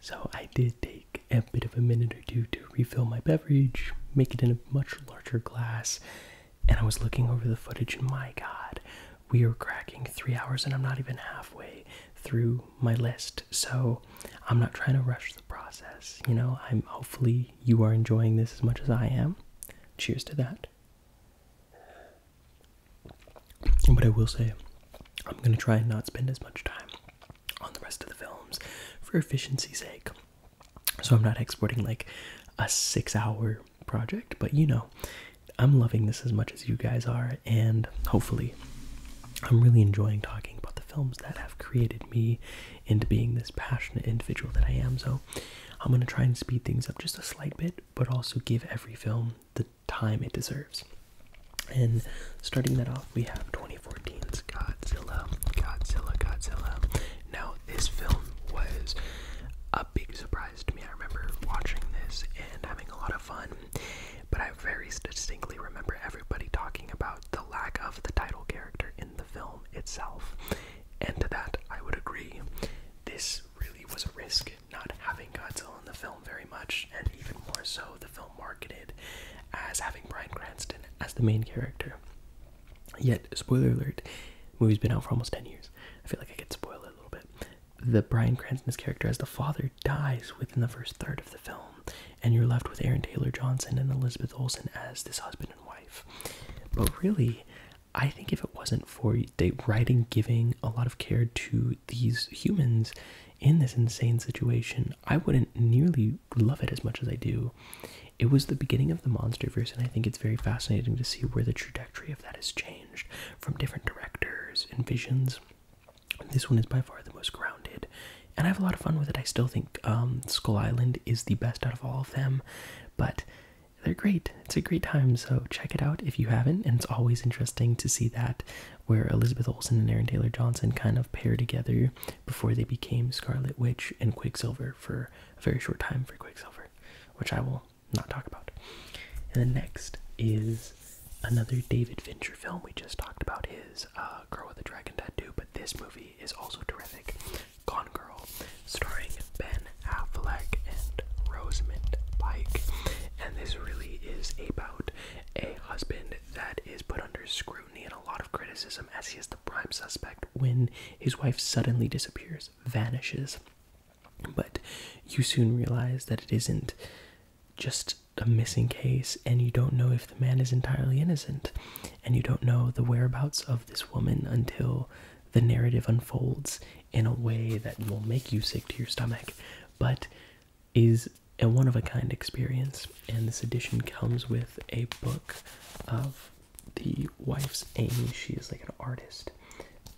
So I did take a bit of a minute or two to refill my beverage, make it in a much larger glass, and I was looking over the footage and my god, we are cracking three hours and I'm not even halfway through my list. So I'm not trying to rush the process. You know, I'm hopefully you are enjoying this as much as I am. Cheers to that. But I will say, I'm going to try and not spend as much time on the rest of the films for efficiency's sake. So I'm not exporting like a six hour project, but you know, I'm loving this as much as you guys are, and hopefully, I'm really enjoying talking about the films that have created me into being this passionate individual that I am. So I'm going to try and speed things up just a slight bit, but also give every film the time it deserves. And starting that off, we have 2014's Godzilla, Godzilla, Godzilla. Now, this film was a big surprise to me. I remember watching this and having a lot of fun, but I very distinctly remember everybody talking about the lack of the title character in the film itself. And to that, I would agree. This really was a risk not having Godzilla in the film very much, and even more so, the film marketed as having Brian Cranston as the main character. Yet, spoiler alert, movie's been out for almost 10 years. I feel like I could spoil it a little bit. The Brian Cranston's character as the father dies within the first third of the film, and you're left with Aaron Taylor Johnson and Elizabeth Olsen as this husband and wife. But really, I think if it wasn't for the writing giving a lot of care to these humans, in this insane situation, I wouldn't nearly love it as much as I do. It was the beginning of the Monsterverse, and I think it's very fascinating to see where the trajectory of that has changed from different directors and visions. This one is by far the most grounded, and I have a lot of fun with it. I still think um, Skull Island is the best out of all of them, but they're great. It's a great time, so check it out if you haven't, and it's always interesting to see that where Elizabeth Olsen and Aaron Taylor Johnson kind of pair together before they became Scarlet Witch and Quicksilver for a very short time for Quicksilver, which I will not talk about. And the next is another David Fincher film. We just talked about is uh, Girl with a Dragon Tattoo, but this movie is also terrific. Gone Girl, starring Ben Affleck and Rosamund Pike. And this really is about a husband that is put under scrutiny and a lot of criticism as he is the prime suspect when his wife suddenly disappears, vanishes. But you soon realize that it isn't just a missing case, and you don't know if the man is entirely innocent, and you don't know the whereabouts of this woman until the narrative unfolds in a way that will make you sick to your stomach. But is a one of a kind experience, and this edition comes with a book of the wife's Amy. She is like an artist,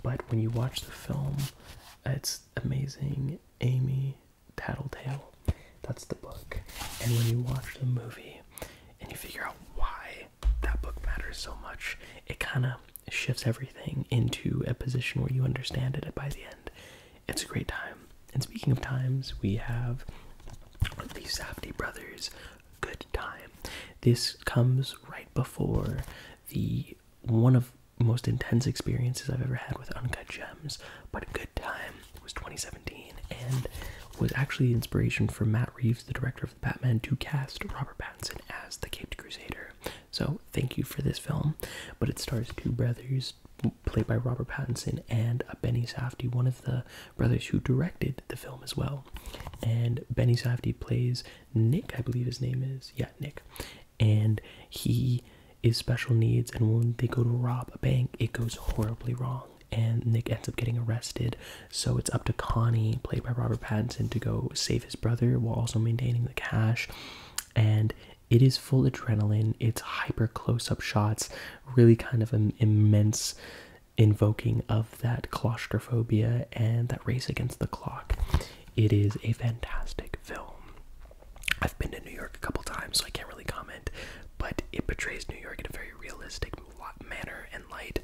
but when you watch the film, it's amazing. Amy Tattletale, that's the book, and when you watch the movie and you figure out why that book matters so much, it kind of shifts everything into a position where you understand it by the end. It's a great time. And speaking of times, we have the Safety Brothers Good Time. This comes right before the one of most intense experiences I've ever had with Uncut Gems, but Good Time was 2017 and was actually the inspiration for Matt Reeves, the director of the Batman, to cast Robert Pattinson as the Caped Crusader. So thank you for this film. But it stars two brothers, played by Robert Pattinson and Benny Safdie, one of the brothers who directed the film as well. And Benny Safdie plays Nick, I believe his name is. Yeah, Nick. And he is special needs, and when they go to rob a bank, it goes horribly wrong. And Nick ends up getting arrested, so it's up to Connie, played by Robert Pattinson, to go save his brother while also maintaining the cash. And it is full adrenaline, it's hyper close up shots, really kind of an immense invoking of that claustrophobia and that race against the clock. It is a fantastic film. I've been to New York a couple times, so I can't really comment, but it portrays New York in a very realistic manner and light,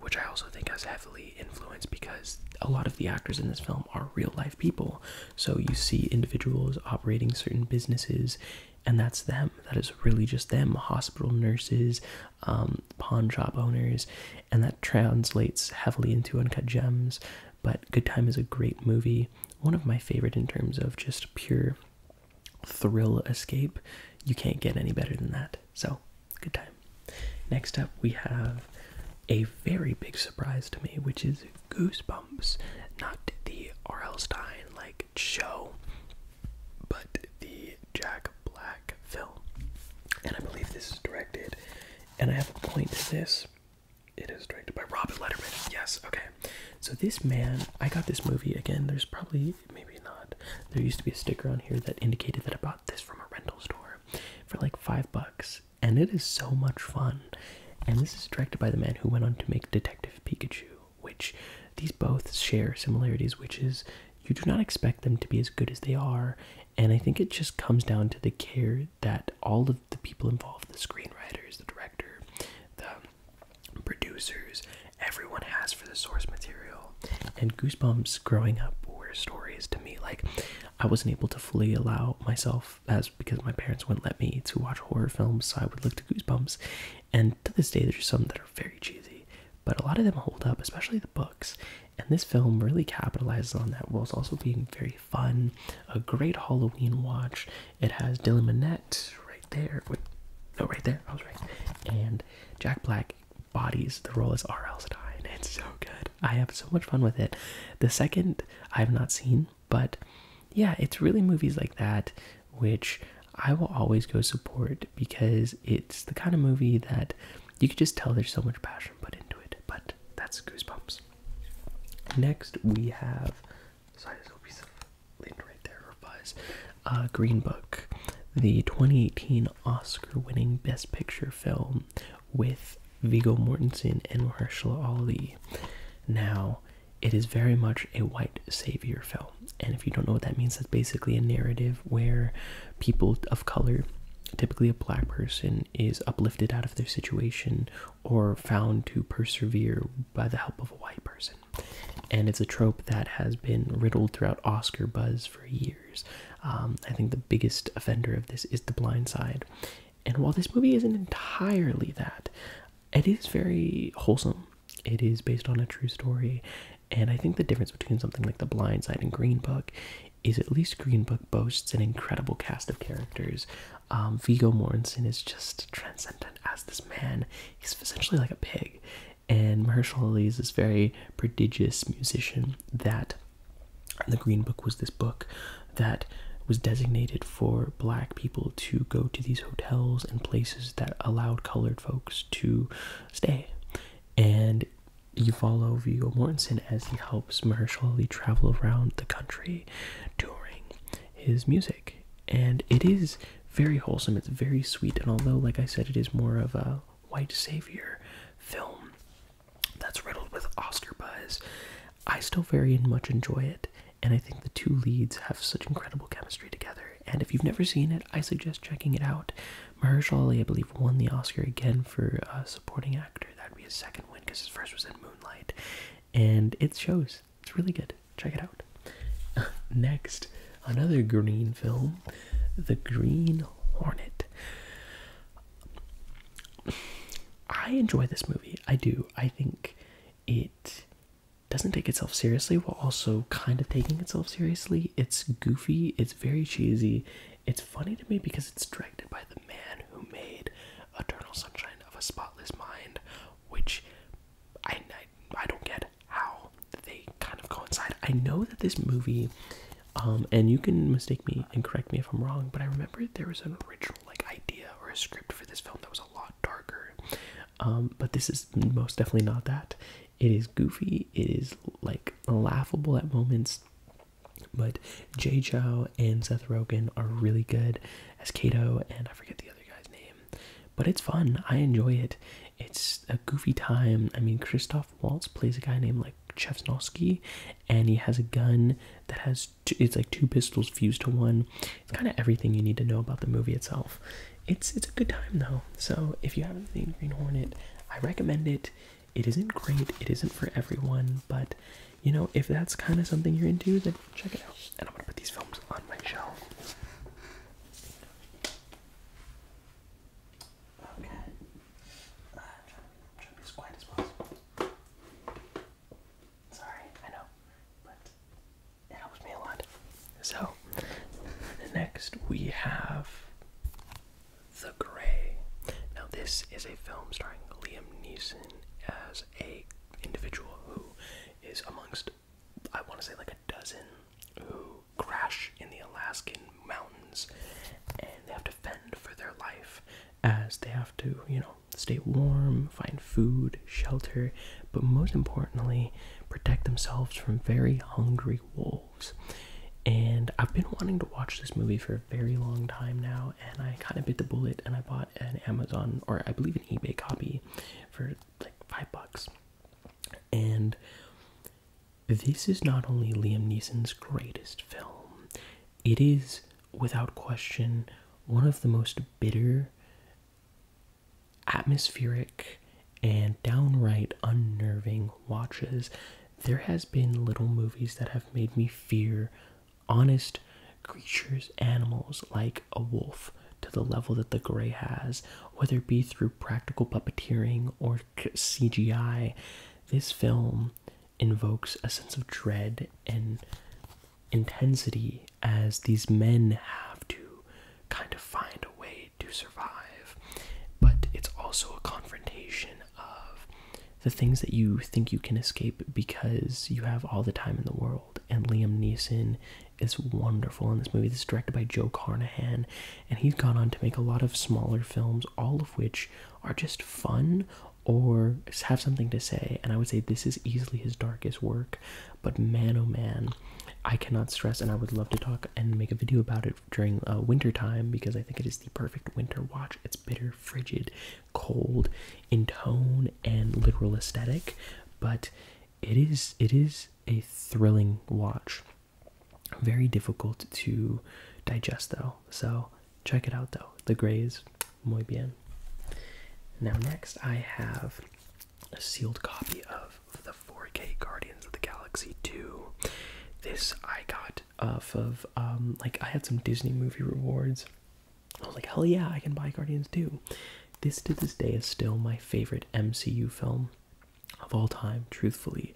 which I also think has heavily influenced because a lot of the actors in this film are real life people so you see individuals operating certain businesses, and that's them. That is really just them. Hospital nurses, um, pawn shop owners, and that translates heavily into Uncut Gems. But Good Time is a great movie, one of my favorite in terms of just pure thrill escape. You can't get any better than that. So, good time. Next up, we have a very big surprise to me, which is Goosebumps, not the R.L. Stein like show, but the Jack Black film. And I believe this is directed, and I have a point to this. It is directed by Robert Letterman. Yes, okay. So this man, I got this movie again. There's probably maybe not. There used to be a sticker on here that indicated that I bought this from a rental store for like five bucks, and it is so much fun. And this is directed by the man who went on to make Detective Pikachu, which these both share similarities, which is you do not expect them to be as good as they are. And I think it just comes down to the care that all of the people involved the screenwriters, the director, the producers everyone has for the source material. And Goosebumps growing up were stories to me. Like, I wasn't able to fully allow myself that's because my parents wouldn't let me to watch horror films, so I would look to Goosebumps. And to this day, there's some that are very cheesy, but a lot of them hold up, especially the books. And this film really capitalizes on that whilst also being very fun. A great Halloween watch. It has Dylan Minnette right there. With, no, oh, right there. I was right. And Jack Black bodies the role as R.L. Stein. It's so good. I have so much fun with it. The second I've not seen, but yeah, it's really movies like that which I will always go support because it's the kind of movie that you can just tell there's so much passion put into it. But that's Goosebumps. Next, we have. Sorry, there's a piece of lean right there, or uh, Green Book, the 2018 Oscar winning Best Picture film with Vigo Mortensen and Marshall Ali. Now, it is very much a white savior film. And if you don't know what that means, that's basically a narrative where people of color, typically a black person, is uplifted out of their situation or found to persevere by the help of a white person. And it's a trope that has been riddled throughout Oscar buzz for years. Um, I think the biggest offender of this is The Blind Side. And while this movie isn't entirely that, it is very wholesome. It is based on a true story, and I think the difference between something like The Blind Side and Green Book is at least Green Book boasts an incredible cast of characters. Um, Vigo Mortensen is just transcendent as this man. He's essentially like a pig, and Marshall Ali is this very prodigious musician that. The Green Book was this book that was designated for black people to go to these hotels and places that allowed colored folks to stay. And you follow Viggo Mortensen as he helps Mahershala Ali travel around the country touring his music. And it is very wholesome, it's very sweet, and although, like I said, it is more of a white savior film that's riddled with Oscar buzz, I still very much enjoy it and I think the two leads have such incredible chemistry together. And if you've never seen it, I suggest checking it out. Mahershala Ali, I believe, won the Oscar again for supporting actor. That'd be his second win because his first was in Moonlight, and it shows. It's really good. Check it out. Next, another green film, The Green Hornet. I enjoy this movie. I do. I think it doesn't take itself seriously while also kind of taking itself seriously. It's goofy, it's very cheesy. It's funny to me because it's directed by the man who made Eternal Sunshine of a Spotless Mind, which I, I, I don't get how they kind of coincide. I know that this movie, um, and you can mistake me and correct me if I'm wrong, but I remember there was an original like idea or a script for this film that was a lot darker. Um, but this is most definitely not that. It is goofy, it is like laughable at moments. But Jay Chow and Seth Rogen are really good as Kato, and I forget the other guy's name. But it's fun. I enjoy it. It's a goofy time. I mean, Christoph Waltz plays a guy named like Chevsnowski, and he has a gun that has it's like two pistols fused to one. It's kind of everything you need to know about the movie itself. It's it's a good time though. So if you haven't seen Green Hornet, I recommend it. It isn't great. It isn't for everyone, but you know if that's kind of something you're into, then check it out. And I'm gonna put these films on my shelf. Okay. Uh, Sorry, I know, but it helps me a lot. So, next we have The Gray. Now, this is a film starring Liam Neeson as a individual who is amongst, I want to say, like a dozen who crash in the Alaskan mountains, and they have to fend for their life as they have to, you know, stay warm, find food, shelter, but most importantly, protect themselves from very hungry wolves. And I've been wanting to watch this movie for a very long time now, and I kind of bit the bullet and I bought an Amazon or I believe an eBay copy for like five bucks. And this is not only Liam Neeson's greatest film, it is without question one of the most bitter atmospheric and downright unnerving watches there has been little movies that have made me fear honest creatures animals like a wolf to the level that the gray has whether it be through practical puppeteering or cgi this film invokes a sense of dread and intensity as these men have to kind of find a way to survive, but it's also a confrontation of the things that you think you can escape because you have all the time in the world. And Liam Neeson is wonderful in this movie. This is directed by Joe Carnahan, and he's gone on to make a lot of smaller films, all of which are just fun or have something to say. And I would say this is easily his darkest work. But man, oh man, I cannot stress, and I would love to talk and make a video about it during uh, winter time because I think it is the perfect winter watch. It's bitter, frigid, cold in tone and literal aesthetic, but it is it is a thrilling watch. Very difficult to digest though, so check it out though. The grays, muy bien. Now next I have a sealed copy of the 4K Guardians of the Galaxy 2. This I got off of, um, like, I had some Disney movie rewards. I was like, hell yeah, I can buy Guardians 2. This to this day is still my favorite MCU film of all time, truthfully.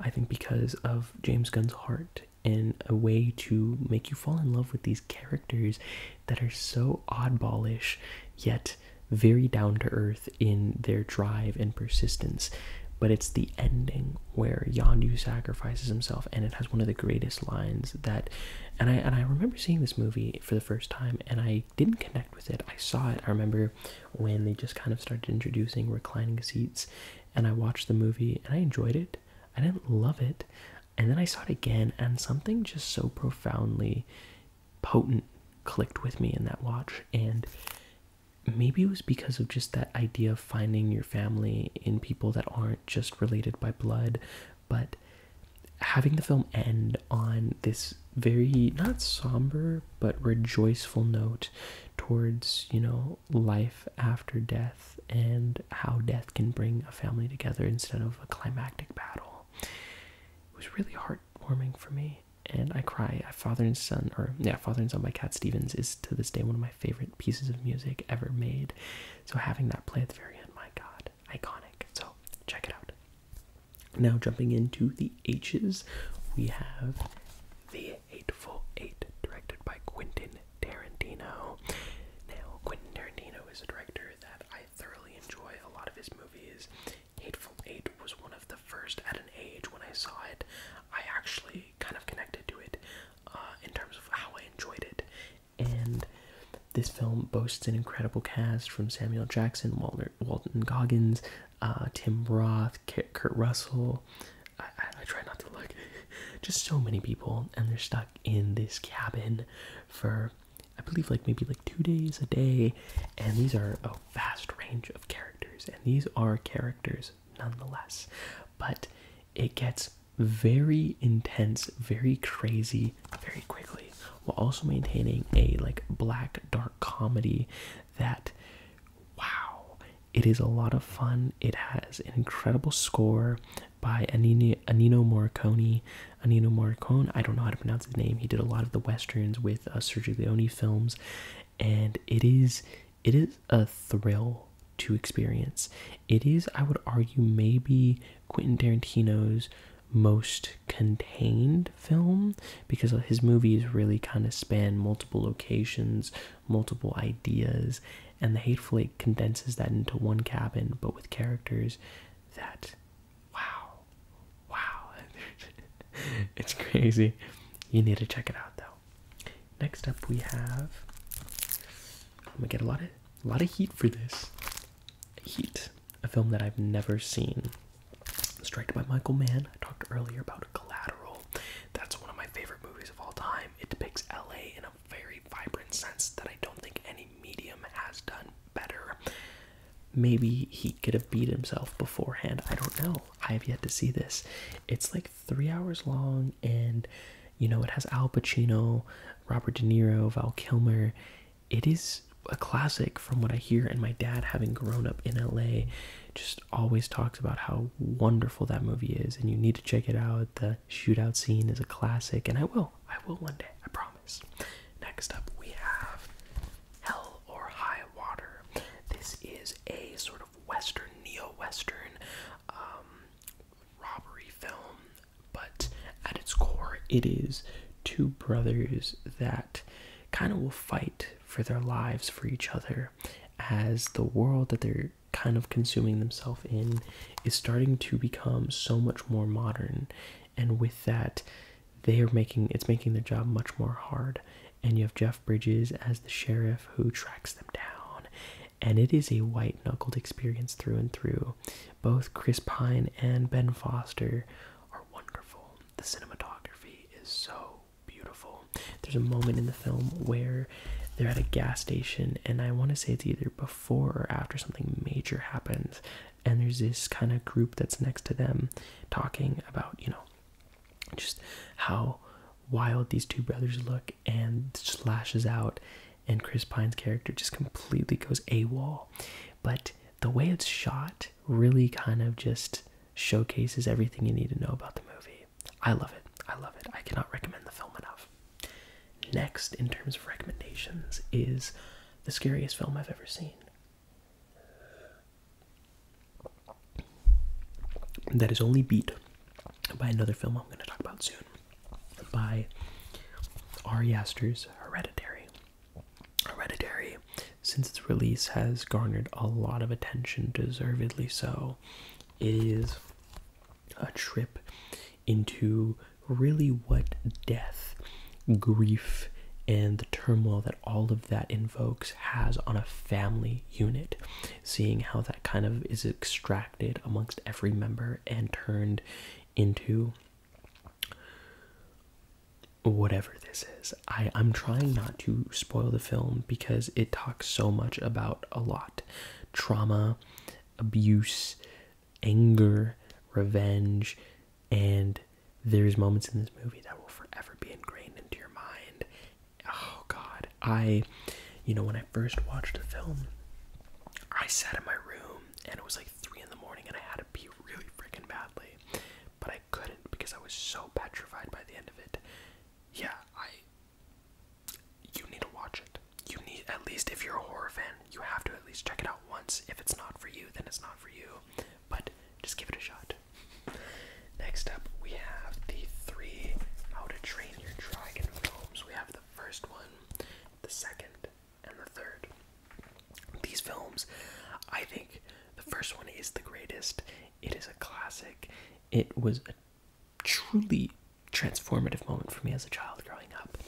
I think because of James Gunn's heart and a way to make you fall in love with these characters that are so oddballish yet very down to earth in their drive and persistence. But it's the ending where Yondu sacrifices himself, and it has one of the greatest lines that. And I and I remember seeing this movie for the first time, and I didn't connect with it. I saw it. I remember when they just kind of started introducing reclining seats, and I watched the movie, and I enjoyed it. I didn't love it. And then I saw it again, and something just so profoundly potent clicked with me in that watch. And maybe it was because of just that idea of finding your family in people that aren't just related by blood, but having the film end on this very not somber but rejoiceful note towards you know life after death and how death can bring a family together instead of a climactic battle it was really heartwarming for me and i cry father and son or yeah father and son by cat stevens is to this day one of my favorite pieces of music ever made so having that play at the very end my god iconic so check it out now jumping into the h's we have the hateful eight directed by quentin tarantino now quentin tarantino is a director that i I thoroughly enjoy a lot of his movies. Hateful Eight was one of the first at an age when I saw it. I actually kind of connected to it uh, in terms of how I enjoyed it. And this film boasts an incredible cast from Samuel Jackson, Walter, Walton Goggins, uh, Tim Roth, Kurt Russell. I try not to look. Just so many people, and they're stuck in this cabin for I believe like maybe like two days a day, and these are a vast range of characters, and these are characters nonetheless. But it gets very intense, very crazy, very quickly, while also maintaining a like black dark comedy that wow, it is a lot of fun. It has an incredible score by Anino Morricone, Ennio Morricone. I don't know how to pronounce his name. He did a lot of the westerns with uh, Sergio Leone films, and it is it is a thrill to experience. It is, I would argue, maybe Quentin Tarantino's most contained film because his movies really kind of span multiple locations, multiple ideas, and The Hateful Eight condenses that into one cabin, but with characters that Wow. Wow. it's crazy. You need to check it out though. Next up we have I'm gonna get a lot of a lot of heat for this. Heat, a film that I've never seen. It's directed by Michael Mann. I talked earlier about Collateral. That's one of my favorite movies of all time. It depicts LA in a very vibrant sense that I don't think any medium has done better. Maybe he could have beat himself beforehand. I don't know. I have yet to see this. It's like three hours long, and you know, it has Al Pacino, Robert De Niro, Val Kilmer. It is a classic from what I hear, and my dad, having grown up in LA, just always talks about how wonderful that movie is, and you need to check it out. The shootout scene is a classic, and I will. I will one day. I promise. Next up, we have Hell or High Water. This is a sort of Western, neo-Western um, robbery film, but at its core, it is two brothers that kind of will fight for their lives for each other as the world that they're kind of consuming themselves in is starting to become so much more modern and with that they are making it's making their job much more hard and you have jeff bridges as the sheriff who tracks them down and it is a white knuckled experience through and through both chris pine and ben foster are wonderful the cinematography is so beautiful there's a moment in the film where they're at a gas station and i want to say it's either before or after something major happens and there's this kind of group that's next to them talking about you know just how wild these two brothers look and just lashes out and chris pine's character just completely goes AWOL. but the way it's shot really kind of just showcases everything you need to know about the movie i love it i love it i cannot recommend the film enough next in terms of recommendations is the scariest film i've ever seen that is only beat by another film I'm going to talk about soon by Ari Aster's Hereditary. Hereditary, since its release, has garnered a lot of attention, deservedly so. It is a trip into really what death grief and the turmoil that all of that invokes has on a family unit, seeing how that kind of is extracted amongst every member and turned into whatever this is. I, I'm trying not to spoil the film because it talks so much about a lot trauma, abuse, anger, revenge, and there's moments in this movie that will forever be ingrained into your mind. Oh God, I, you know, when I first watched the film, I sat in my room and it was like three in the morning and I had to pee really freaking badly, but I couldn't because I was so petrified by the end of it. Yeah, I. You need to watch it. You need at least if you're a horror fan, you have to at least check it out once. If it's not for you, then it's not for you but just give it a shot. Next up, we have the three How to Train Your Dragon films. We have the first one, the second, and the third. These films, I think the first one is the greatest. It is a classic. It was a truly transformative moment for me as a child growing up.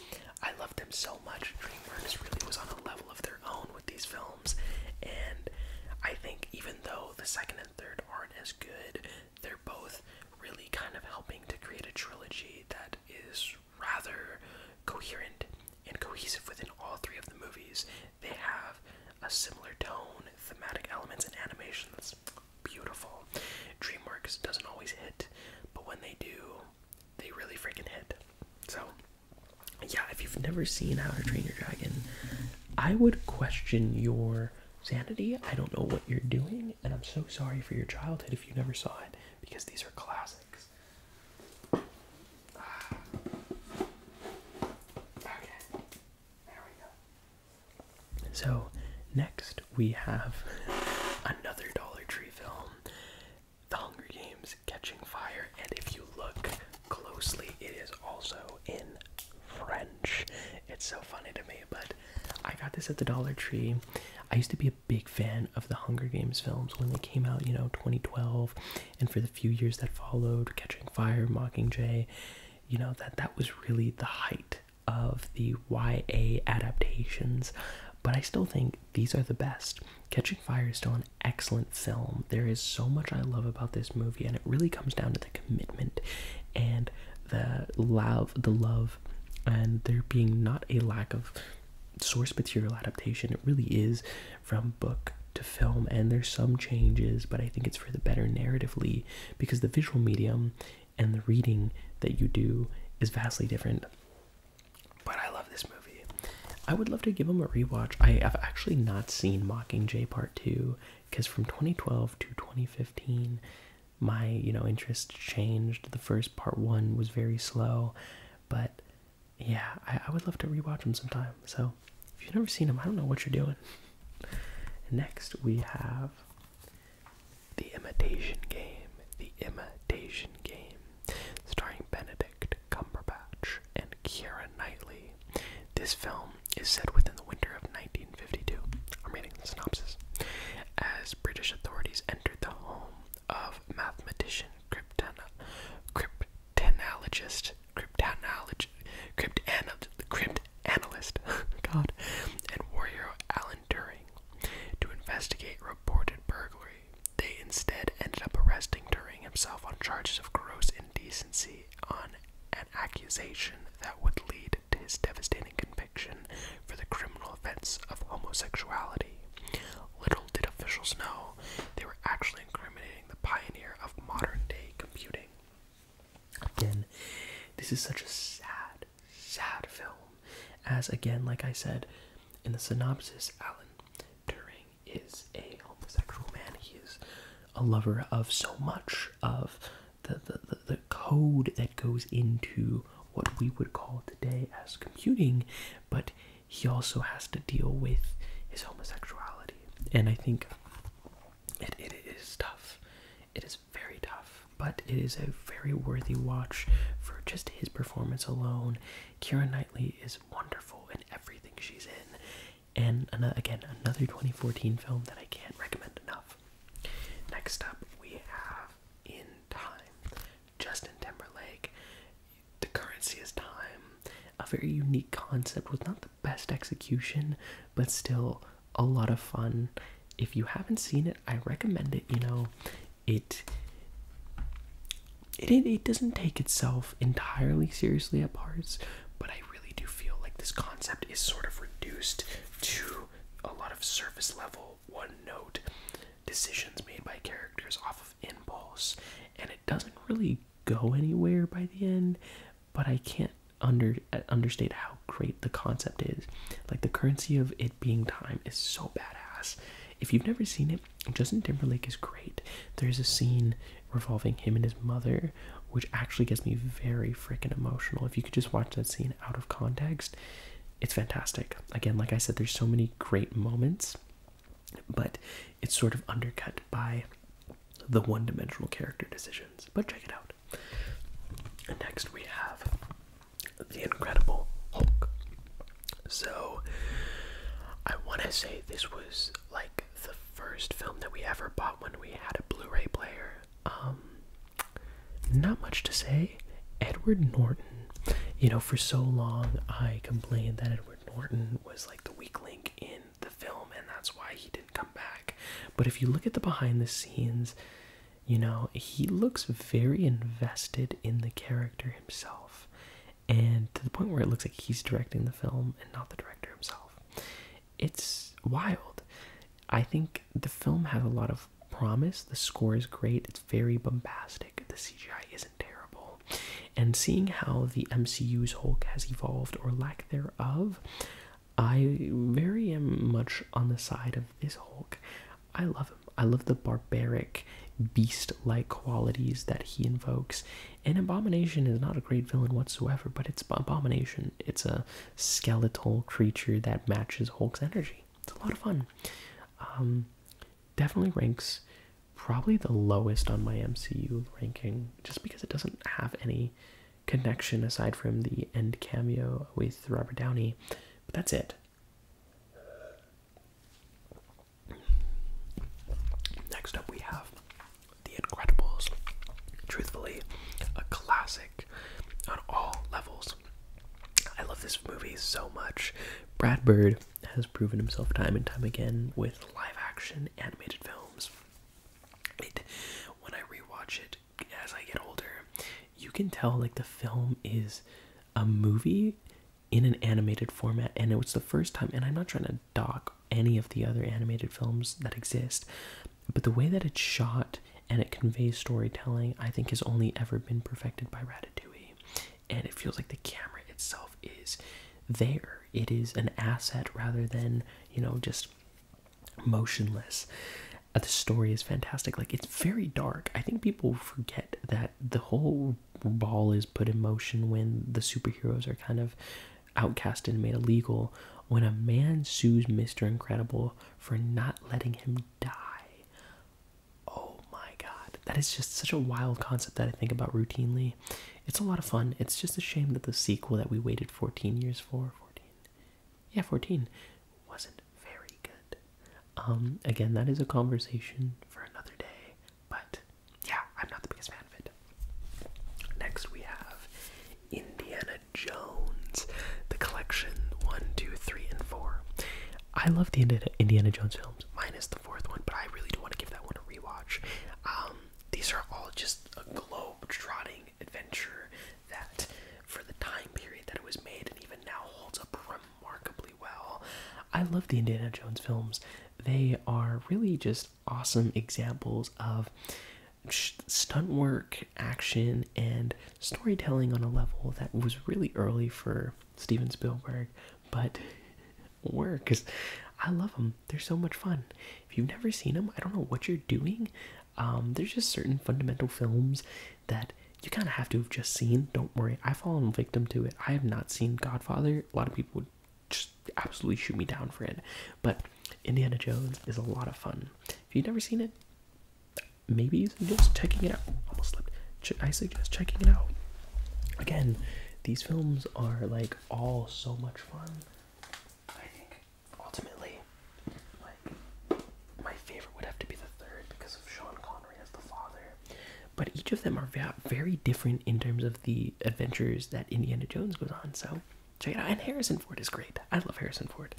I loved them so much. DreamWorks really was on a level of their own with these films. And I think even though the second and third aren't as good, they're both really kind of helping to create a trilogy that is rather coherent and cohesive within all three of the movies. They have a similar tone, thematic elements, and animations. that's beautiful. DreamWorks doesn't always hit, but when they do, they really freaking hit. So, yeah, if you've never seen How to Train Your Dragon, I would question your sanity. I don't know what you're doing, and I'm so sorry for your childhood if you never saw it, because these are classics. Ah. Okay, there we go. So, next we have another Dollar Tree film. The Hunger Games Catching Fire, and if you look closely, it is also in French. It's so funny to me, but I got this at the Dollar Tree. I used to be a big fan of the Hunger Games films when they came out, you know, 2012, and for the few years that followed, Catching Fire, Mockingjay, you know, that that was really the height of the YA adaptations. But I still think these are the best. Catching Fire is still excellent film. There is so much I love about this movie, and it really comes down to the commitment and the love, the love, and there being not a lack of source material adaptation. It really is from book to film, and there's some changes, but I think it's for the better narratively because the visual medium and the reading that you do is vastly different but I love this movie. I would love to give them a rewatch. I have actually not seen Mockingjay Part 2 because from 2012 to 2015 my, you know, interest changed. The first part 1 was very slow, but yeah, I, would love to rewatch them sometime. So, if you've never seen them, I don't know what you're doing. Next, we have The Imitation Game. The Imitation Game. Starring Benedict Cumberbatch and Keira Knightley, this film is set within the winter of 1952. I'm reading the synopsis. As British authorities enter the home of mathematician Cryptana, cryptanologist, cryptanologist, cryptanalyst, God, and warrior Alan Turing to investigate reported burglary. They instead ended up arresting Turing himself on charges of gross indecency on an accusation that would lead to his devastating conviction for the criminal offense of homosexuality. Little did officials know they were actually incriminating the pioneer of modern day computing. Again, this is such a sad, sad film. As again, like I said in the synopsis, Alan Turing is a homosexual man. He is a lover of so much of the, the, the, code that goes into what we would call today as computing, but he also has to deal with his homosexuality. And I think it, it is tough. It is very tough, but it is a very worthy watch for just his performance alone. Kieran Knightley is wonderful in everything she's in. And again, another 2014 film that I can't recommend enough. Next up, we have In Time, Justin Timberlake. The currency is time. A very unique concept with not the best execution, but still a lot of fun. If you haven't seen it, I recommend it. You know, it it, it, doesn't take itself entirely seriously at parts, but I really do feel like this concept is sort of reduced to a lot of surface level, one note decisions made by characters off of impulse, and it doesn't really go anywhere by the end. But I can't under uh, understate how great the concept is. Like the currency of it being time is so badass. If you've never seen it, Justin Timberlake is great. There's a scene revolving him and his mother, which actually gets me very freaking emotional. If you could just watch that scene out of context, it's fantastic. Again, like I said, there's so many great moments, but it's sort of undercut by the one dimensional character decisions. But check it out. next, we have The Incredible Hulk. So, I want to say this was like the first film that we ever bought when we had a Blu-ray player. Um, not much to say. Edward Norton. You know, for so long I complained that Edward Norton was like the weak link in the film, and that's why he didn't come back. But if you look at the behind the scenes, you know, he looks very invested in the character himself and to the point where it looks like he's directing the film and not the director himself. It's wild. I think the film has a lot of promise. The score is great. It's very bombastic. The CGI isn't terrible. And seeing how the MCU's Hulk has evolved or lack thereof, I very much on the side of this Hulk. I love him. I love the barbaric, beast like qualities that he invokes. And Abomination is not a great villain whatsoever, but it's Abomination. It's a skeletal creature that matches Hulk's energy. It's a lot of fun. Um, definitely ranks probably the lowest on my MCU ranking, just because it doesn't have any connection aside from the end cameo with Robert Downey. But that's it. Next up, we have The Incredibles. Truthfully, a classic on all levels. I love this movie so much. Brad Bird has proven himself time and time again with live action animated films. It, when I rewatch it as I get older, you can tell like the film is a movie in an animated format, and it was the first time. And I'm not trying to dock any of the other animated films that exist, but the way that it's shot and it conveys storytelling, I think, has only ever been perfected by Ratatouille. And it feels like the camera itself is there, it is an asset rather than, you know, just motionless. Uh, the story is fantastic. Like, it's very dark. I think people forget that the whole ball is put in motion when the superheroes are kind of outcast and made illegal when a man sues Mr. Incredible for not letting him die. Oh my god. That is just such a wild concept that I think about routinely. It's a lot of fun. It's just a shame that the sequel that we waited 14 years for, 14. Yeah, 14 wasn't very good. Um again, that is a conversation for another day. But yeah, I'm not the biggest fan of it. Next, we have Indiana Jones, the collection 1, 2, 3, and 4. I love the Indiana Jones films, minus the fourth one, but I really do want to give that one a rewatch. Um, these are all just a globe trotting adventure that, for the time period that it was made, and even now holds up remarkably well. I love the Indiana Jones films. They are really just awesome examples of stunt work, action, and storytelling on a level that was really early for Steven Spielberg, but work because I love them. They're so much fun. If you've never seen them, I don't know what you're doing. Um, there's just certain fundamental films that you kind of have to have just seen. Don't worry, I've fallen victim to it. I have not seen Godfather. A lot of people would just absolutely shoot me down for it. But Indiana Jones is a lot of fun. If you've never seen it, maybe you just checking it out. Almost slipped. I suggest checking it out. Again, these films are like all so much fun. I think ultimately, like my favorite would have to be the third because of Sean Connery as the father. But each of them are very different in terms of the adventures that Indiana Jones goes on. So check it out. And Harrison Ford is great. I love Harrison Ford.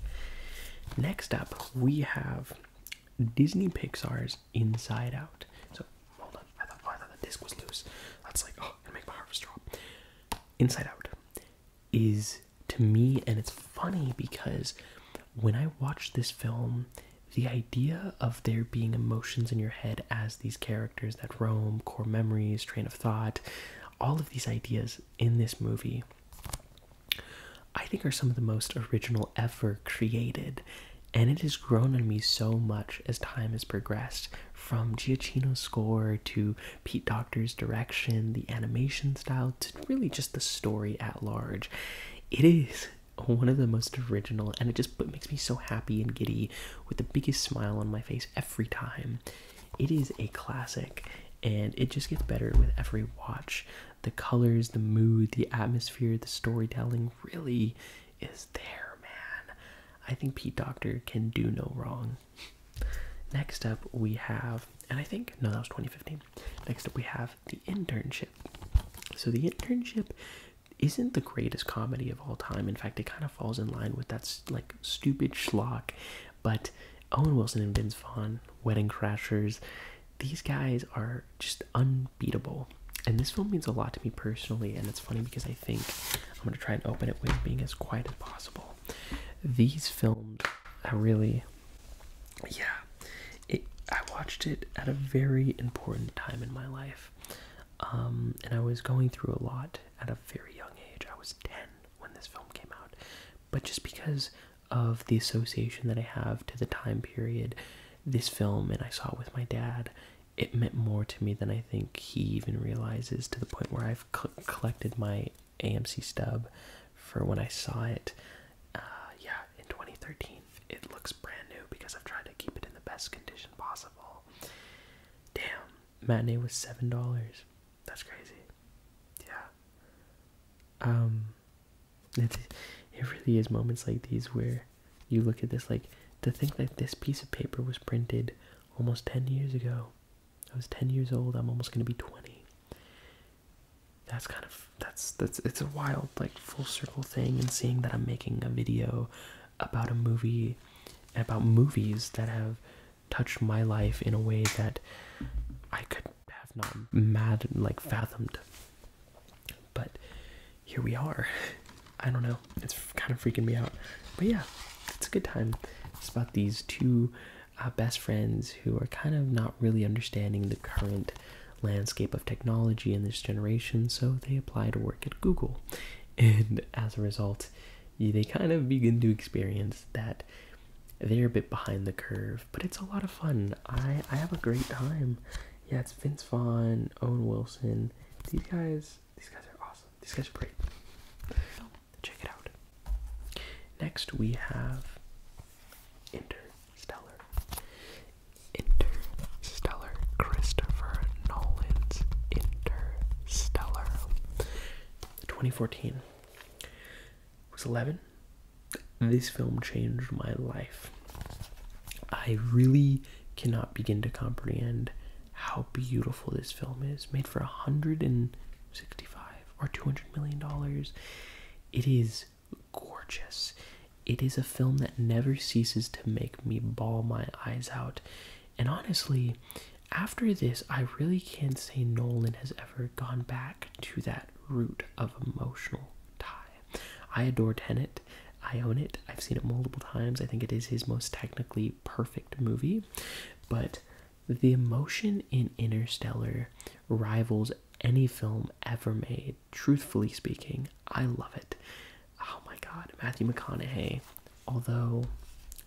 Next up, we have Disney Pixar's Inside Out. So hold on, I thought, the disc was loose. That's like oh, gonna make my heart drop. Inside Out is to me, and it's funny because when I watched this film, the idea of there being emotions in your head as these characters characters that roam, core memories, train of thought, all of these ideas in this movie, I think are some of the most original ever created. And it has grown on me so much as time has progressed from Giacchino's score to Pete Doctor's direction, the animation style, to really just the story at large. It is one of the most original, and it just makes me so happy and giddy with the biggest smile on my face ever every time. It is a classic and it just gets better with every watch. The colors, the mood, the atmosphere, the storytelling really is there, man. I think Pete Doctor can do no wrong. Next up, we have, and I think, no, that was 2015. Next up, we have The Internship. So, The Internship isn't the greatest comedy of all time. In fact, it kind of falls in line with that like stupid schlock. But Owen Wilson and Vince Vaughn, Wedding Crashers, these guys are just unbeatable. And this film means a lot to me personally. And it's funny because I think I'm gonna try and open it being as quiet as possible. These films, I really, yeah. It, I watched it at a very important time in my life. Um, and I was going through a lot at a very young age. I was 10 when this film came out. But just because of the association that I have to the time period, this film, and I saw it with my dad, it meant more to me than I think he even realizes to the point where I've collected my AMC stub for when I saw it. Uh, yeah, in 2013. It looks brand new because I've tried to keep it in the best condition possible. Damn, matinee was seven dollars. That's crazy. Yeah. Um, it it really is moments like these where you look at this like to think that this piece of paper was printed almost ten years ago. I was ten years old. I'm almost gonna be twenty. That's kind of that's that's it's a wild like full circle thing and seeing that I'm making a video about a movie about movies that have touched my life in a way that I could have not mad like fathomed. But here we are. I don't know. It's kind of freaking me out. But yeah, it's a good time. It's about these two uh, best friends who are kind of not really understanding the current landscape of technology in this generation, so they apply to work at Google. And as a result, they kind of begin to experience that they're a bit behind the curve, but it's a lot of fun. I, I have a great time. Yeah, it's Vince Vaughn, Owen Wilson. These guys, these guys are awesome. These guys are great. So check it out. Next we have Interstellar. Interstellar. Christopher Nolan's Interstellar stellar. 2014 was 11. This film changed my life. I really cannot begin to comprehend how beautiful this film is. Made for 165 or 200 million dollars. It is gorgeous. It is a film that never ceases to make me ball my eyes out. And honestly, after this, I really can't say Nolan has ever gone back to that root of emotional tie. I adore Tenet. I own it. I've seen it multiple times. I think it is his most technically perfect movie. But the emotion in Interstellar rivals any film ever made. Truthfully speaking, I love it. Oh my god, Matthew McConaughey although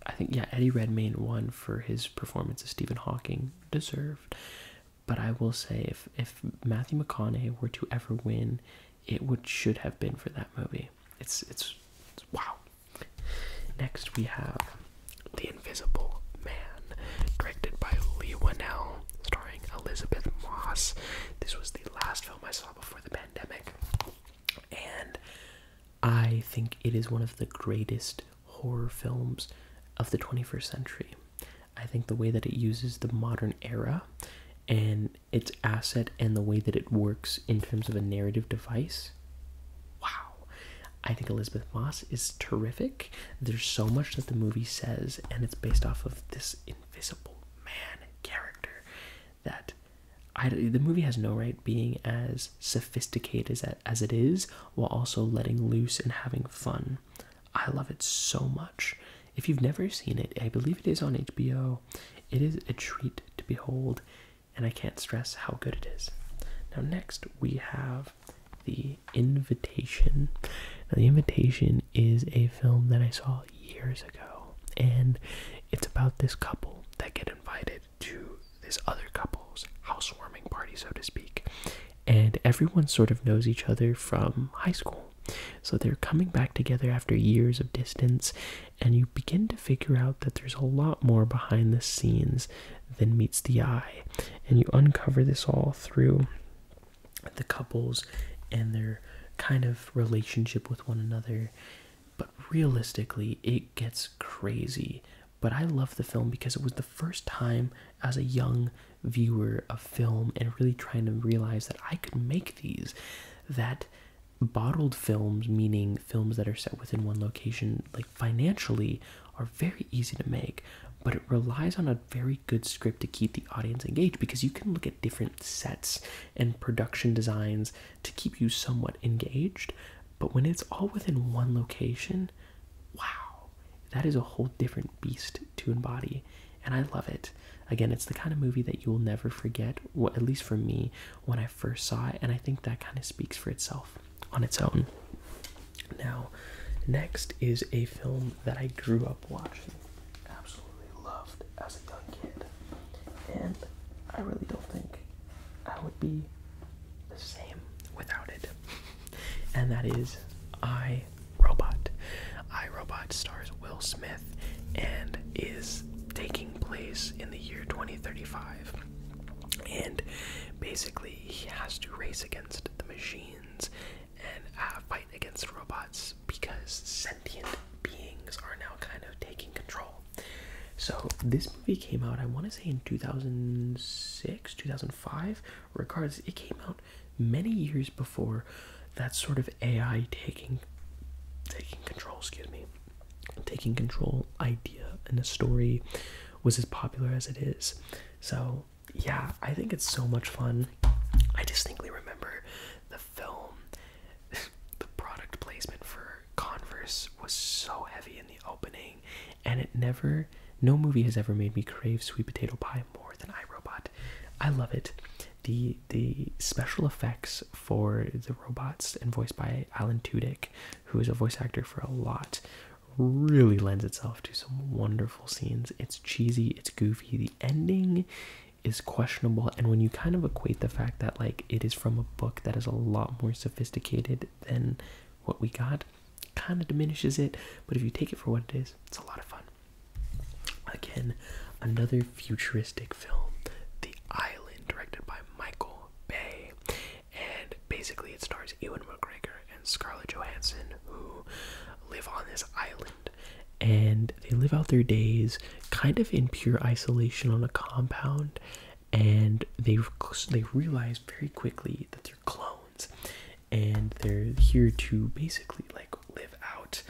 I think yeah Eddie Redmayne won for his performance as Stephen Hawking deserved. But I will say if if Matthew McConaughey were to ever win, it would should have been for that movie. It's it's, wow. Next we have The Invisible Man, directed by Lee Whannell, starring Elizabeth Moss. This was the last film I saw before the pandemic and I think it is one of the greatest horror films of the 21st century. I think the way that it uses the modern era and its asset and the way that it works in terms of a narrative device. Wow. I think Elizabeth Moss is terrific. There's so much that the movie says, and it's based off of this invisible man character that the movie has no right being as sophisticated as, as it is while also letting loose and having fun. I love it so much. If you've never seen it, I believe it is on HBO. It is a treat to behold, and I can't stress how good it is. Now, next we have The Invitation. Now, The Invitation is a film that I saw years ago, and it's about this couple that get invited to this other couple's housewarming party, so to speak. And everyone sort of knows each other from high school. So they're coming back together after years of distance, and you begin to figure out that there's a lot more behind the scenes than meets the eye. And you uncover this all through the couples and their kind of relationship with one another but realistically, it gets crazy. But I love the film because it was the first time as a young viewer of film and really trying to realize that I could make these. That bottled films, meaning films that are set within one location, like financially, are very easy to make. But it relies on a very good script to keep the audience engaged because you can look at different sets and production designs to keep you somewhat engaged. But when it's all within one location, wow, that is a whole different beast to embody. And I love it. Again, it's the kind of movie that you will never forget, at least for me, when I first saw it. And I think that kind of speaks for itself on its own. Now, next is a film that I grew up watching, absolutely loved as a young kid. And I really don't think I would be the same without it. and that is I Robot. I Robot stars Will Smith and is taking place in the year 2035. And basically, he has to race against the machines and uh, fight against robots because sentient beings are now kind of taking control so this movie came out, I want to say in 2006, 2005. Regardless, it came out many years before that sort of AI taking taking control, excuse me, taking control idea in the story was as popular as it is. So yeah, I think it's so much fun. I distinctly remember the film, the product placement for Converse was so heavy in the opening, and it never, no movie has ever made me crave sweet potato pie more than iRobot. I love it. The the special effects for the robots and voiced by Alan Tudyk, who is a voice actor for a lot, really lends itself to some wonderful scenes. It's cheesy, it's goofy. The ending is questionable, and when you kind of equate the fact that like it is from a book that is a lot more sophisticated than what we got. Kind of diminishes it, but if you take it for what it is, it's a lot of fun. Again, another futuristic film, The Island, directed by Michael Bay. And basically, it stars Ewan McGregor and Scarlett Johansson, who live on this island. And they live out their days kind of in pure isolation on a compound and they they realize very quickly that they're clones, and they're here to basically like live out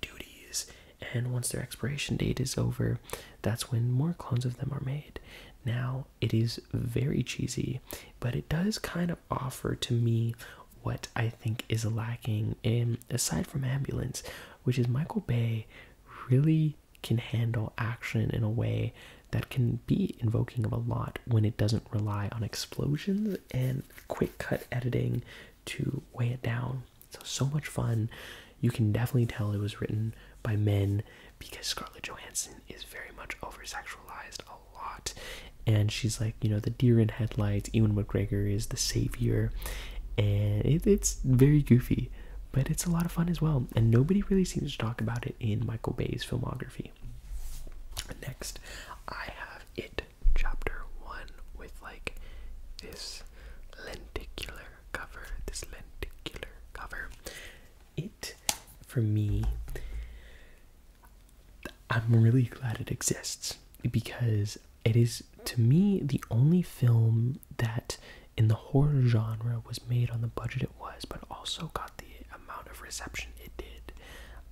duties. And once their expiration date is over, that's when more clones of them are made. Now it is very cheesy, but it does kind of offer to me what I think is lacking in aside from ambulance, which is Michael Bay really can handle action in a way that can be invoking of a lot when it doesn't rely on explosions and quick cut editing to weigh it down. So, so much fun. You can definitely tell it was written by men because Scarlett Johansson is very much over sexualized a lot. And she's like, you know, the deer in headlights. Ewan McGregor is the savior. And it, it's very goofy but it's a lot of fun as well. And nobody really seems to talk about it in Michael Bay's filmography. Next, I have It Chapter 1 with like this lenticular cover. This lenticular cover. It, for me, I'm really glad it exists because it is, to me, the only film that in the horror genre was made on the budget it was, but also got the amount of reception it did.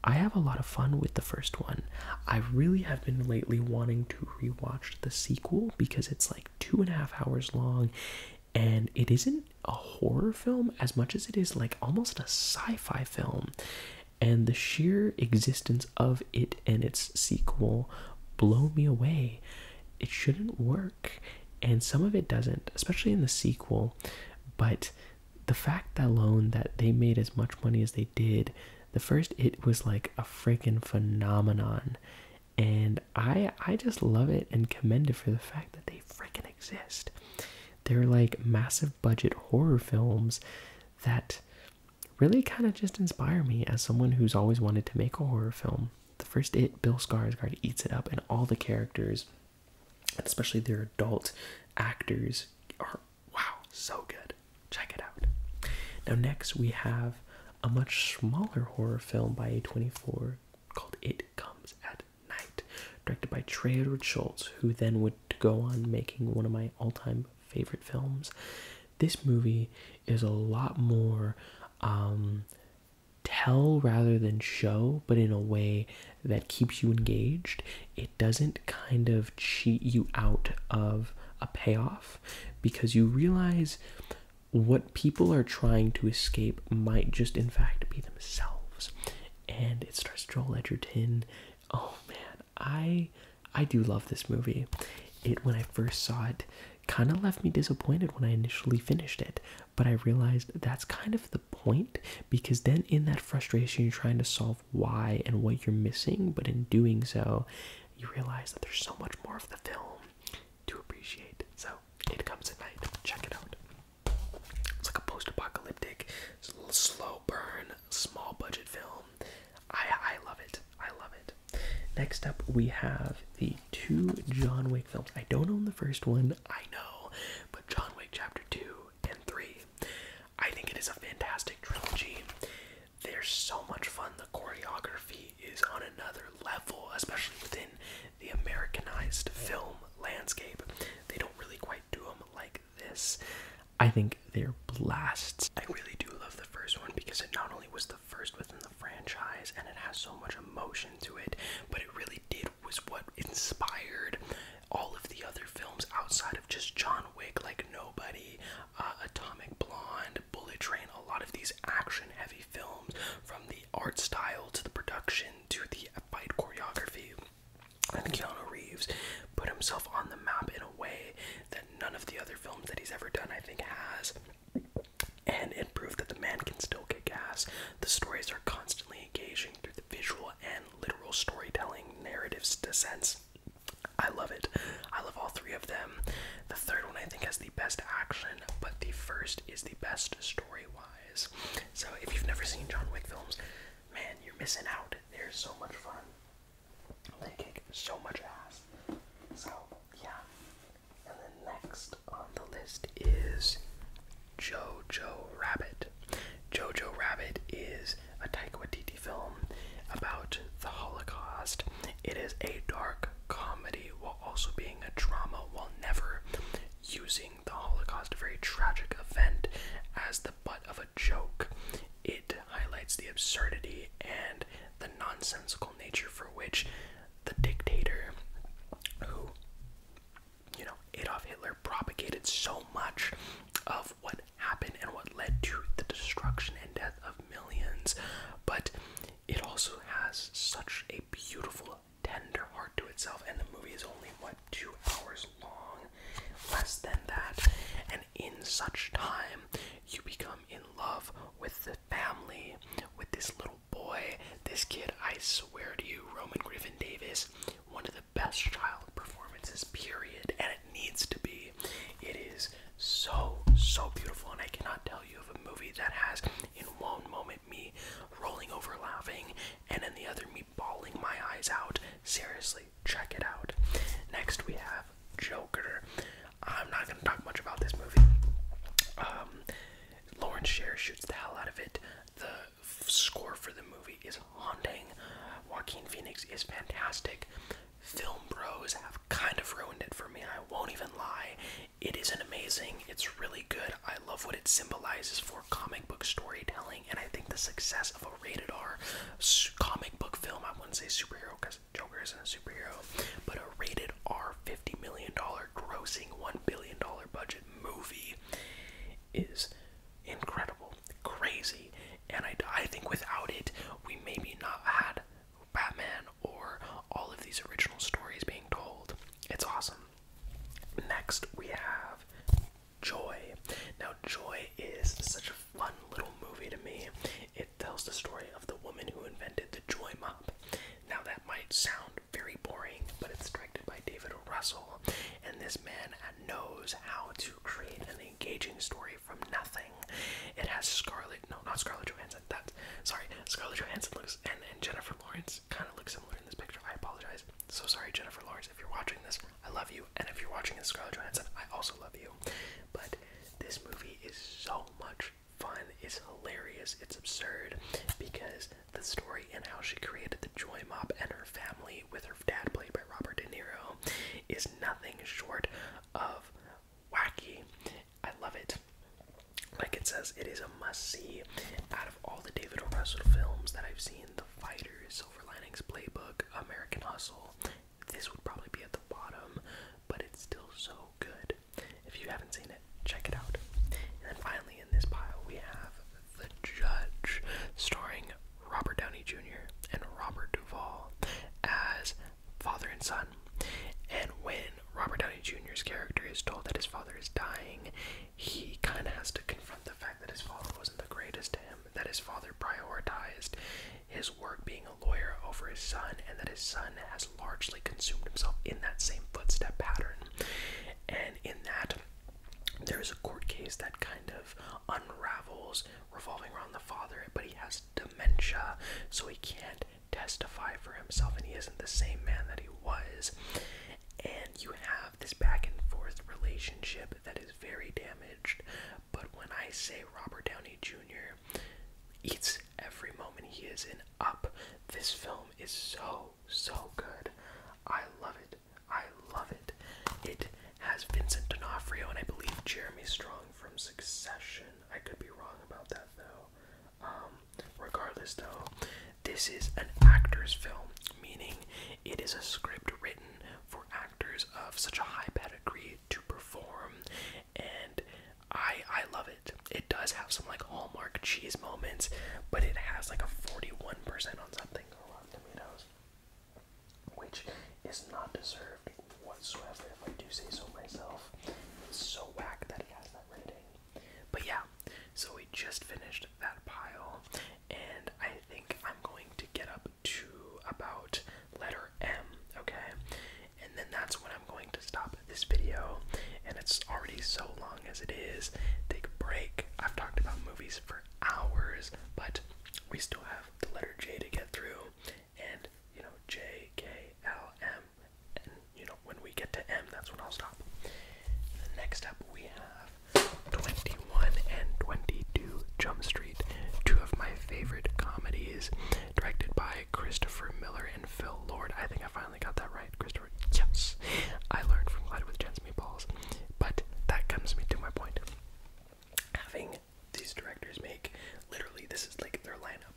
I have a lot of fun with the first one. I really have been lately wanting to rewatch the sequel because it's like two and a half hours long and it isn't a horror film as much as it is like almost a sci fi film. And the sheer existence of it and its sequel blow me away. It shouldn't work and some of it doesn't especially in the sequel but the fact alone that they made as much money as they did the first it was like a freaking phenomenon and i i just love it and commend it for the fact that they freaking exist they're like massive budget horror films that really kind of just inspire me as someone who's always wanted to make a horror film the first it, Bill Skarsgård eats it up, and all the characters, especially their adult actors, are wow, so good. Check it out. Now, next we have a much smaller horror film by A24 called It Comes at Night, directed by Trey Edward Schultz, who then would go on making one of my all time favorite films. This movie is a lot more um, tell rather than show, but in a way that keeps you engaged. It doesn't kind of cheat you out of a payoff because you realize what people are trying to escape might just, in fact, be themselves. And it starts Joel Edgerton. Oh man, I I do love this movie. It when I first saw it kind of left me disappointed when I initially finished it. But I realized that's kind of the point because then in that frustration, you're trying to solve why and what you're missing. But in doing so, you realize that there's so much more of the film to appreciate. So it comes at night. Check it out. It's like a post apocalyptic, slow burn, small budget film. I, I love it. I love it. Next up, we have the two John Wick films. I don't own the first one, I know, but John Wick Chapter 2 and 3. I think it is a fantastic trilogy. They're so much fun. The choreography is on another level, especially within the Americanized film landscape. They don't really quite do them like this. I think they're blasts. I really do love the first one because it not only was the first within the franchise and it has so much emotion to it, but it really did was what inspired all of the other films outside of just John Wick, like Nobody, uh, Atomic Blonde, Bullet Train, a lot of these action heavy films from the art style to the production to the fight choreography. And Keanu Reeves put himself on the map in a way that none of the other films that he's ever done, I think, has and it proved that the man can still kick ass. The stories are constantly engaging through the visual and literal storytelling narratives descents. I love it. I love all three of them. The third one I think has the best action, but the first is the best story wise. So if you've never seen John Wick films, man, you're missing out. They're so much fun. They kick so much ass. So yeah, and then next on the list is Jojo Rabbit. Jojo Rabbit is a Taika Waititi film about the Holocaust. It is a dark comedy while also being a drama while never using the Holocaust, a very tragic event, as the butt of a joke. It highlights the absurdity and the nonsensical nature for which the dictator who, you know, Adolf Hitler propagated so much of what happened and what led to the destruction and death of millions, but it also has such a beautiful, tender heart to itself. And the movie is only, what, two hours long? Less than that. And in such time, you become in love with the family, with this little boy, this kid, I swear to you, Roman Griffin Davis, one of the best child performances, period, and it needs to be. It is so, so beautiful, and I cannot tell you of a movie that has, in one moment, me rolling over laughing, and in the other, me bawling my eyes out. Seriously, check it out. Next, we have Joker. I'm not going to talk much about this movie. Um, Lauren Scher shoots the hell out of it. The score for the movie is haunting. Joaquin Phoenix is fantastic. Film bros have kind of ruined it for me, I won't even lie. It isn't amazing. It's really good. I love what it symbolizes for comic book storytelling, and I think the success of a rated R comic book film, I wouldn't say superhero because Joker isn't a superhero, but a rated R $50 million grossing $1 billion budget movie is incredible, crazy, and I, I think without it, we maybe not had Batman or all of these original stories being told. It's awesome. Next, we have Joy. Now, Joy is such a fun little movie to me. It tells the story of the woman who invented the Joy Mop. Now, that might sound very boring, but it's directed by David o. Russell, and this man knows how to create an engaging story from nothing. It has Scarlett, no, not Scarlett Johansson, that's, sorry, Scarlett Johansson looks, and, Jennifer Lawrence kind of looks similar in this picture. I apologize. So sorry, Jennifer Lawrence, if you're watching this, I love you, and if you're watching this, Scarlett Johansson, I also love you. But this movie is so much fun, it's hilarious, it's absurd, because the story and how she created the Joy Mob and her family with her dad played by Robert De Niro is nothing short of wacky. I love it. Like it says, it is a must see. Out of all the David O. Russell films that I've seen, The Fighter, Silver Linings Playbook, American Hustle, this would probably be at the bottom, but it's still so good. If you haven't seen it check it out. And then finally, in this pile, we have The Judge, starring Robert Downey Jr. and Robert Duvall as father and son. And when Robert Downey Jr.'s character is told that his father is dying, he kind of has to confront the fact that his father wasn't the greatest to him, that his father prioritized his work being a lawyer over his son, and that his son has largely consumed himself in that same footstep pattern and in that there is a court case that kind of unravels revolving around the father, but he has dementia, so he can't testify for himself, and he isn't the same man that he was. And you have this back and forth relationship that is very damaged. But when I say Robert Downey Jr. eats every moment he is in up, this film is so so good. I love it. I love it. It has Vincent D'Onofrio and I believe Jeremy Strong from Succession. I could be wrong about that though. Um, regardless though, this is an actor's film, meaning it is a script written for actors of such a high pedigree to perform, and I I love it. It does have some like Cheese moments, but it has like a 41% on something which is not deserved whatsoever, if I do say so myself. It's so whack that it has that rating. But yeah, so we just finished that pile, and I think I'm going to get up to about letter M, okay? And then that's when I'm going to stop this video, and it's already so long as it is, take a break. I've talked about movies for hours, but we still have the letter J to get through, and you know, J, K, L, M, and you know, when we get to M, that's when I'll stop. Next up, we have 21 and 22 Jump Street, two of my favorite comedies, directed by Christopher Miller and Phil Lord. I think I found got that right, Christopher. Yes, I learned from Glide with Chance Meatballs, but that comes me to my point. Having these directors make literally this is like their lineup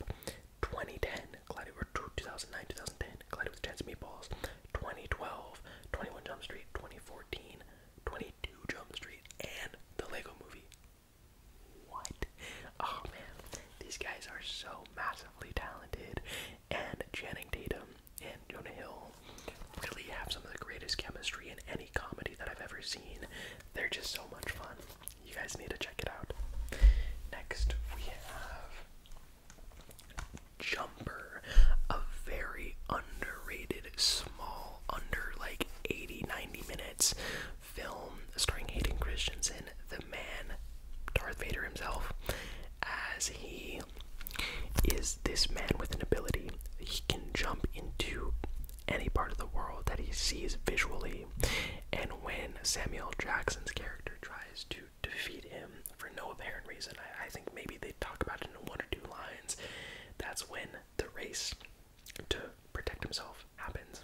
2010, Glide or 2009, 2010, Glide with Chance Meatballs, 2012, 21 Jump Street, 2014, 22 Jump Street, and the Lego movie. What? Oh man, these guys are so massively talented and Channing Tatum and Jonah Hill really have some of the greatest chemistry in any comedy that I've ever seen. They're just so much fun. You guys need to check it out. Next, we have Jumper, a very underrated, small, under like 80 90 minutes film starring Hayden Christensen, the man, Darth Vader himself, as he is this man with an ability. He can jump into any part of the world that he sees visually. And when Samuel Jackson's character tries to defeat him for no apparent reason, I, think maybe they talk about it in one or two lines. That's when the race to protect himself happens.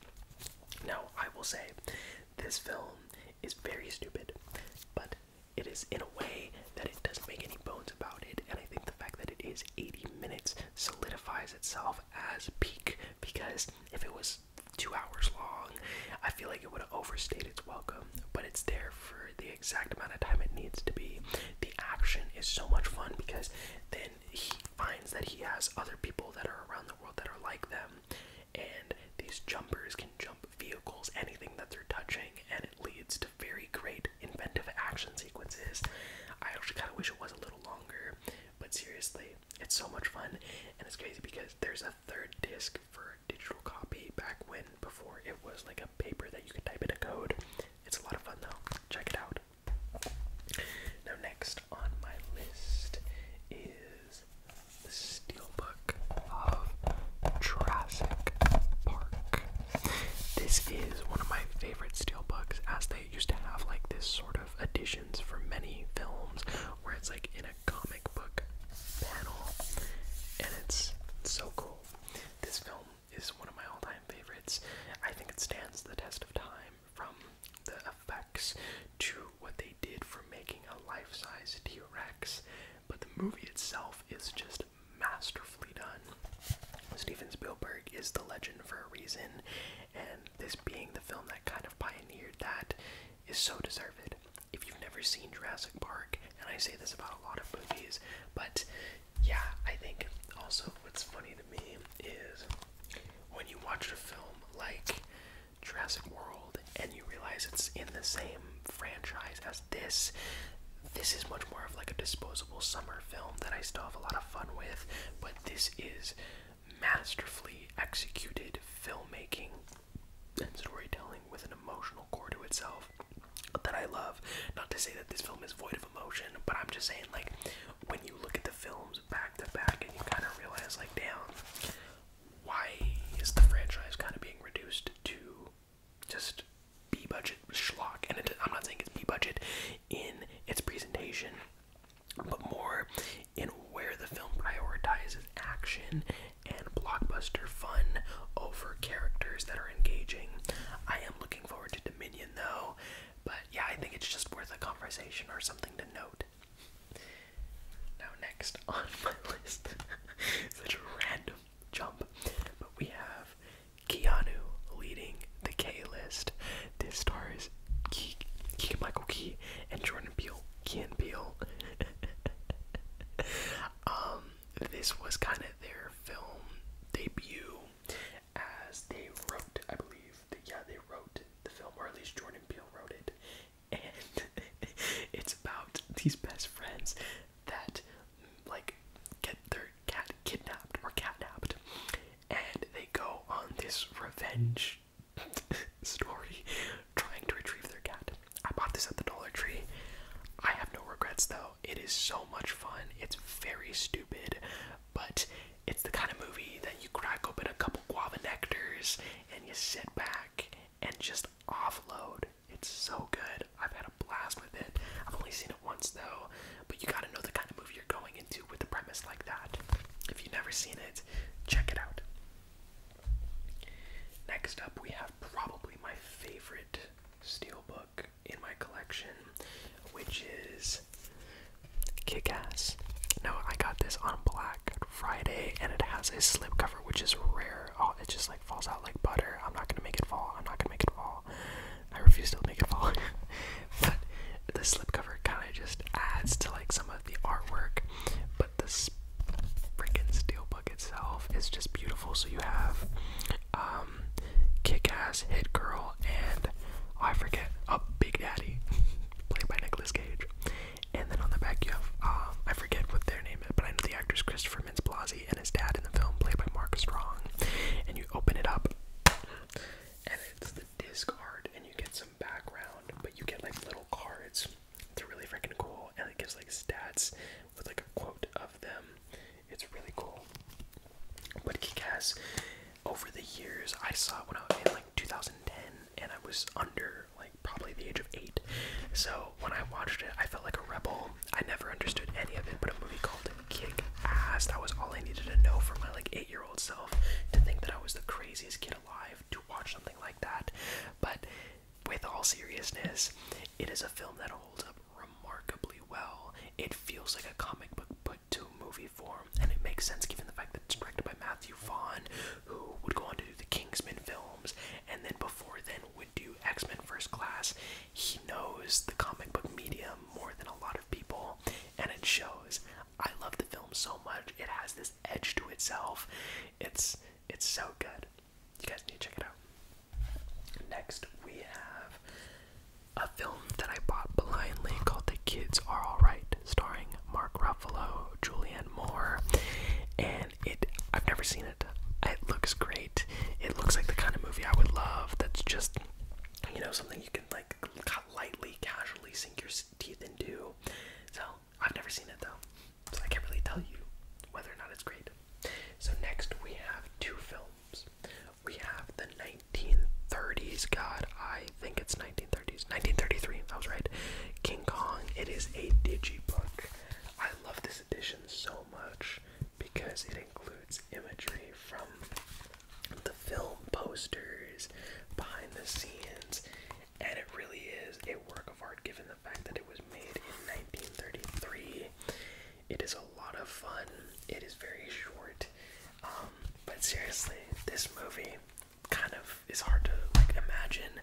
Now, I will say, this film is very stupid, but it is in a way that it doesn't make any bones about it, and I think the fact that it is 80 minutes solidifies itself as peak because if it was two hours long, I feel like it would have overstayed its welcome, but it's there for the exact amount of time it needs to be. The action is so much fun because then he finds that he has other people that are around the world that are like them and these jumpers can jump vehicles, anything that they're touching, and it leads to very great inventive action sequences. I actually kind of wish it was a little longer, but seriously, it's so much fun, and it's crazy because there's a third disc for digital copy back when before it was like a paper that you could type in a code. It's a lot of fun though. Check it out. Now, next on my list is steelbook of Jurassic Park. This is one of my favorite steelbooks, as they used to have like this sort of additions for many films, where it's like in a comic book panel, and it's so cool. This film is one of my all-time favorites. I think it stands the test of time, from the effects to what they did for making a life-size T-Rex but the movie itself is just masterfully done. Steven Spielberg is the legend for a reason, and this being the film that kind of pioneered that is so deserved. If you've never seen Jurassic Park, and I say this about a lot of movies, but yeah, I think also what's funny to me is when you watch a film like Jurassic World and you realize it's in the same franchise as this, this is much more of like a disposable summer film that I still have a lot of fun with, but this is masterfully executed filmmaking and storytelling with an emotional core to itself that I love. Not to say that this film is void of emotion, but I'm just saying, like, when you look at the films back to back and you kind of realize, like, damn, why is the franchise kind of being reduced to just B budget schlock, and it, I'm not saying it's B budget in its presentation, but more in where the film prioritizes action and blockbuster fun over characters that are engaging. I am looking forward to Dominion though, but yeah, I think it's just worth a conversation or something to note. Now, next on my list, such a random jump. But we have Keanu leading the K list. This stars Key, Key Michael Key and Jordan Peele. Kean Peele. um, this was kind of their film debut, as they wrote, I believe. That, yeah, they wrote the film, or at least Jordan Peele wrote it. And it's about these best friends that like get their cat kidnapped or catnapped, and they go on this revenge story trying to retrieve their cat. I bought this at the Dollar Tree. I have no regrets though. It is so much fun. It's very stupid, but it's the kind of movie that you crack open a couple guava nectars and you sit back and just offload. It's so good. I've had a blast with it. I've only seen it once though, but you gotta know the kind of movie you're going into with a premise like that. If you've never seen it, check it out. Next up, we have probably my favorite steelbook in my collection, which is Kick Ass. No, I got this on Black Friday and it has a slipcover, which is rare oh, it just like falls out like butter. I'm not gonna make it fall. I'm not gonna make it fall. I refuse to make it fall. but the slipcover kind of just adds to like some of the artwork, but this freaking steelbook itself is just beautiful. So you have um, Kick-Ass, Hit Girl, and oh, I forget a Big Daddy, played by Nicholas Cage. And then on the back you have um, I forget what their name is, but I know the actor's Christopher for Vince Blasi and his dad in the film, played by Mark Strong. And you open it up, and it's the disc art, and you get some background, but you get like little cards. It's really freaking cool, and it gives like stats with like a quote of them. It's really cool. But Kick-Ass, over the years, I saw it when I was in like 2010, and I was under like probably the age of eight. So when I watched it, I felt like a rebel. I never understood any of it, but a movie called Kick Ass. That was all I needed to know for my like eight-year-old self to think that I was the craziest kid alive to watch something like that. But with all seriousness, it is a film that holds up remarkably well. It feels like a comic book put to movie form, and it makes sense given the fact that it's directed by Matthew Vaughn, who would go on to do the Kingsman films, and then before then would do X Men First Class he knows the comic book medium more than a lot of people, and it shows. I love the film so much. It has this edge to itself. It's it's so good. You guys need to check it out. Next we have a film that I bought blindly called The Kids Are Alright, starring Mark Ruffalo, Julianne Moore, and it I've never seen it. It looks great. It looks like the kind of movie I would love. That's just you know something you can like lightly, casually sink your teeth into. So I've never seen it though, so I can't really tell you whether or not it's great. So next we have two films. We have the 1930s. God, I think it's 1930s. 1933. I was right. King Kong. It is a digibook. I love this edition so much because it includes imagery from the film posters, behind the scenes, and it really is a work of art given the fact that it was made in 1933. It is a lot of fun, it is very short, um, but seriously, this movie kind of is hard to imagine,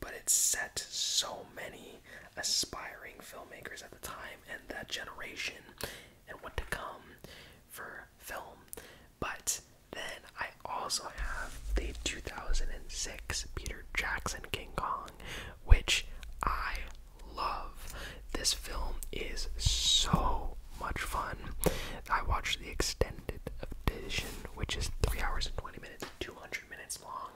but it's set so many aspiring filmmakers at the time and that generation and what to come for film. But then I also have the 2006 Peter Jackson King Kong, which I love. This film is so much fun. I watched the extended edition, which is 3 hours and 20 minutes, 200 minutes long.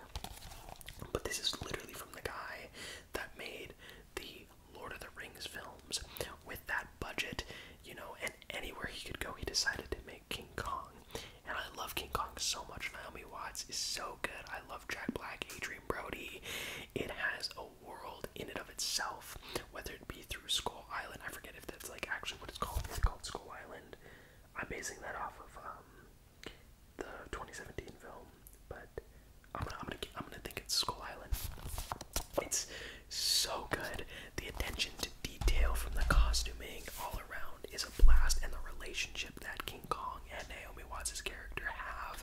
But this is literally from the guy that made the Lord of the Rings films. With that budget, you know, and anywhere he could go, he decided to make King Kong. And I love King Kong so much. Naomi Watts is so good. I love Jack Black, Adrian Brody. It has a world in and of itself, whether it be through Skull Island. I forget if that's like actually what it's called. It's called Skull Island. I'm basing that off of um, the 2017 film, but I'm gonna, I'm gonna, I'm gonna think it's Skull Island. It's so good. The attention to detail from the costuming all around is a blast, and the relationship that King Kong and Naomi Watts' character have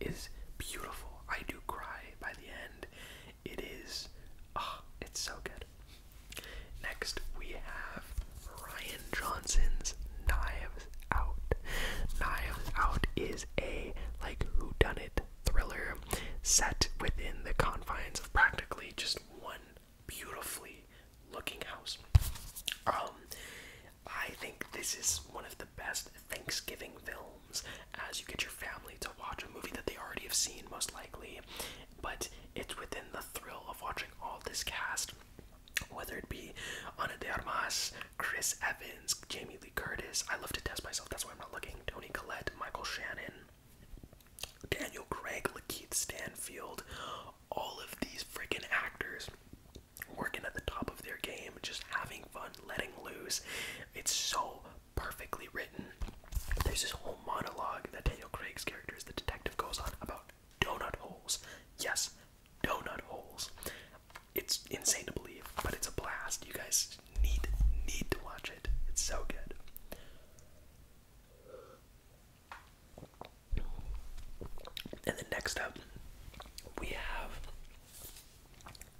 is beautiful. I do cry by the end. It is, oh, it's so good. Next, we have Ryan Johnson's Knives Out. Knives Out is a like whodunit thriller set within the confines of practically just one beautifully looking house. Um, I think this is one of the best Thanksgiving films as you get your family to watch a movie that they already have seen, most likely, but it's within the thrill of watching all this cast whether it be Ana de Armas, Chris Evans, Jamie Lee Curtis. I love to test myself, that's why I'm not looking. Tony Collette, Michael Shannon, Daniel Craig, Lakeith Stanfield. All of these freaking actors working at the top of their game, just having fun, letting loose. It's so perfectly written. There's this whole monologue that Daniel Craig's character as the detective goes on about donut holes. Yes, donut holes. It's insane to believe, but it's a blast. You guys need need to watch it. It's so good. And then next up, we have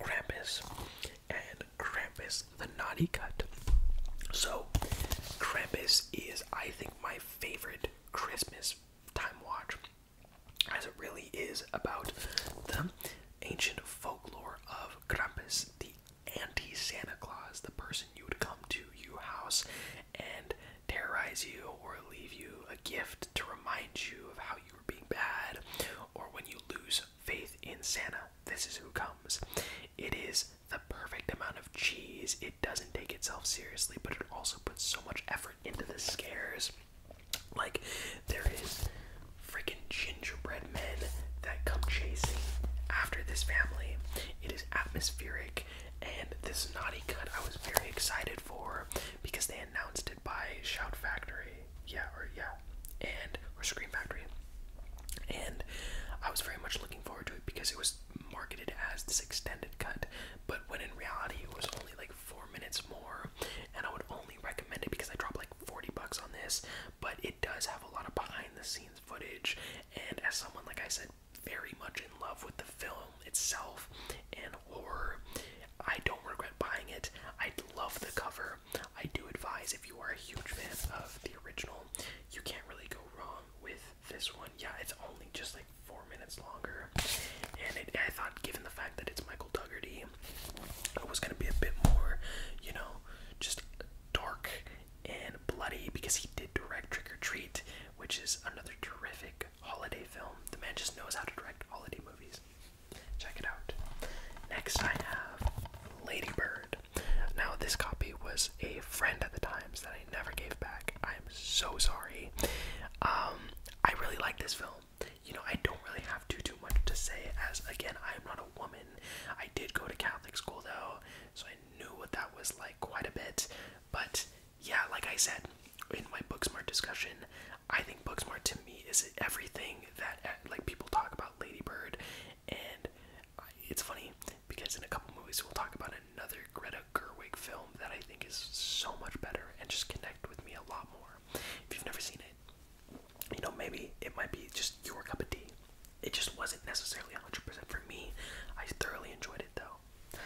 Krampus and Krampus the Naughty Cut. So, Krampus is, I think, my favorite Christmas time watch as it really is about the ancient folklore of Krampus, the anti Santa Claus, the person you would come to your house and terrorize you or leave you a gift to remind you of how you were being bad, or when you lose faith in Santa, this is who comes. It is the perfect amount of cheese. It doesn't take itself seriously, but it also puts so much effort into the scares. Like, there is freaking gingerbread men that come chasing after this family. It is atmospheric, and this naughty cut I was very excited for because they announced it by Shout Factory. Yeah, or yeah, and or Scream Factory. And I was very much looking forward to it because it was marketed as this extended cut, but when in reality it was only like four minutes more, and I would only recommend it because I dropped like 40 bucks on this, but it does have a lot of behind the scenes footage, and as someone, like I said, very much in love with the film itself and horror. I don't regret buying it. I love the cover. I do advise if you are a huge fan of the original, you can't really go wrong with this one. Yeah, it's only just like four minutes longer. And I thought, given the fact that it's Michael Dougherty, it was going to be a bit more, you know, just dark and bloody because he did direct Trick or Treat, which is another terrific holiday film. The man just knows how to direct holiday movies. Check it out. Next, I have Lady Bird. Now, this copy was a friend at the Times that I never gave back. I am so sorry. Um, I really like this film. You know, I don't really have too too much to say as again, I'm not a woman. I did go to Catholic school though, so I knew what that was like quite a bit. But yeah, like I said in my Booksmart discussion, I think Booksmart to me is everything that eh, like people talk about Lady Bird and it's funny because in a couple movies we'll talk about another Greta Gerwig film that I think is so much better and just connect with me a lot more. If you've never seen it, you know, maybe it might be just your cup of tea. It just wasn't necessarily 100% for me. I thoroughly enjoyed it though.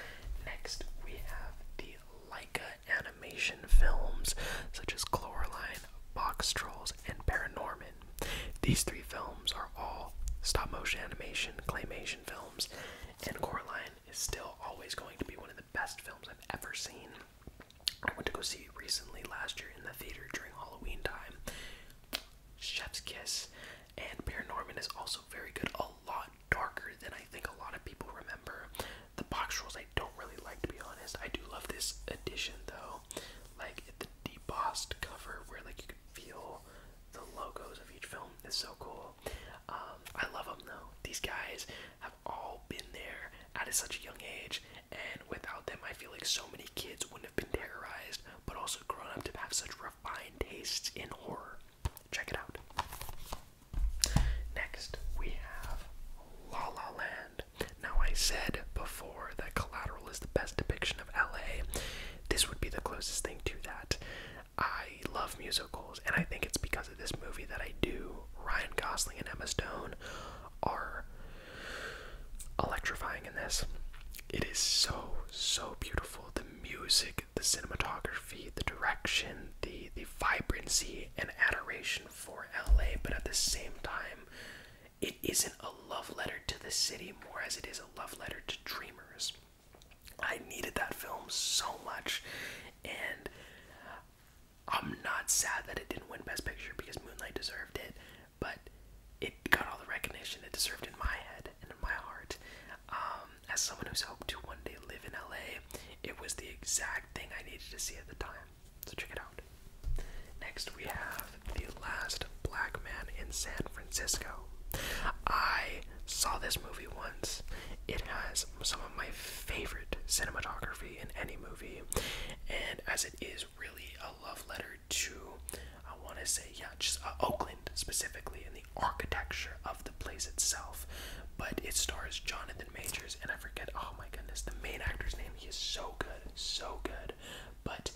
Next, we have the Leica animation films such as Coraline, Box Trolls, and Paranorman. These three films are all stop motion animation, claymation films, and Coraline is still always going to be one of the best films I've ever seen. I went to go see it recently last year in the theater during Halloween time. Chef's Kiss. And Bear Paranorman is also very good, a lot darker than I think a lot of people remember. The box rolls I don't really like to be honest. I do love this edition though. Like the debossed cover where like you can feel the logos of each film is so cool. Um, I love them though. These guys have all been there at such a young age, and without them, I feel like so many kids wouldn't have been terrorized, but also grown up to have such refined tastes in horror. Check it out. Next, we have La La Land. Now, I said before that Collateral is the best depiction of LA. This would be the closest thing to that. I love musicals, and I think it's because of this movie that I do. Ryan Gosling and Emma Stone are electrifying in this. It is so, so beautiful. The music, the cinematography, the direction, the, the vibrancy and adoration for LA, but at the same time, it isn't a love letter to the city more as it is a love letter to dreamers. I needed that film so much, and I'm not sad that it didn't win Best Picture because Moonlight deserved it, but it got all the recognition it deserved in my head and in my heart. Um, as someone who's hoped to one day live in LA, it was the exact thing I needed to see at the time. So check it out. Next, we have The Last Black Man in San Francisco. I saw this movie once. It has some of my favorite cinematography in any movie, and as it is really a love letter to, I want to say, yeah, just uh, Oakland specifically, and the architecture of the place itself. But it stars Jonathan Majors, and I forget, oh my goodness, the main actor's name. He is so good, so good. But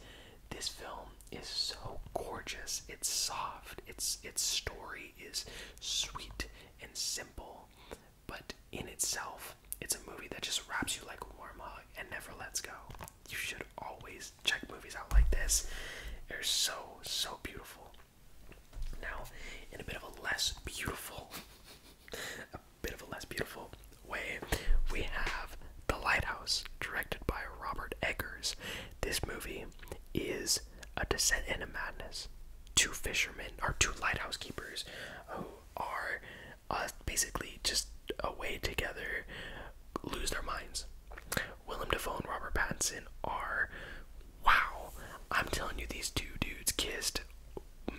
this film is so gorgeous. It's soft. It's its story is sweet and simple but in itself, it's a movie that just wraps you like a warm hug and never lets go. You should always check movies out like this. They're so, so beautiful. Now, in a bit of a less beautiful, a bit of a less beautiful way, we have The Lighthouse, directed by Robert Eggers. This movie is a descent into madness. Two fishermen, or two lighthouse keepers, who are uh, basically just away together, lose their minds. Willem Dafoe and Robert Pattinson are, wow, I'm telling you, these two dudes kissed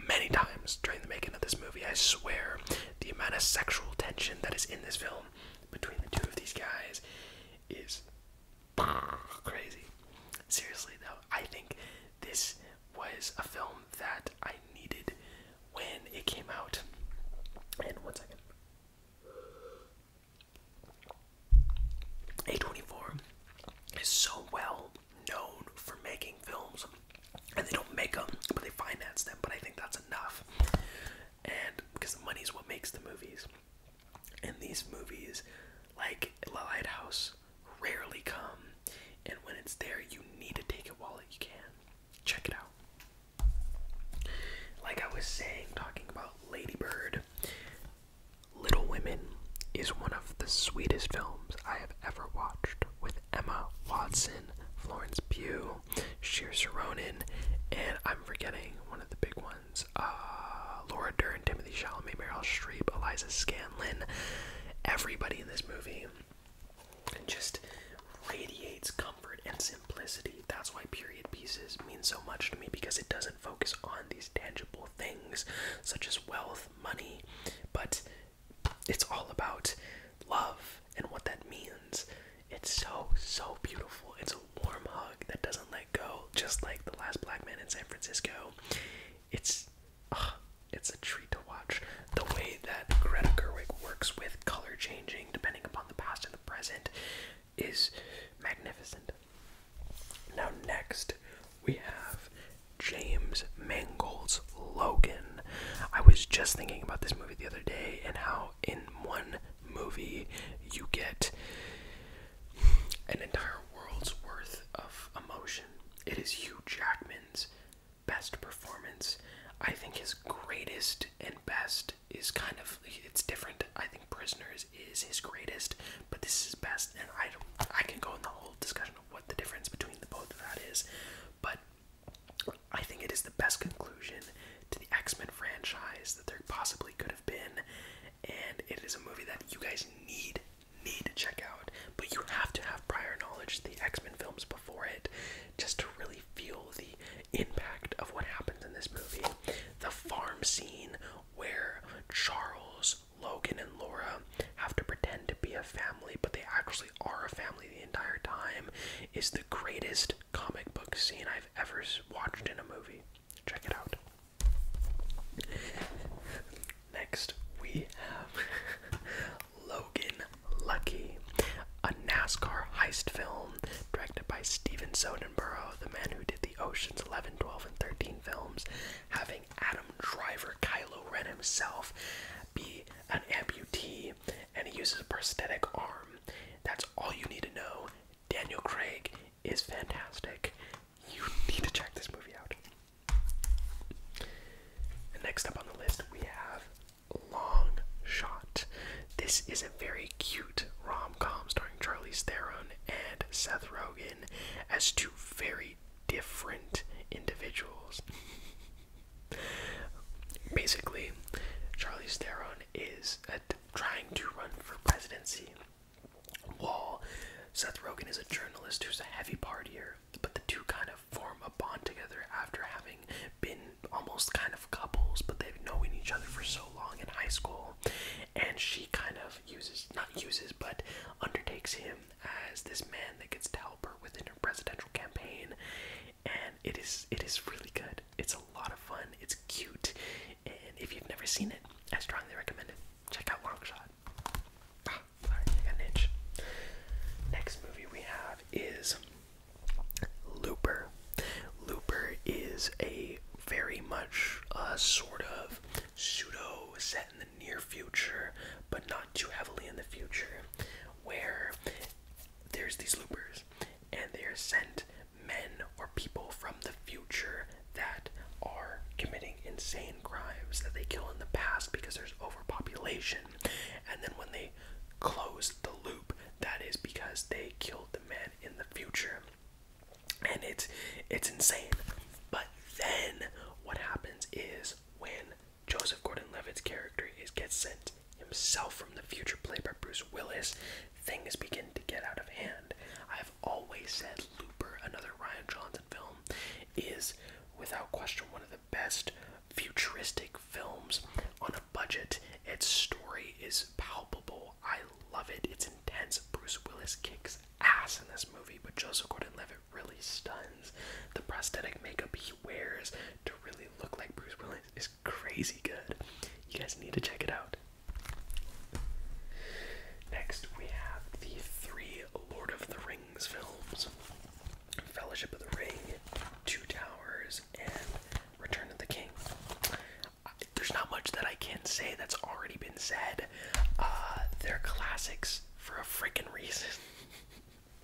many times during the making of this movie. I swear, the amount of sexual tension that is in this film between the two of these guys is crazy. Seriously though, I think this was a film that I needed when it came out. And one second. A24 is so well known for making films, and they don't make them, but they finance them. But I think that's enough, and because the money is what makes the movies. And these movies, like La Lighthouse, rarely come, and when it's there, you need to take it while you can. Check it out. Like I was saying, talking about Ladybird, Little Women is one of the sweetest films I have ever watched with Emma Watson, Florence Pugh, Sheer Saronin, and I'm forgetting one of the big ones. Williams, uh, Laura Dern, Timothy Chalamet, Meryl Streep, Eliza Scanlon. Everybody in this movie just radiates comfort and simplicity. That's why period pieces mean so much to me because it doesn't focus on these tangible things such as wealth, money, but it's all about love and what that means. It's so, so beautiful. It's a warm hug that doesn't let go, just like The Last Black Man in San Francisco it's uh, it's a treat to watch. The way that Greta Gerwig works with color changing depending upon the past and the present is magnificent. Now next we have James Mangold's Logan. I was just thinking about this movie the other day and how in one movie you get an entire world's worth of emotion. It is Hugh Jackman's best performance. I think his greatest and best is kind of it's different. I think Prisoners is his greatest, but this is best, and I don't, I can go in the whole discussion of what the difference between the both of that is, but I think it is the best conclusion to the X Men franchise that there possibly could have been, and it is a movie that you guys need need to check out. But you have to have prior knowledge the X-Men films before it just to really feel the impact of what happens in this movie. The farm scene where Charles, Logan, and Laura have to pretend to be a family, but they actually are a family the entire time is the greatest comic book scene I've ever watched in a movie. Check it out. Next, we have Logan Lucky, a NASCAR heist film directed by Steven Soderbergh, the man who did the Ocean's 11, 12, and 13 films, having Adam Driver, Kylo Ren himself, be an amputee, and he uses a prosthetic arm. That's all you need to know. Daniel Craig is fantastic. You need to check this movie out next up on the list, we have Long Shot. This is a very cute rom com starring Charlize Theron and Seth Rogen as two very different individuals. Basically, Charlize Theron is a, trying to run for presidency Wall. Seth Rogen is a journalist who's a heavy partier, but the two kind of form a bond together after having been almost kind of couples, but they've known each other for so long in high school. And she kind of uses, not uses, but undertakes him as this man that gets to help her within her presidential campaign. And it is, it is really good. It's a lot of fun. It's cute. And if you've never seen it, I strongly recommend it. Check out Longshot. Ah, Next movie we have is Looper. Looper is a very much uh, sort of pseudo set in the near future, but not too heavily in the future, where there's these loopers and they are sent men or people from the future that are committing insane crimes that they kill in the past because there's overpopulation. And then when they close the loop, that is because they killed the men in the future. And it's it's insane. But then what happens is when Joseph Gordon-Levitt's character is gets sent himself from the future, played by Bruce Willis, things begin to get out of hand. I've always said Looper, another Ryan Johnson film, is without question one of the best futuristic films on a budget. Its story is palpable. I love it. It's intense. Bruce Willis kicks ass in this movie, but Joseph Gordon-Levitt really stuns. The prosthetic makeup he wears to really look like Bruce Willis is crazy good. You guys need to check it out. Next, we have the three Lord of the Rings films Fellowship of the Ring, Two Towers, and Return of the King. there's not much that I can say that's already been said. Uh, they're classics for a freaking reason.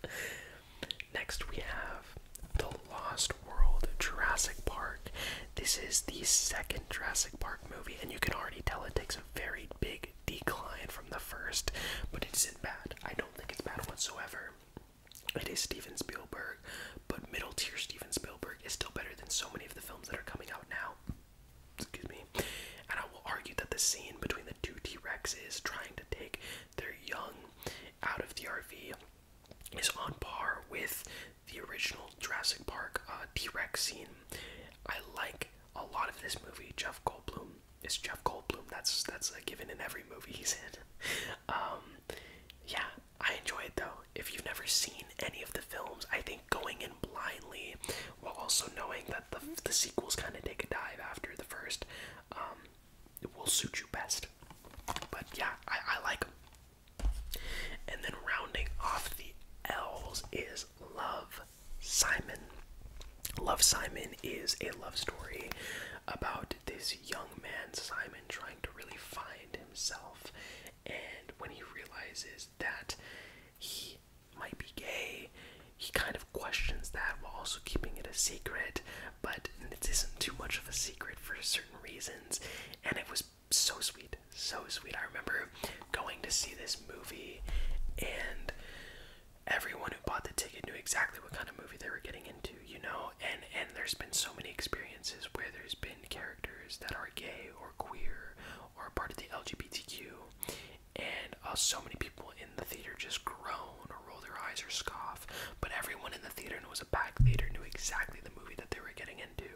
Next, we have The Lost World Jurassic Park. This is the second Jurassic Park movie, and you can already tell it takes a very big decline from the first, but it isn't bad. I don't think it's bad whatsoever. It is Steven Spielberg, but middle tier Steven Spielberg is still better than so many of the films that are coming out now. Excuse me. And I will argue that the scene between the two T Rexes trying to take their young out of the RV is on par with the original Jurassic Park uh, T Rex scene. I like a lot of this movie, Jeff Goldblum is Jeff Goldblum. That's that's given in every movie he's in. Um, yeah, I enjoy it though. If you've never seen any of the films, I think going in blindly while also knowing that the the sequels kind of take a dive after the first, it um, will suit you best. But yeah, I, I like And then rounding off the L's is love. Simon. Love Simon is a love story about this young man, Simon, trying to really find himself. And when he realizes that he might be gay, he kind of questions that while also keeping it a secret. But it isn't too much of a secret for certain reasons. And it was so sweet, so sweet. I remember going to see this movie and everyone who bought the ticket knew exactly what kind of movie they were getting into, you know? And and there's been so many experiences where there's been characters that are gay or queer or part of the LGBTQ and uh, so many people in the theater just groan or roll their eyes or scoff, but everyone in the theater and it was a packed theater knew exactly the movie that they were getting into.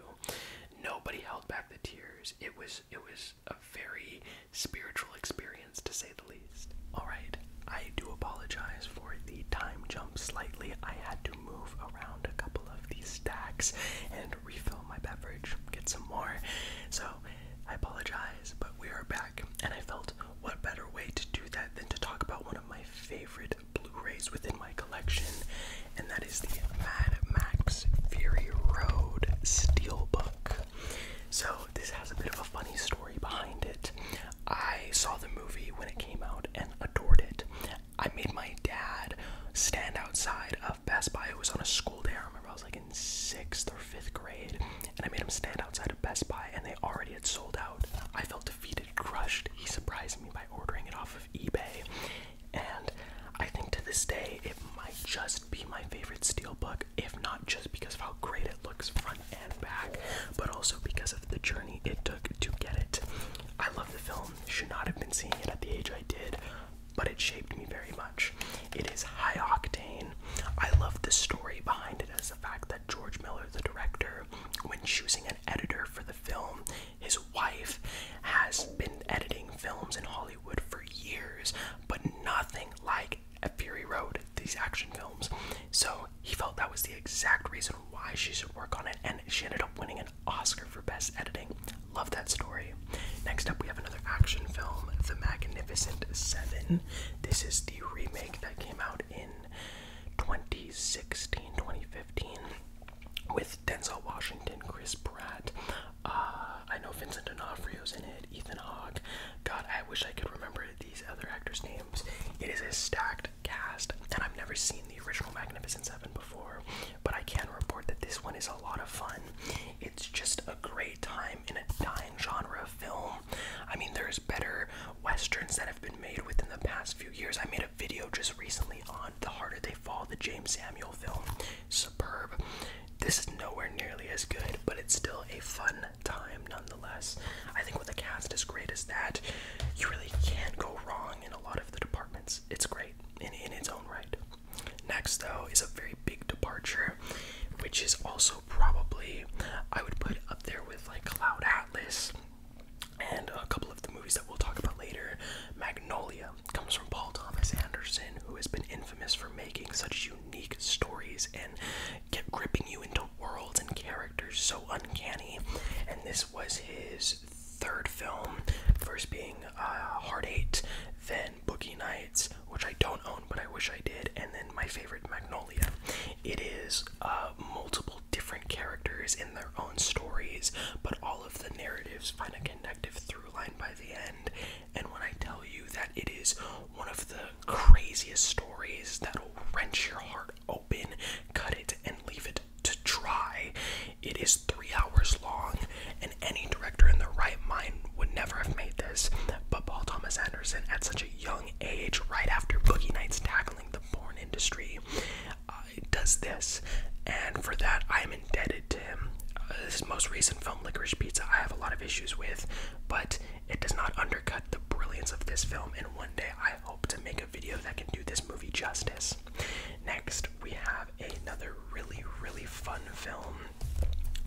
Nobody held back the tears. It was it was a very spiritual experience to say the least. Alright, I do apologize for the time jump slightly. I had to move around a couple of these stacks and refill my beverage, get some more. So I apologize, but we are back, and I felt what better way to do that than to talk about one of my favorite Blu-rays within my collection, and that is the Mad Max Fury Road Steelbook. So, this has a bit of a funny story behind it. I saw the movie when it came out and adored it. I made my dad stand outside of Best Buy. It was on a school day. I remember I was like in sixth or fifth grade, and I made him stand outside of Best Buy, and they already had sold out. I felt defeated, crushed. He surprised me by ordering it off of eBay, and I think to this day it might just be my favorite steelbook, if not just because of how great it looks front and back, but also because of the journey it took to get it. I love the film, should not have been seeing it at the age I did, but it shaped me very much. It is high octane. I love the story behind it as the fact that George Miller, the director, when choosing an editor for the film, his wife has been editing films in Hollywood for years, but nothing like at Fury Road, these action films. So he felt that was the exact reason why she should work on it, and she ended up winning an Oscar for Best Editing. Love that story. Next up, we have another action film, The Magnificent Seven. This is the remake that came out in 2016, 2015 with Denzel Washington, Chris Pratt. Uh, I know Vincent D'Onofrio's in it, Ethan Hawke. God, I wish I could remember these other actors' names. It is a stacked cast, and I've never seen the original Magnificent Seven before, but I can report that this one is a lot of fun. It's just a great time in a dying genre of film. I mean, there's better westerns that have been made within the past few years. I made a video just recently on The Harder They Fall, the James Samuel film superb. This is nowhere nearly as good, but it's still a fun time nonetheless. I think with a cast as great as that, you really can't go wrong in a lot of the departments. It's great in, in its own right. Next, though, is a very big departure, which is also probably, I would put up there with like Cloud Atlas and a couple of the movies that we'll talk about later. Magnolia comes from Paul Thomas Anderson, who has been infamous for making such unique stories and get gripping you into worlds and characters so uncanny. And this was his third film, first being uh, Heart Eight, then Boogie Nights, which I don't own but I wish I did, and then my favorite Magnolia. It is uh, multiple different characters in their own stories, but all of the narratives find a connective through line by the end, and when I tell you that it is one of the craziest stories that'll wrench your heart open, cut it, and leave it to dry, it is three hours long, and any director in the right mind would never have made this. But Paul Thomas Anderson, at such a young age, right after Boogie Nights tackling the porn industry, uh, does this. And for that, I am indebted to him. Uh, his most recent film, Licorice Pizza, I have a lot of issues with, but it does not undercut the brilliance of this film, and one day I hope to make a video that can do this movie justice. Next, we have another really, really fun film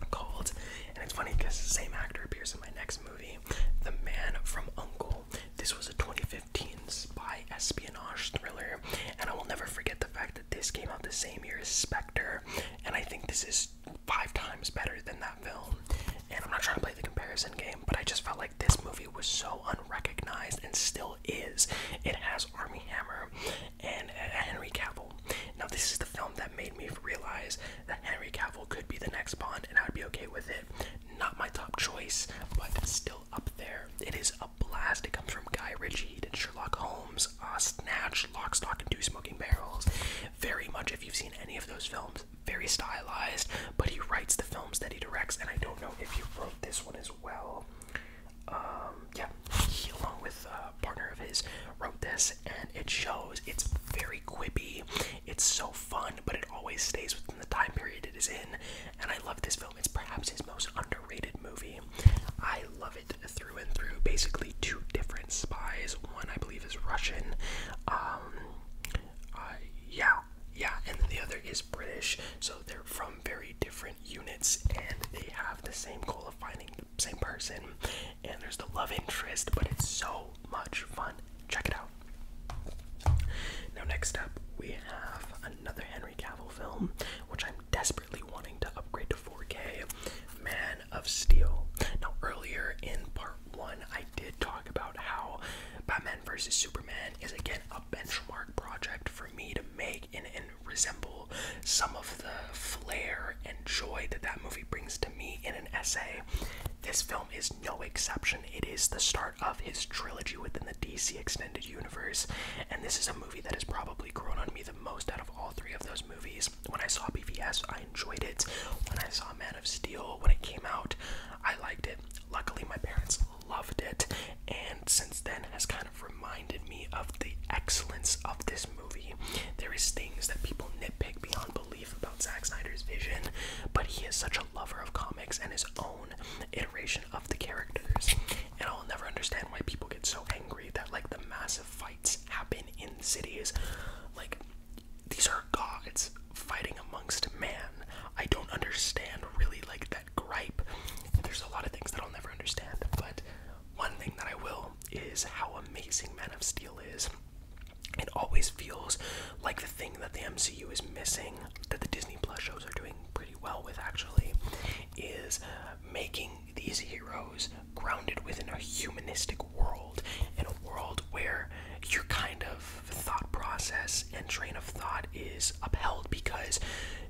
called, and it's funny because the same actor appears in my next movie, The Man from Uncle. This was a 2015 spy espionage thriller, and I will never forget the fact that this came out the same year as Spectre, and I think this is five times better than that film. And I'm not trying to play the comparison game, but I just felt like this movie was so unrecognized and still is. It has Army Hammer and Henry Cavill. Now, this is the film that made me realize that Henry Cavill could be the next Bond, and I'd be okay with it. Not my top choice, but still up there. It is a blast. It comes from Guy Ritchie. and Sherlock Holmes. Snatch, Lock, Stock, and Two Smoking Barrels. Very much, if you've seen any of those films, very stylized, but he writes the films that he directs, and I don't know if you wrote this one as well. Um, yeah, he, along with uh, a partner of his, wrote this, and it shows. It's very quippy, it's so fun, but it always stays within the time period it is in, and I love this film. It's perhaps his most underrated movie. I love it through and through. Basically, two different spies. One, I believe, is Russian. Um, uh, yeah, yeah, and then the other is British. So they're from very different units, and they have the same goal of finding the same person. And there's the love interest, but it's so much fun. Check it out. Now, next up, we have another Henry Cavill film, which I'm desperately wanting to upgrade to 4K. Man, of Steel. Now, earlier in part one, I did talk about how Batman vs. Superman is again a benchmark project for me to make and resemble some of the flair and joy that that movie brings to me in an essay. This film is no exception. It is the start of his trilogy within the DC Extended Universe, and this is a movie that has probably grown on me the most out of all three of those movies. When I saw BVS, I enjoyed it. When I saw Man of Steel, when it came out, I liked it. Luckily, my parents loved it, and since then has kind of reminded me of the excellence of this movie. There is things that people nitpick beyond belief about Zack Snyder's vision, but he is such a lover of comics and his own iteration of the characters. And I'll never understand why people get so angry that like the massive fights happen in cities. Like these are gods fighting amongst man. I don't understand really like that gripe. There's a lot of things that I'll never understand, but one thing that I will is how amazing Man of Steel is. It always feels like the thing that the MCU is missing, that the Disney Plus shows are doing pretty well with actually, is making these heroes grounded within a humanistic world, in a world where your kind of thought process and train of thought is upheld because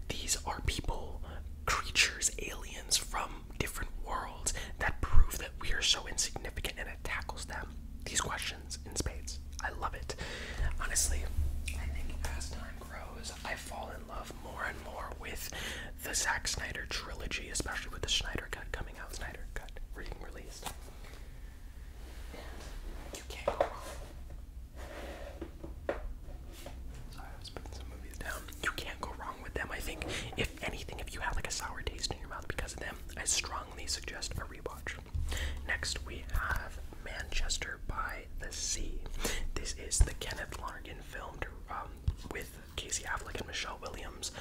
these are people, creatures, aliens from different worlds that prove that we are so insignificant and it tackles them. These questions in spades. I love it. Honestly, I think as time grows, I fall in love more and more with the Zack Snyder trilogy, especially with the Snyder Cut coming coming out Snyder Cut being released. You can't go wrong. I with them. I think, if anything, if you have like a sour taste in your mouth because of them, I strongly suggest a rewatch. Next, we have Manchester by the Sea. This is the Kenneth Lonergan filmed um, with Casey Affleck and Michelle Williams.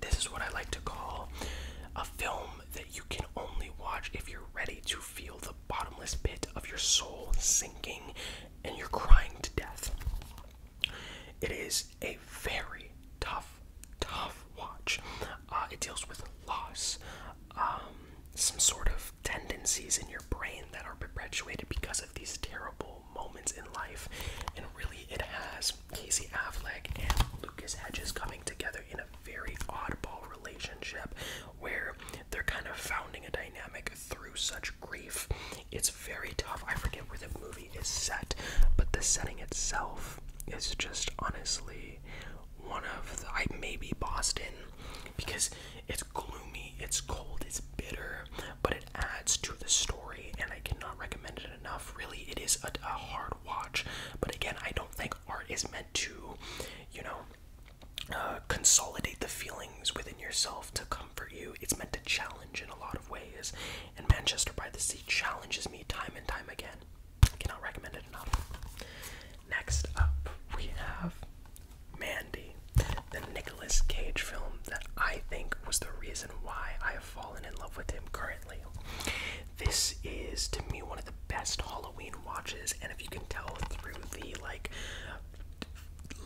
This is what I like to call a film that you can only watch if you're ready to feel the bottomless pit of your soul sinking and you're crying to death. It is a very tough, tough watch. Uh, it deals with loss, um, some sort of tendencies in your brain that are perpetuated because of these terrible pivotal moments in life, and really it has Casey Affleck and Lucas Hedges coming together in a very oddball relationship where they're kind of founding a dynamic through such grief. It's very tough. I forget where the movie is set, but the setting itself is just honestly one of the I maybe Boston because it's gloomy, it's cold, it's bitter, but it adds to the story and I cannot recommend it enough. Really, it is a, hard watch. But again, I don't think art is meant to, you know, uh, consolidate the feelings within yourself to comfort you. It's meant to challenge in a lot of ways. And Manchester by the Sea challenges me time and time again. cannot recommend it enough. Next up, we have Mandy, the Nicolas Cage film that I think was the reason why I fallen in love with him currently. This is to me one of the best Halloween watches, and if you can tell through the like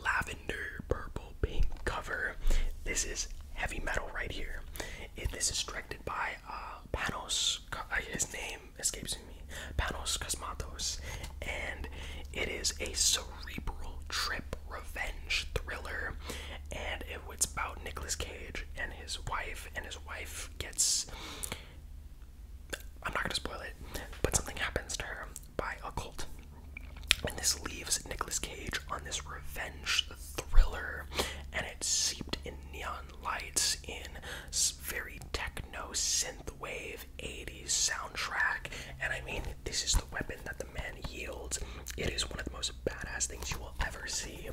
lavender purple pink cover, this is heavy metal right here. It, this is directed by uh, Panos. Uh, his name escapes me. Panos Cosmatos, and it is a cerebral trip revenge thriller, and it's about Nicolas Cage and his wife, and his wife gets. I'm not gonna spoil it, but something happens to her by a cult. And this leaves Nicolas Cage on this revenge thriller, and it's seeped in neon lights, in very techno synthwave 80s soundtrack. And I mean, this is the weapon that the the yields. It is one of the most badass things you will ever see.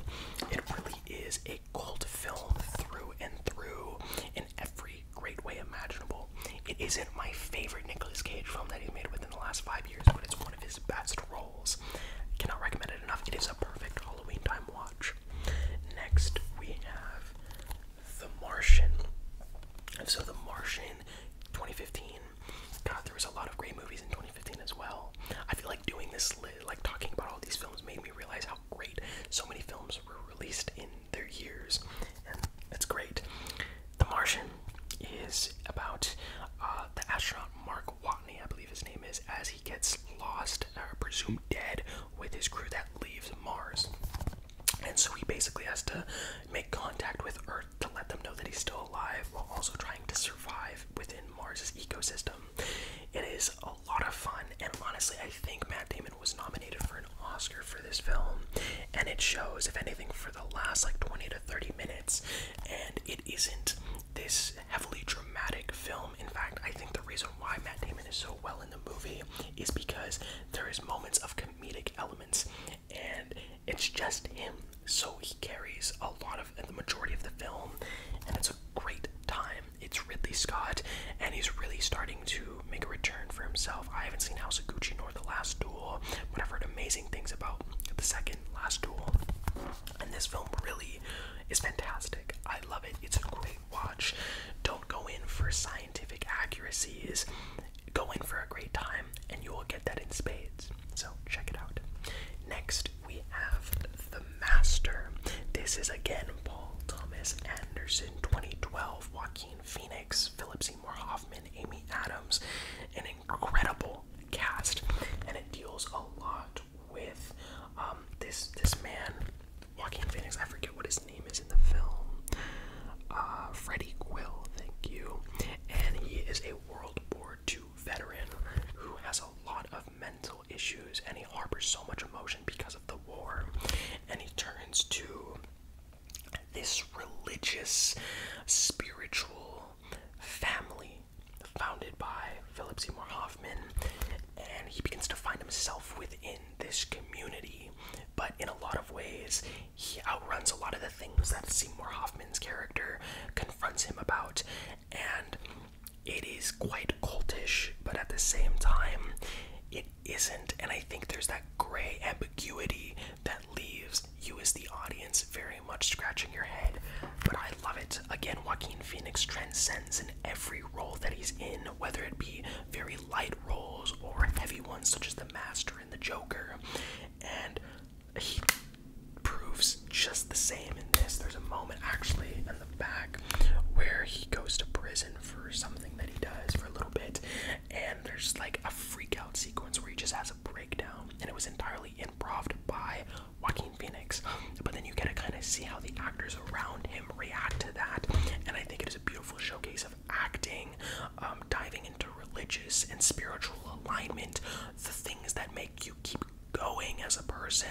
It really is a cult film through and through in every great way imaginable. It isn't my favorite Nicolas Cage film that he's made within the last five years, but it's one of his best roles. I cannot recommend it enough. It is a perfect Halloween time watch. Next, we have The Martian. And so, The Martian 2015 God, there was a lot of great movies in 2015 as well. I feel like doing this, like talking about all these films, made me realize how great so many films were released in their years, and that's great. The Martian is about uh, the astronaut Mark Watney, I believe his name is, as he gets lost, or uh, presumed dead, with his crew that leaves Mars. And so he basically has to make contact with Earth to let them know that he's still alive while also trying to survive within Mars's ecosystem. It is a lot of fun, and honestly, I think Matt Damon was nominated for an Oscar for this film, and it shows, if anything, for the last like 20 to 30 minutes, and it isn't this heavily dramatic film. In fact, I think the reason why Matt Damon is so well in the movie is because there is moments of comedic elements and it's just him so he carries a lot of the majority of the film, and it's a great time. It's Ridley Scott, and he's really starting to make a return for himself. I haven't seen House of Gucci nor The Last Duel, but I've heard amazing things about the second Last Duel, and this film really is fantastic. I love it. It's a great watch. Don't go in for scientific accuracies. Go in for a great time, and you will get that in spades. So check it out. Next, we have The Master. This is again Paul Thomas Anderson, 2012, Joaquin Phoenix, Philip Seymour Hoffman, Amy Adams. An incredible cast, and it deals a lot with um, this this man, Joaquin Phoenix. I forget what his name is in the film. Uh, Freddie Quill, thank you. And he is a World War II veteran who has a lot of mental issues and he harbors so much emotion because of the war and he turns to this religious spiritual family founded by Philip Seymour Hoffman and he begins to find himself within this community but in a lot of ways he outruns a lot of the things that Seymour Hoffman's character confronts him about and it is quite cultish, but at the same time, it isn't. And I think there's that gray ambiguity that leaves you as the audience very much scratching your head. But I love it. Again, Joaquin Phoenix transcends in every role that he's in, whether it be very light roles or heavy ones such as The Master and The Joker. And he proves just the same in this. There's a moment actually in the back where he goes to prison for something that he does for a little bit, and there's like a freak out sequence where he just has a breakdown, and it was entirely improv by Joaquin Phoenix. But then you get to kind of see how the actors around him react to that, and I think it is a beautiful showcase of acting, um, diving into religious and spiritual alignment, the things that make you keep going as a person.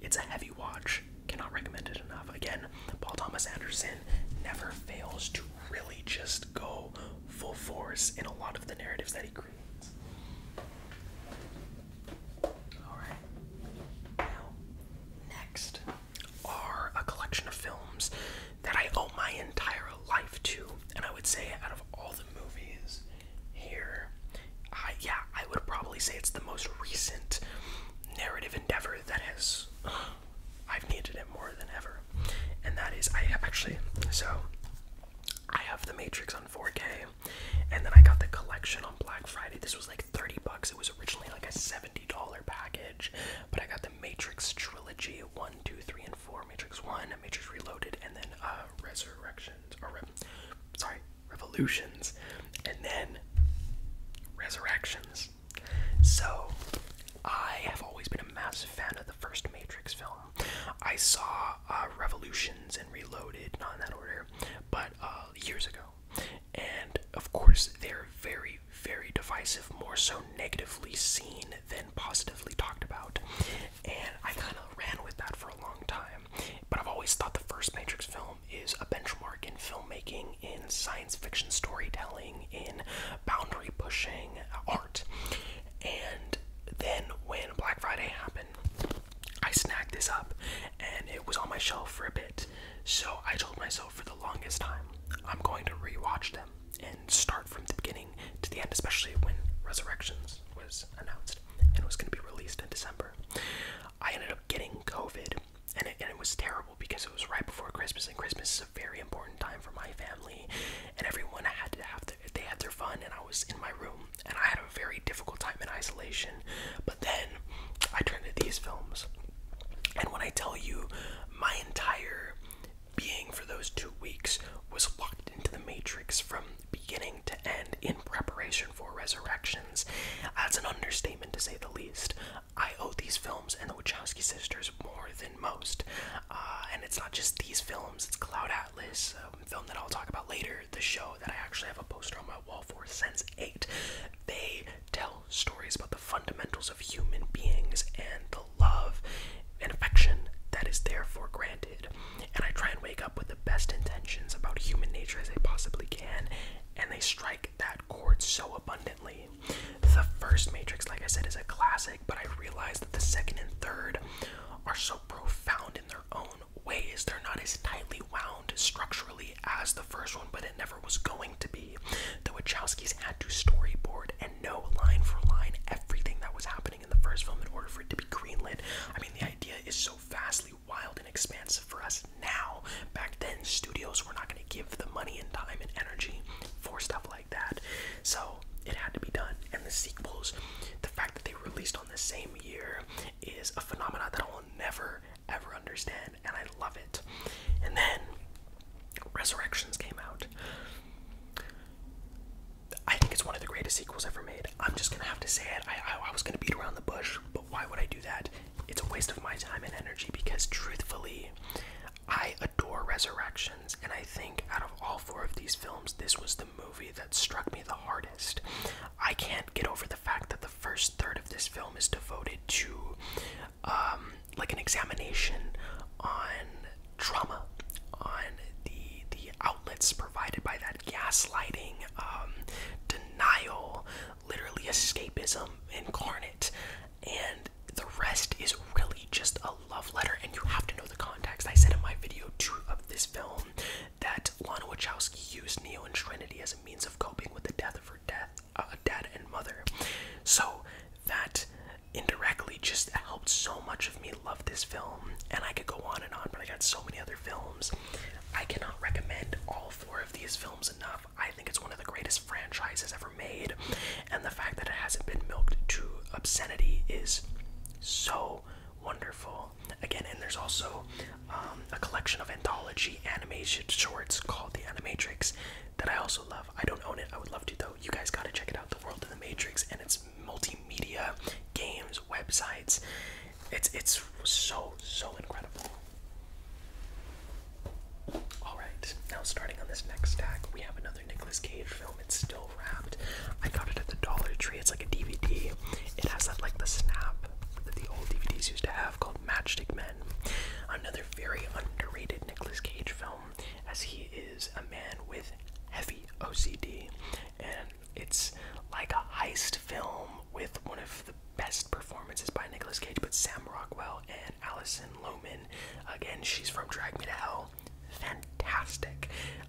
It's a heavy watch. Cannot recommend it enough. Again, Paul Thomas Anderson never fails to really just go full force in a lot of the narratives that he creates. Alright. Now, next are a collection of films that I owe my entire life to. And I would say, out of all the movies here. yeah, I would probably say it's the most recent narrative endeavor that has. I've needed it more than ever. And that is, I actually. So, I have The Matrix on 4K, and then I got the collection on Black Friday. This was like 30 bucks. It was originally like a $70 package, but I got the Matrix trilogy 1, 2, 3, and 4. Matrix 1, Matrix Reloaded, and then uh, Resurrection revolutions or sorry revolutions and then resurrections so i have always been a massive fan of the first matrix film i saw uh, revolutions and reloaded not in that order but uh, years ago and of course they're very very divisive more so negatively seen than positively talked about and i kind of ran with that for a long time but I've always thought the first Matrix film is a benchmark in filmmaking, in science fiction storytelling, in boundary pushing art. And then when Black Friday happened, I snagged this up and it was on my shelf for a bit. So I told myself for the longest time, I'm going to rewatch them and start from the beginning to the end, especially when Resurrections was announced and was going to be released in December. I ended up getting COVID, and it, was terrible because it was right before Christmas, and Christmas is a very important time for my family, and everyone had to have they had their fun, and I was in my room, and I had a very difficult time in isolation. But then I turned to these films, and when I tell you, my entire being for those two weeks was locked into the matrix from beginning to end in preparation for resurrections. That's an understatement to say the least. I owe these films and the Wachowski sisters more than most. Uh, and it's not just these films, it's Cloud Atlas, a um, film that I'll talk about later, the show that I actually have a poster on my wall for Sense 8. They tell stories about the fundamentals of human beings and the love and affection that is therefore granted and I try and wake up with the best intentions about human nature as I possibly can, and they strike that chord so abundantly. The first Matrix, like I said, is a classic, but I realize that the second and third are so profound in their own ways. They're not as tightly wound structurally as the first one, but it never was going to be. The Wachowskis had to storyboard and know line for line everything that was happening in the first film in order for it to be greenlit. I mean, the idea is so vastly wild and expansive for us now. Back then, studios were not going to give the money and time and energy for stuff like that. So it had to be done. And the sequels, the fact that they were released on the same year is a phenomenon that I will never ever understand, and I love it. And then Resurrections came out. I think it's one of the greatest sequels ever made. I'm just gonna have to say it. I, was gonna beat around the bush, but why would I do that? It's a waste of my time and energy because truthfully, I adore Resurrections, and I think out of all four of these films, this was the movie that struck me the hardest. I can't get over the fact that the first third of this film is devoted to um, like an examination on trauma, on the the let outlets provided by that gaslighting, um, denial, literally escapism incarnate. And the rest is really just a love letter, and you have to know the context. I said in my video two of this film that Lana Wachowski used Neo and Trinity as a means of coping with the death of her death, uh, dad and mother. So that indirectly just helped so much of me love this film, and I could go on and on, but I got so many other films I cannot recommend all four of these films enough. I think it's one of the greatest franchises ever made, and the fact that it hasn't been milked to obscenity is so wonderful. Again, and there's also um, a collection of anthology animation shorts called The Animatrix that I also love. I don't own it, I would love to though. You guys gotta check it out The World of the Matrix and its multimedia games, websites. It's it's so so incredible. All right, now starting on this next stack, we have another Nicolas Cage film. It's still wrapped. I got it at the Dollar Tree. It's like a DVD. It has that like the snap that the old DVDs used to have called Matchstick Men. Another very underrated Nicolas Cage film, as he is a man with heavy OCD, and it's like a heist film with one of the best performances by Nicholas Cage, but Sam Rockwell and Allison Lohman. Again, she's from Drag Me to Hell. Fantastic.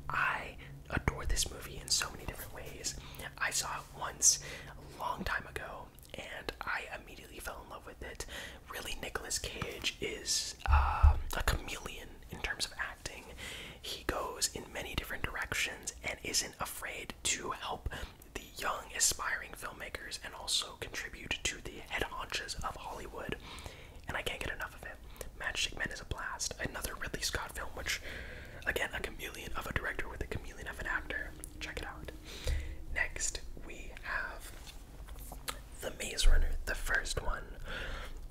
I adore this movie in so many different ways. I saw it once a long time ago and I immediately fell in love with it. Really, Nicholas Cage is um, a chameleon in terms of acting. He goes in many different directions and is not afraid to help the young aspiring filmmakers and also contribute to the head honchos of Hollywood. And I can't get enough of it. Matchstick Men is a blast. Another Ridley Scott film, which, again, a chameleon of a director with a chameleon of an actor. Check it out. Next, we have The Maze Runner, the first one.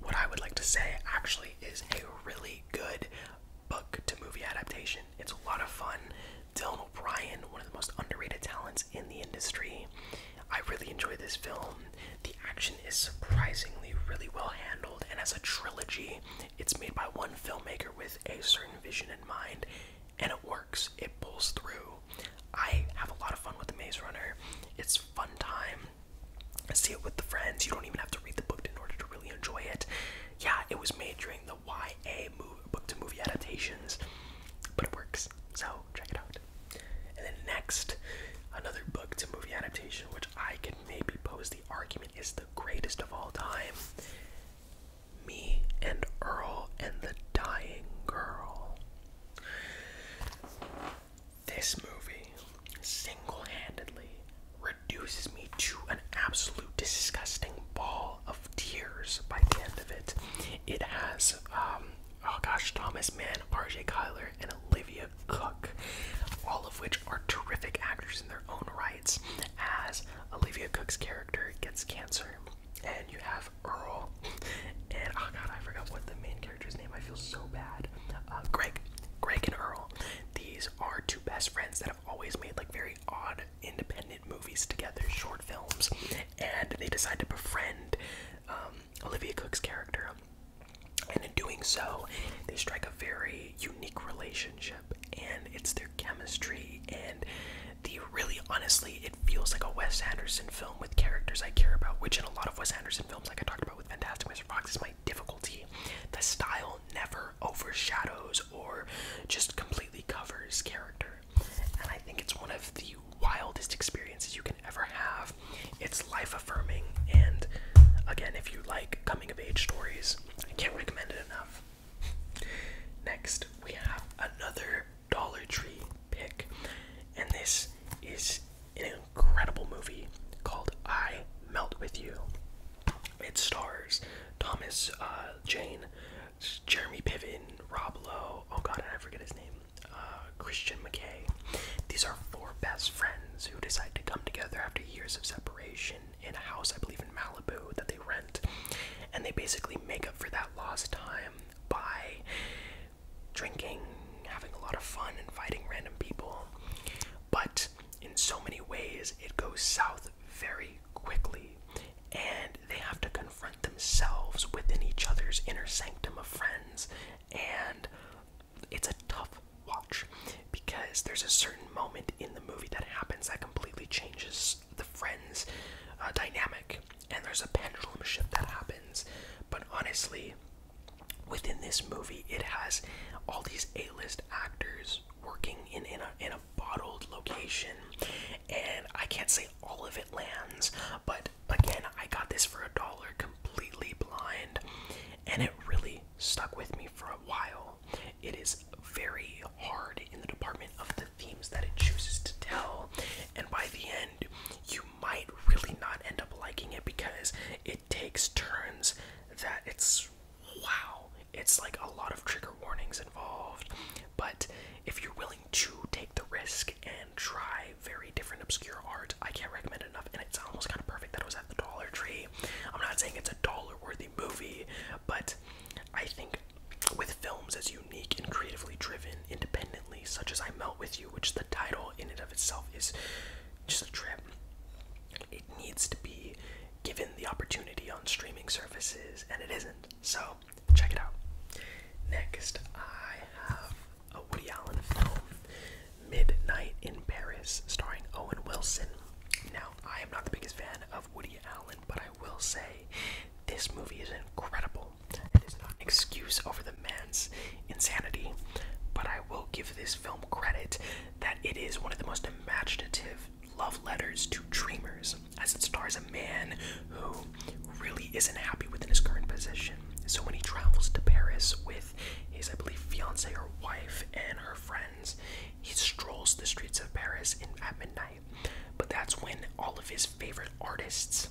What I would like to say actually is a really good book to movie adaptation. It's a lot of fun. Dylan O'Brien, one of the most underrated talents in the industry. I really enjoy this film. The action is surprisingly really well handled, and as a trilogy, it's made by one filmmaker with a certain vision in mind, and it works. It pulls through. I have a lot of fun with The Maze Runner. It's fun time. I see it with the friends. You don't even have to read the book in order to really enjoy it yeah, it was made during the YA movie, book to movie adaptations, but it works. So check it out. And then next, another book to movie adaptation, which I can maybe pose the argument is the greatest of all time. Me and Earl and the Dying Girl. This movie single handedly reduces me to an absolute disgusting ball of tears by the end of it. It has, um, oh gosh, Thomas Mann, RJ Kyler, and Olivia Cook, all of which are terrific actors in their own rights, as Olivia Cook's character gets cancer. And you have Earl, and oh god, I forgot what the main character's name. I feel so bad. Uh, Greg, Greg and Earl. These are two best friends that that have always made like very odd independent movies together, short films, and they decide to befriend um, Olivia Cook's character. And in doing so, they strike a very unique relationship, and it's their chemistry. And the really, honestly, it feels like a Wes Anderson film with characters I care about, which in a lot of Wes Anderson films, like I talked about with Fantastic Mr. Fox, is my difficulty. The style never overshadows or just completely covers character. And I think it's one of the wildest experiences you can ever have. It's life affirming, and again, if you like coming of age stories, I can't recommend it enough. Next, we have another Dollar Tree pick, and this is an incredible movie called I Melt With You. It stars Thomas, uh, Jane, Jeremy Piven, Rob Lowe, oh god, I forget his name, uh, Christian McKay. These are four best friends who decide to come together after years of separation in a house, I believe, in Malibu that they rent. And they basically make up for that lost time by drinking, having a lot of fun, inviting random people. But in so many ways it goes south very quickly and they have to confront themselves within each other's inner sanctum of friends and it's a tough watch because there's a certain moment in the movie that happens that completely changes the friends uh, dynamic and there's a pendulum shift that happens but honestly within this movie it has all these a-list actors working in in a bottled location, and I can't say all of it lands, but again, I got this for a dollar completely blind, and it really stuck with me for a while. It is very hard in the department of the themes that it chooses to tell, and by the end, you might really not end up liking it because it takes turns that it's wow, it's like a lot of trigger warnings involved. But if you're willing to take the risk and try very different obscure art, I can't recommend enough. And it's almost kind of perfect that it was at the Dollar Tree. I'm not saying it's a dollar worthy movie, but I think with films as unique and creatively driven independently, such as I Melt With You, which the title in and of itself is just a trip it needs to be given the opportunity on streaming services, and it isn't. So check it out. Next, I have a Woody Allen film, Midnight in Paris, starring Owen Wilson. Now, I am not the biggest fan of Woody Allen, but I will say this movie is incredible. It is not an excuse over the man's insanity, but I will give this film credit that it is one of the most imaginative love letters to dreamers as it stars a man who really isn't happy within his current position. So when he travels to Paris with his, I believe, fiance or wife and her friends, he strolls the streets of Paris at midnight. But that's when all of his favorite artists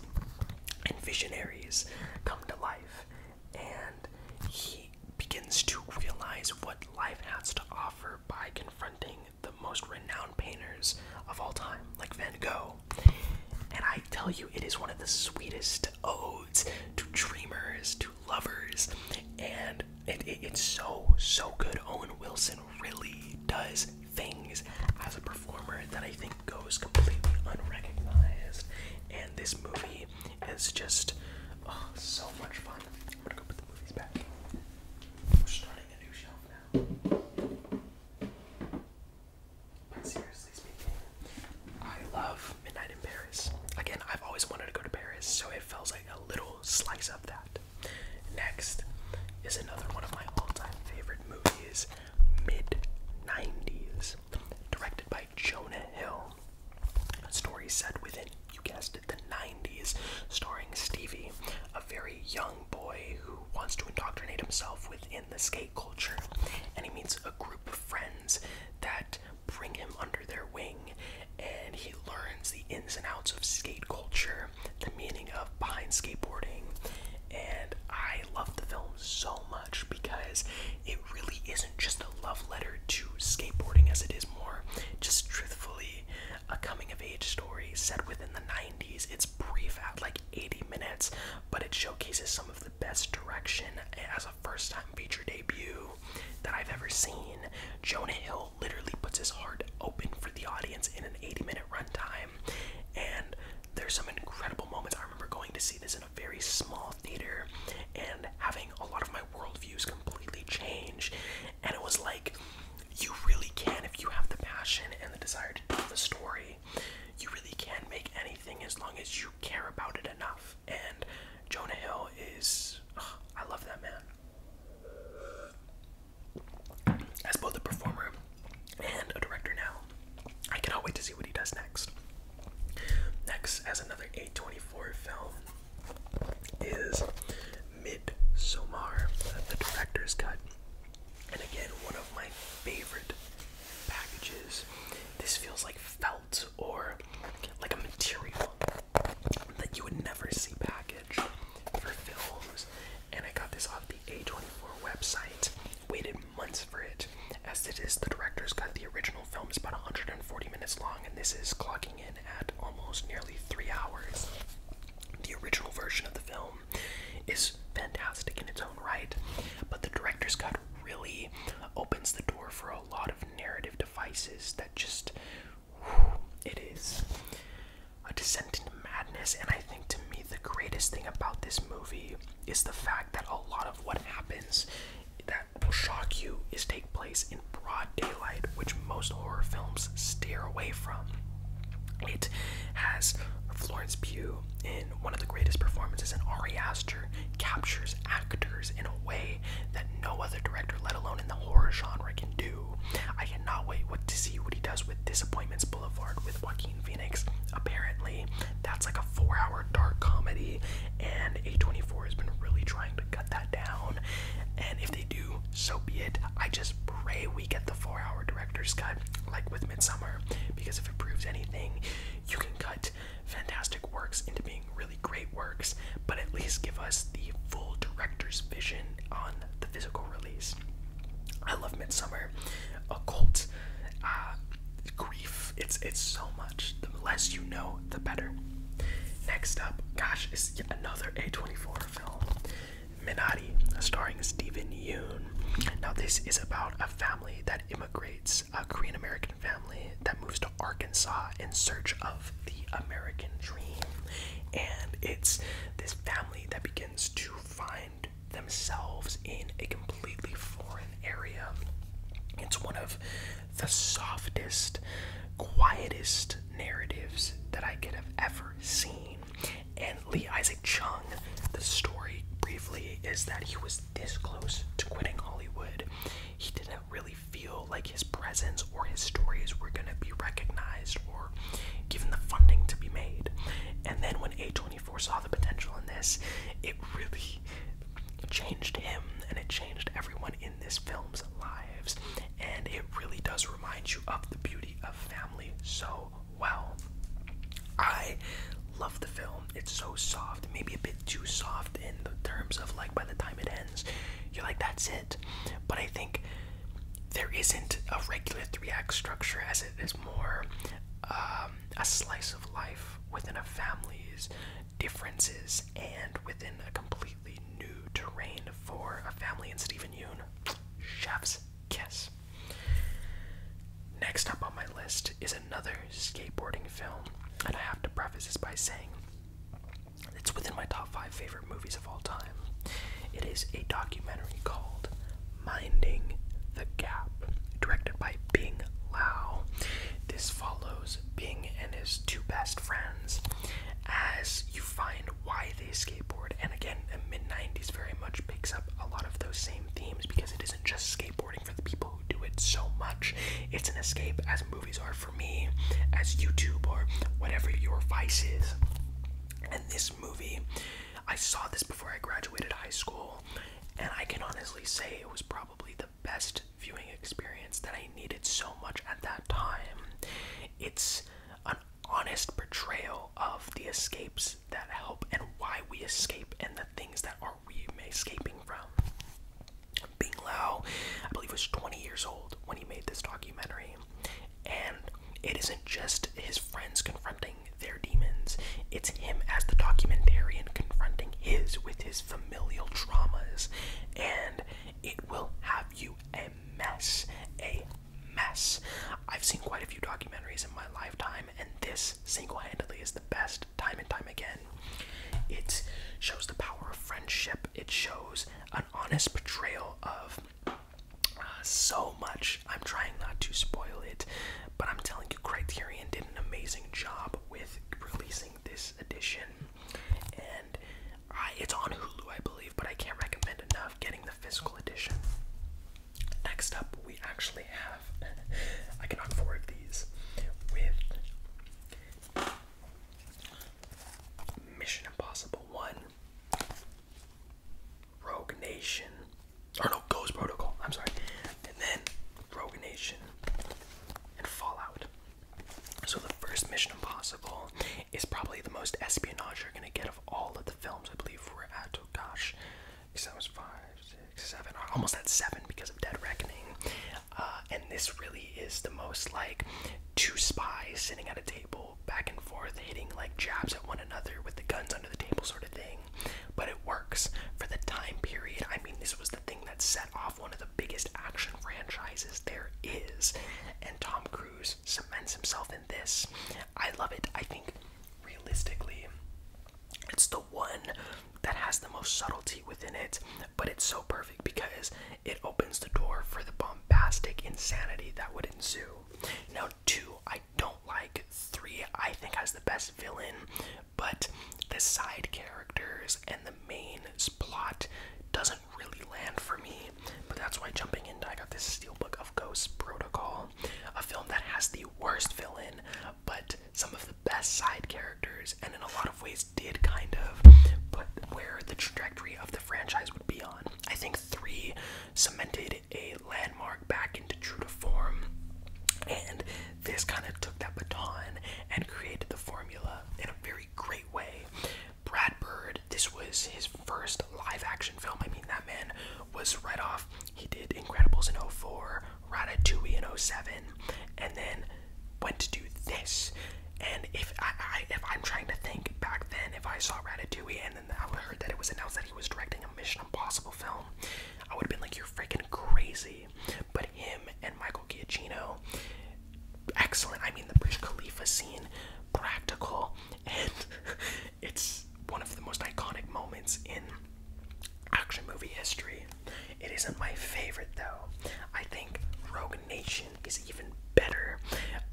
and visionaries come to life, and he begins to realize what life has to offer by confronting the most renowned painters of all time, like Van Gogh. And I tell you, it is one of the sweetest odes to dreamers, to lovers, and it's so, so good. Owen Wilson really does things as a performer that I think goes completely unrecognized. And this movie is just oh, so much fun. I'm gonna go put the movies back. We're starting a new shelf now. But seriously speaking, I love Midnight in Paris. Again, I've always wanted to go to Paris, so it feels like a little slice of that. Next is another one of my all-time favorite movies, mid-90s, directed by Jonah Hill. A story set within, you guessed it the 90s, starring Stevie, a very young boy who wants to indoctrinate himself within the skate culture. And he meets a group of friends that bring him under their wing, and he learns the ins and outs of skate culture, the meaning of behind skateboarding. And I love the film so much because it really isn't just a love letter to skateboarding, as it is more just truthfully a coming of age story set within the 90s. It's brief at like 80 minutes, but it showcases some of the best direction as a first time feature debut that I've ever seen. Jonah Hill literally puts his heart open for the audience in an 80 minute runtime, and there's some incredible moments. I remember going to see this in a very small theater and having a lot of my worldviews completely change, and it was like you really can if you have the passion and the desire to tell the story. You really can make anything as long as you care about it enough. And Jonah Hill is I love that man. As both a performer and a director now, I cannot wait to see what he does next. Next, as another eight twenty-four film, is Mid Midsommar, uh, the director's cut. And again, one of my favorite packages. This feels like felt or like a material that you would never see packaged for films. And I got this off the A24 website. Waited months for it, as it is the director's cut. The original film is about 140 minutes long, and this is clocking in at almost nearly three hours. The original version of the film is fantastic in its own right, but the director's cut really opens the door for a lot of narrative devices that just. it is a descent into madness, and I think to me the greatest thing about this movie is the fact that a lot of what happens that will shock you is take place in broad daylight, which most horror films steer away from. It has Florence Pugh in one of the greatest performances, and Ari Aster captures actors in a way that no other director, let alone in the horror genre, can do. I cannot wait to see what he does with Disappointments Boulevard with Joaquin Phoenix. Apparently, that's like a four-hour dark comedy, and A24 has been really trying to cut that down. And if they do so be it. I just pray we get the four hour director's cut, like with Midsummer, because if it proves anything, you can cut fantastic works into being really great works, but at least give us the full director's vision on the physical release. I love Midsummer, occult, uh, grief. It's it's so much. The less you know, the better. Next up, gosh, is another A24 film, Minari, starring Stephen Yoon. Now, this is about a family that immigrates, a Korean American family that moves to Arkansas in search of the American dream. And it's this family that begins to find themselves in a completely foreign area. It's one of the softest, quietest narratives that I could have ever ever And Lee Isaac Chung, the story briefly is that he was this close to quitting Hollywood. He didn't really feel like his presence or his stories were going to be recognized or given the funding to be made. And then when A24 saw the potential in this, it really changed him and it changed everyone in this film's lives and it really does remind you of the beauty of family so well. I love the film. It's so soft, maybe a bit too soft in the terms of like by the time it ends, you're like, that's it. But I think there isn't a regular three act structure as it is more um, a slice of life within a family's differences and within a complete completely new terrain for a family in Stephen Yoon. Chef's kiss. Next up on my list is another skateboarding film, and I have to preface this by saying it's within my top five favorite movies of all time. It is a documentary called Minding the Gap, directed by Bing Lao. This follows Bing and his two best friends as you find why they skateboard. And again, the mid 90s very much picks up a lot of those same themes because it isn't just skateboarding for the people who do it so much. It's an escape, as movies are for me, as YouTube or whatever your vice is. And this movie, I saw this before I graduated high school, and I can honestly say it was probably the best viewing experience that I needed so much at that time. It's an honest portrayal of the escapes that help and why we escape and the things that are we escaping from. Bing Lao, I believe, was 20 years old when he made this documentary, and it isn't just his friends confronting their demons, it's him as the documentarian confronting his with his familial traumas, and it will have you a mess, a mess. I've seen quite a few documentaries in my lifetime, and this single-handedly is the best, time and time again. It shows the power of friendship. It shows an honest portrayal of uh, so much. I'm trying not to spoil it, but I'm telling you, Criterion did an amazing job with releasing this edition, and uh, it's on Hulu, I believe but I can't recommend enough getting the physical edition. Next up, we actually have I can knock four of these with Mission Impossible 1, Rogue Nation, or no, Ghost Protocol, I'm sorry, and then Rogue Nation and Fallout. So the first Mission Impossible is probably the most espionage you're gonna get of all of the films. I believe we're at oh gosh, because that was five, six, seven, almost at seven because of Dead Reckoning. Uh, and this really is the most like two spies sitting at a table, back and forth, hitting like jabs at one another with the guns under the table, sort of thing. But it works for the time period. I mean, this was the thing that set off one of the biggest action franchises there is, and Tom Cruise cements himself in this. I love it. I think realistically, it's the one that has the most subtlety within it, but it's so perfect because it opens the door for the bombastic insanity that would ensue. Now, two, I don't like. Three, I think, has the best villain, but the side characters and the main plot doesn't really land for me, but that's why jumping into I got this Steelbook of Ghosts Protocol, a film that has the worst villain, but some of the best side characters, and in a lot of ways did kind of put where the trajectory of the franchise would be on. I think three cemented a landmark back into true to form, and this kind of took that baton and created the formula in a very great way. Brad Bird, this was his first live action film. I mean, that man was right off. He did Incredibles in 04, Ratatouille in 07, and then went to do this. And if I, am trying to think back then, if I saw Ratatouille and then I heard that it was announced that he was directing a Mission Impossible film, I would have been like, "You're freaking crazy!" But him and Michael Giacchino, excellent. I mean, the British Khalifa scene, practical, and it's one of the most iconic moments in action movie history. It isn't my favorite though. I think Rogue Nation is even better.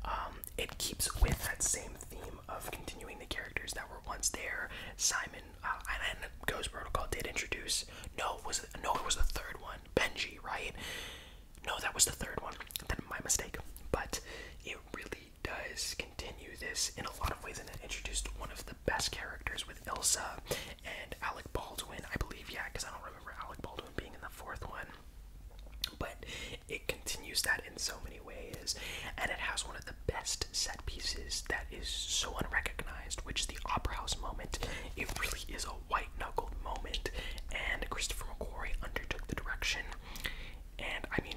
Um, it keeps with that same theme of continuing the characters that were once there. Simon uh, and Ghost Protocol did introduce. No, was it, no, it was the third one. Benji, right? No, that was the third one. That my mistake. But it really does continue this in a lot of ways and it introduced one of the best characters with Ilsa and Alec Baldwin, I believe, yeah, because I don't remember Alec Baldwin being in the fourth one. But it continues that in so many ways, and it has one of the best set pieces that is so unrecognized, which is the Opera House moment. It really is a white knuckled moment, and Christopher McQuarrie undertook the direction. And I mean,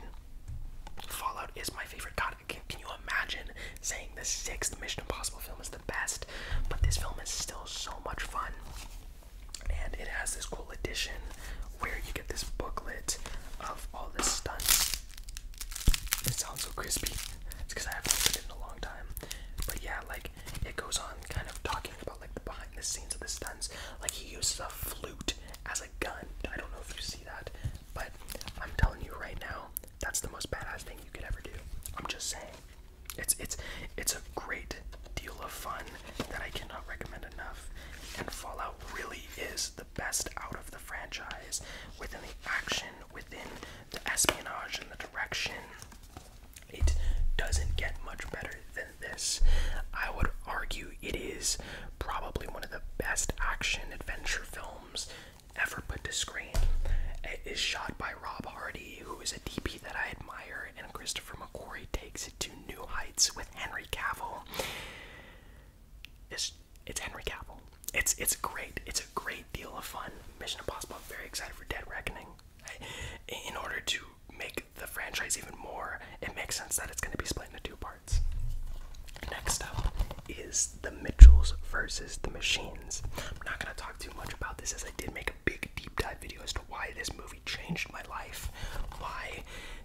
Fallout is my favorite. God, can, you imagine saying the sixth Mission Impossible film is the best? But this film is still so much fun. And it has this cool edition where you get this booklet of all the stunts. It sounds so crispy. It's because I haven't opened it in a long time. But yeah, like it goes on kind of talking about like the behind the scenes of the stunts. Like he uses a flute as gun. I don't know if you see that, but I'm telling you right now, that's the most badass thing you could ever do. I'm just saying. It's it's it's a great deal of fun that I cannot recommend enough. And Fallout really is the best out of the franchise within the action, within the espionage and the direction. It doesn't get much better than this. I would argue it is probably one of the best action adventure films ever put to screen. It is shot by Rob Hardy, who is a DP that I admire, and Christopher McQuarrie takes it to new heights with Henry Cavill. It's it's Henry Cavill. It's it's great. It's a great deal of fun. Mission Impossible. I'm very excited for Dead Reckoning. in order to make the franchise even more, it makes sense that it's going to be split into two parts. Next up is the Mitchells versus the Machines. I'm not going to talk too much about this as I did make a big deep dive video as to why this movie changed my life, why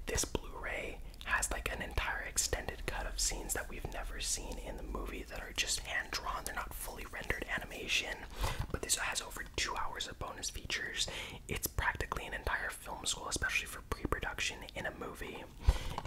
this Blu-ray has like an entire extended cut of scenes that we've never seen in the movie that are just hand drawn, they're not fully rendered animation, but this has over two hours of bonus features. It's practically an entire film school, especially for pre production in a movie.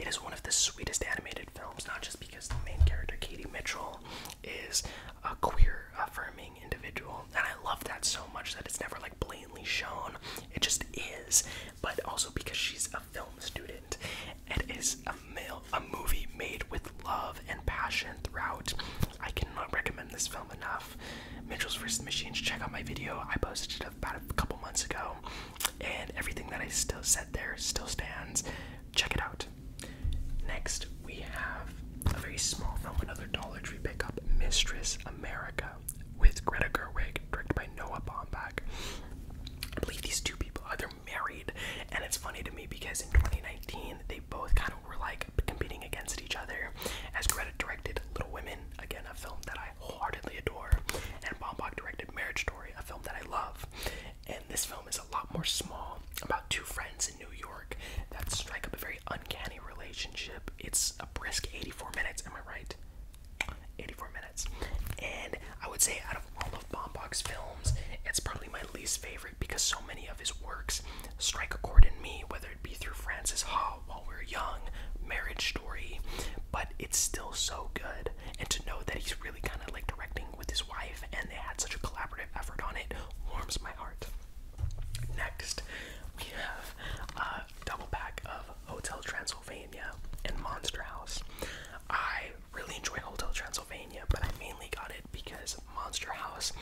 It is one of the sweetest animated films, not just because the main character, Katie Mitchell, is a queer affirming individual. And I love that so much that it's never like blatantly shown, it just is. But also because she's a film student. It is a male, a movie made with love and passion throughout. I cannot recommend this film enough stuff. Mitchell's vs. Machines, check out my video. I posted it about a couple months ago, and everything that I still said there still stands. Check it out. Next, we have a very small film, another Dollar Tree pickup, Mistress America, with Greta Gerwig, directed by Noah Baumbach. I believe these two people are they're married, and it's funny to me because in 2019 they both kind of were like competing against each other. As Greta directed Little Women, again a film that I. I wholeheartedly adore, and Bombach directed Marriage Story, a film that I love. And this film is a lot more small about two friends in New York that strike up a very uncanny relationship. It's a brisk 84 minutes, am I right? 84 minutes. And I would say out of all of Bombach's films, it's probably my least favorite because so many of his works strike a chord in me, whether it be through Francis Ha while we're young, marriage story, but it's still so good. And to know that he's really kind of like directing with his wife and they had such a collaborative effort on it warms my heart. Next, we have a double pack of Hotel Transylvania and Monster House. I really enjoy Hotel Transylvania, but I mainly got it because Monster House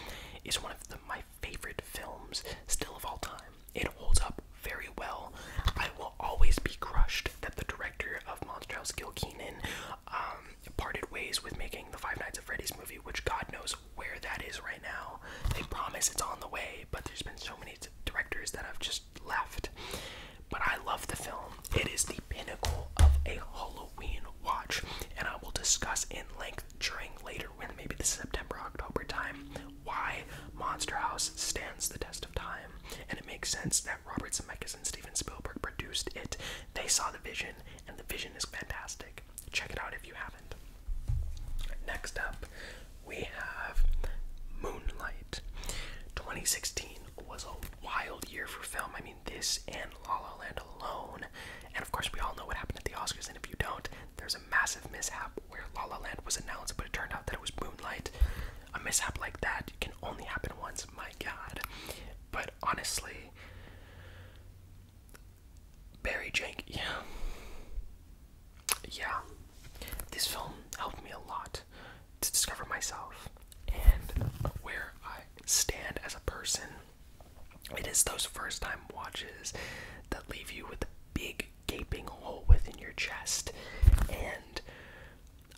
is one of the, my favorite films still of all time. It holds up very well. I will always be crushed that the director of Monster House, Gil Keenan, um, parted ways with making the Five Nights at Freddy's movie, which God knows where that is right now. They promise it's on the way, but there's been so many directors that have just left. But I love the film. It is the pinnacle of a Halloween watch, and I will discuss in length during later when maybe the September October time why Monster House stands the test of time, and it makes sense that Robert Zemeckis and Steven Spielberg produced it. They saw the vision, and the vision is fantastic. Check it out if you haven't. Next up, we have Moonlight. 2016 was a wild year for film. I mean, this and La La Land alone. And of course, we all know what happened at the Oscars, and if you don't, there's a massive mishap where La La Land was announced, but it turned out that it was Moonlight. A mishap like that can only happen once, my god. But honestly, Barry Jank, yeah. Yeah. This film helped me a lot to discover myself and where I stand as a person. It is those first time watches that leave you with a big gaping hole within your chest. And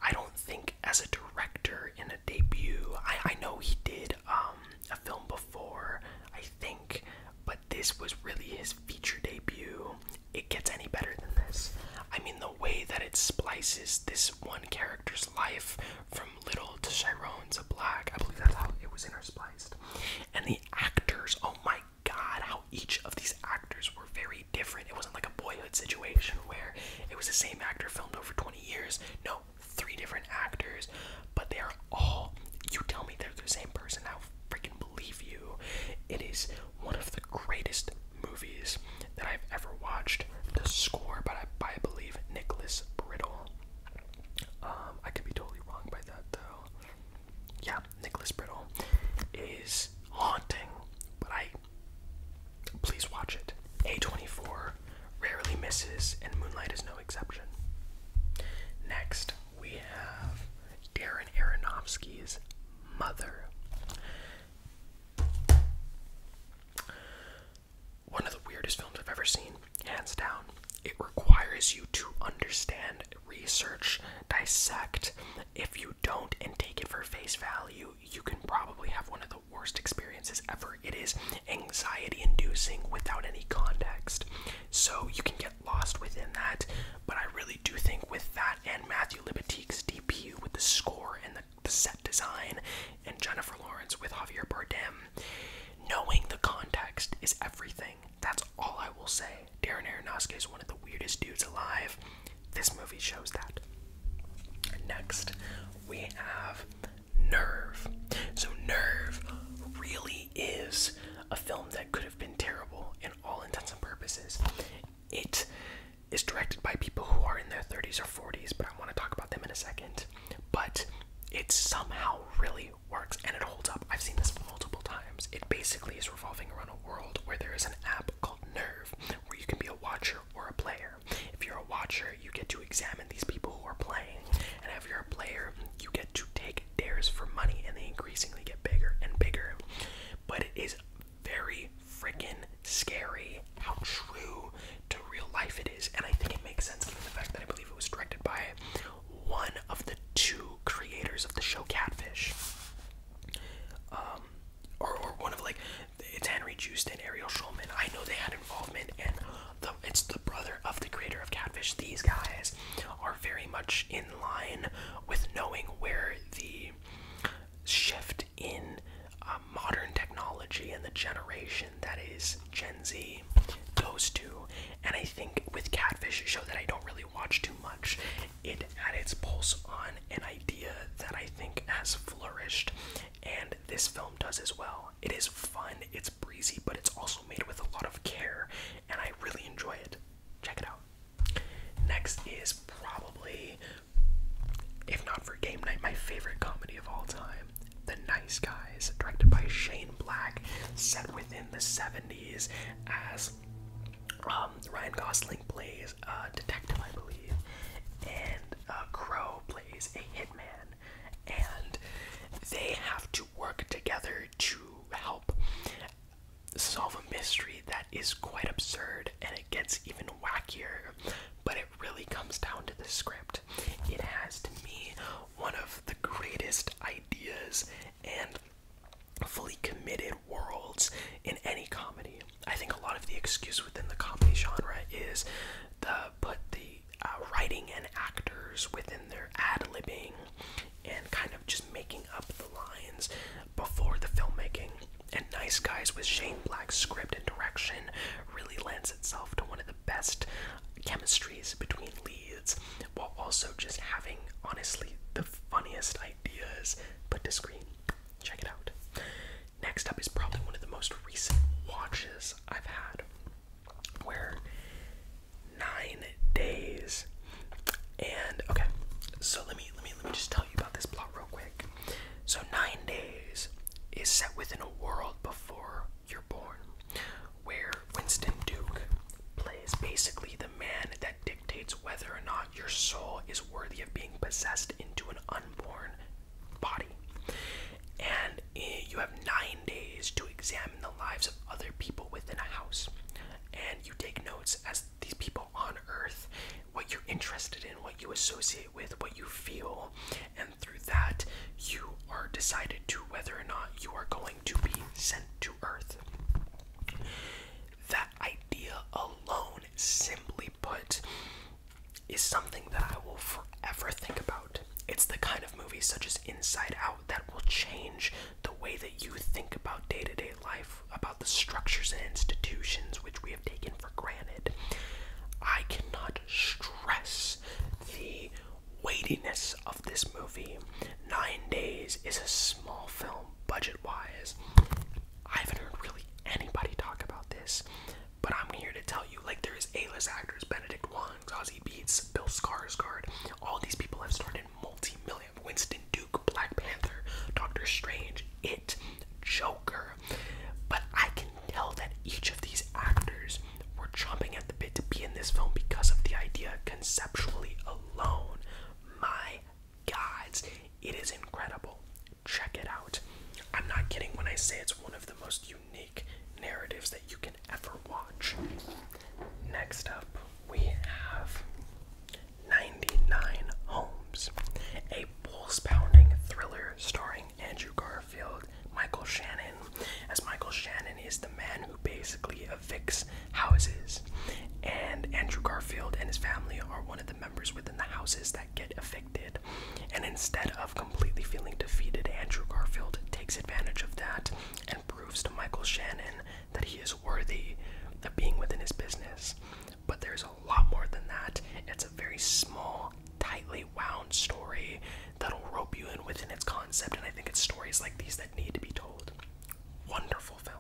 I don't think, as a director in a debut, I, I know he did um, a film before, I think, but this was really his feature debut. It gets any better than this. I mean, the way that it splices this one character's life from little to Chiron to black, I believe that's how it was interspliced. And the actors, oh my god how each of these actors were very different. It wasn't like a boyhood situation where it was the same actor filmed over 20 years. No, three different actors, but they are all. You tell me they're the same person. I'll freaking believe you. It is one of the greatest movies that I've ever watched. The score, but I, by, I believe Nicholas Brittle. Um, I could be totally wrong by that though yeah, Nicholas Brittle is haunting, but I please watch it. A24 rarely misses, and Moonlight is no exception. Next, we have Darren Aronofsky's Mother. One of the weirdest films I've ever seen, hands down. It requires you to understand research, dissect. If you don't and take it for face value, you can probably have one of the worst experiences ever. It is anxiety inducing without any context. So you can get lost within that. But I really do think with that and Matthew Libatique's debut with the score and the set design and Jennifer Lawrence with Javier Bardem, knowing the context is everything. That's all I will say. Darren Aronofsky is one of the weirdest dudes alive. This movie shows that. Next, we have Nerve. So, Nerve really is a film that could have been terrible in all intents and purposes. It is directed by people who are in their 30s or 40s, but I want to talk about them in a second. But it somehow really works and it holds up. I've seen this multiple times. It basically is revolving around a world where there is an app called Nerve where you can be a watcher or a player. If you're a watcher, you get to examine these people who are playing, and if you're a player, you get to take dares for money, and they increasingly get bigger and bigger. But it is very freaking scary how true to real life it is, and I think it makes sense given the fact that I believe it was directed by one of the two creators of the show Catfish. Um, or, one of like it's Henry Joost and Ariel Schulman. I know they had involvement, and it's the brother of the creator of Catfish. These guys are very much in line with knowing where the shift in uh, modern technology and the generation that is Gen Z goes to. And I think with Catfish, a show that I don't really watch too much, it had its pulse on an idea that I think has flourished, and this film does as well. It is fun, it's breezy, but it's also made with a lot of care, and I really enjoy it. Check it out. Next is probably, if not for Game Night, my favorite comedy of all time The Nice Guys, directed by Shane Black, set within the 70s as um, Ryan Gosling plays a uh, detective, I believe, and uh, Crow plays a hitman, and they have to work together to help solve a mystery that is quite absurd and it gets even wackier. But it really comes down to the script. It has, to me, one of the greatest ideas and fully committed worlds in any comedy. I think a lot of the excuse within the comedy genre is the put the uh, writing and actors within their ad libbing and kind of just making up the lines before the filmmaking. And Nice Guys with Shane Black's script and direction really lends itself to one of the best chemistries between leads while also just having honestly the funniest ideas but discreet. Check it out. Next up is probably one of the most recent watches I've had, where nine days. And okay, so let me let me let me just tell you about this plot real quick. So nine days is set within a world before you're born, where Winston Duke plays basically the man that dictates whether or not your soul is worthy of being possessed into an unborn body. And eh, you have nine days to examine the lives of other people within a house. And you take notes as these people on earth, what you're interested in, what you associate with, what you feel. And through that, you are decided to whether or not you are going to be sent to earth that idea alone, simply put, is something that I will forever think about. It's the kind of movie, such as Inside Out, that will change the way that you think about day to day life, about the structures and institutions which we have taken for granted. I cannot stress the weightiness of this movie. Nine Days is a small film budget wise. I haven't heard really anybody talk about this, but I'm here to tell you like there is A-list actors, Benedict Wong, Ozzy Beats, Bill Skarsgård. All these people have started multi-million. Winston Duke, Black Panther, Doctor Strange, It, Joker. But I can tell that each of these actors were jumping at the bit to be in this film because of the idea conceptually alone. My gods, it is incredible. Check it out. I'm not kidding when I say it's one of the most unique narratives that you can ever watch. Next up, we have 99 Homes, a pulse pounding thriller starring Andrew Garfield, Michael Shannon, as Michael Shannon is the man who basically evicts houses, and Andrew Garfield and his family are one of the members within the houses that get affected. And instead of completely feeling defeated, Andrew Garfield takes advantage of that and proves to Michael Shannon that he is worthy of being within his business. But there's a lot more than that. It's a very small, tightly wound story that'll rope you in within its concept, and I think it's stories like these that need to be told. Wonderful film.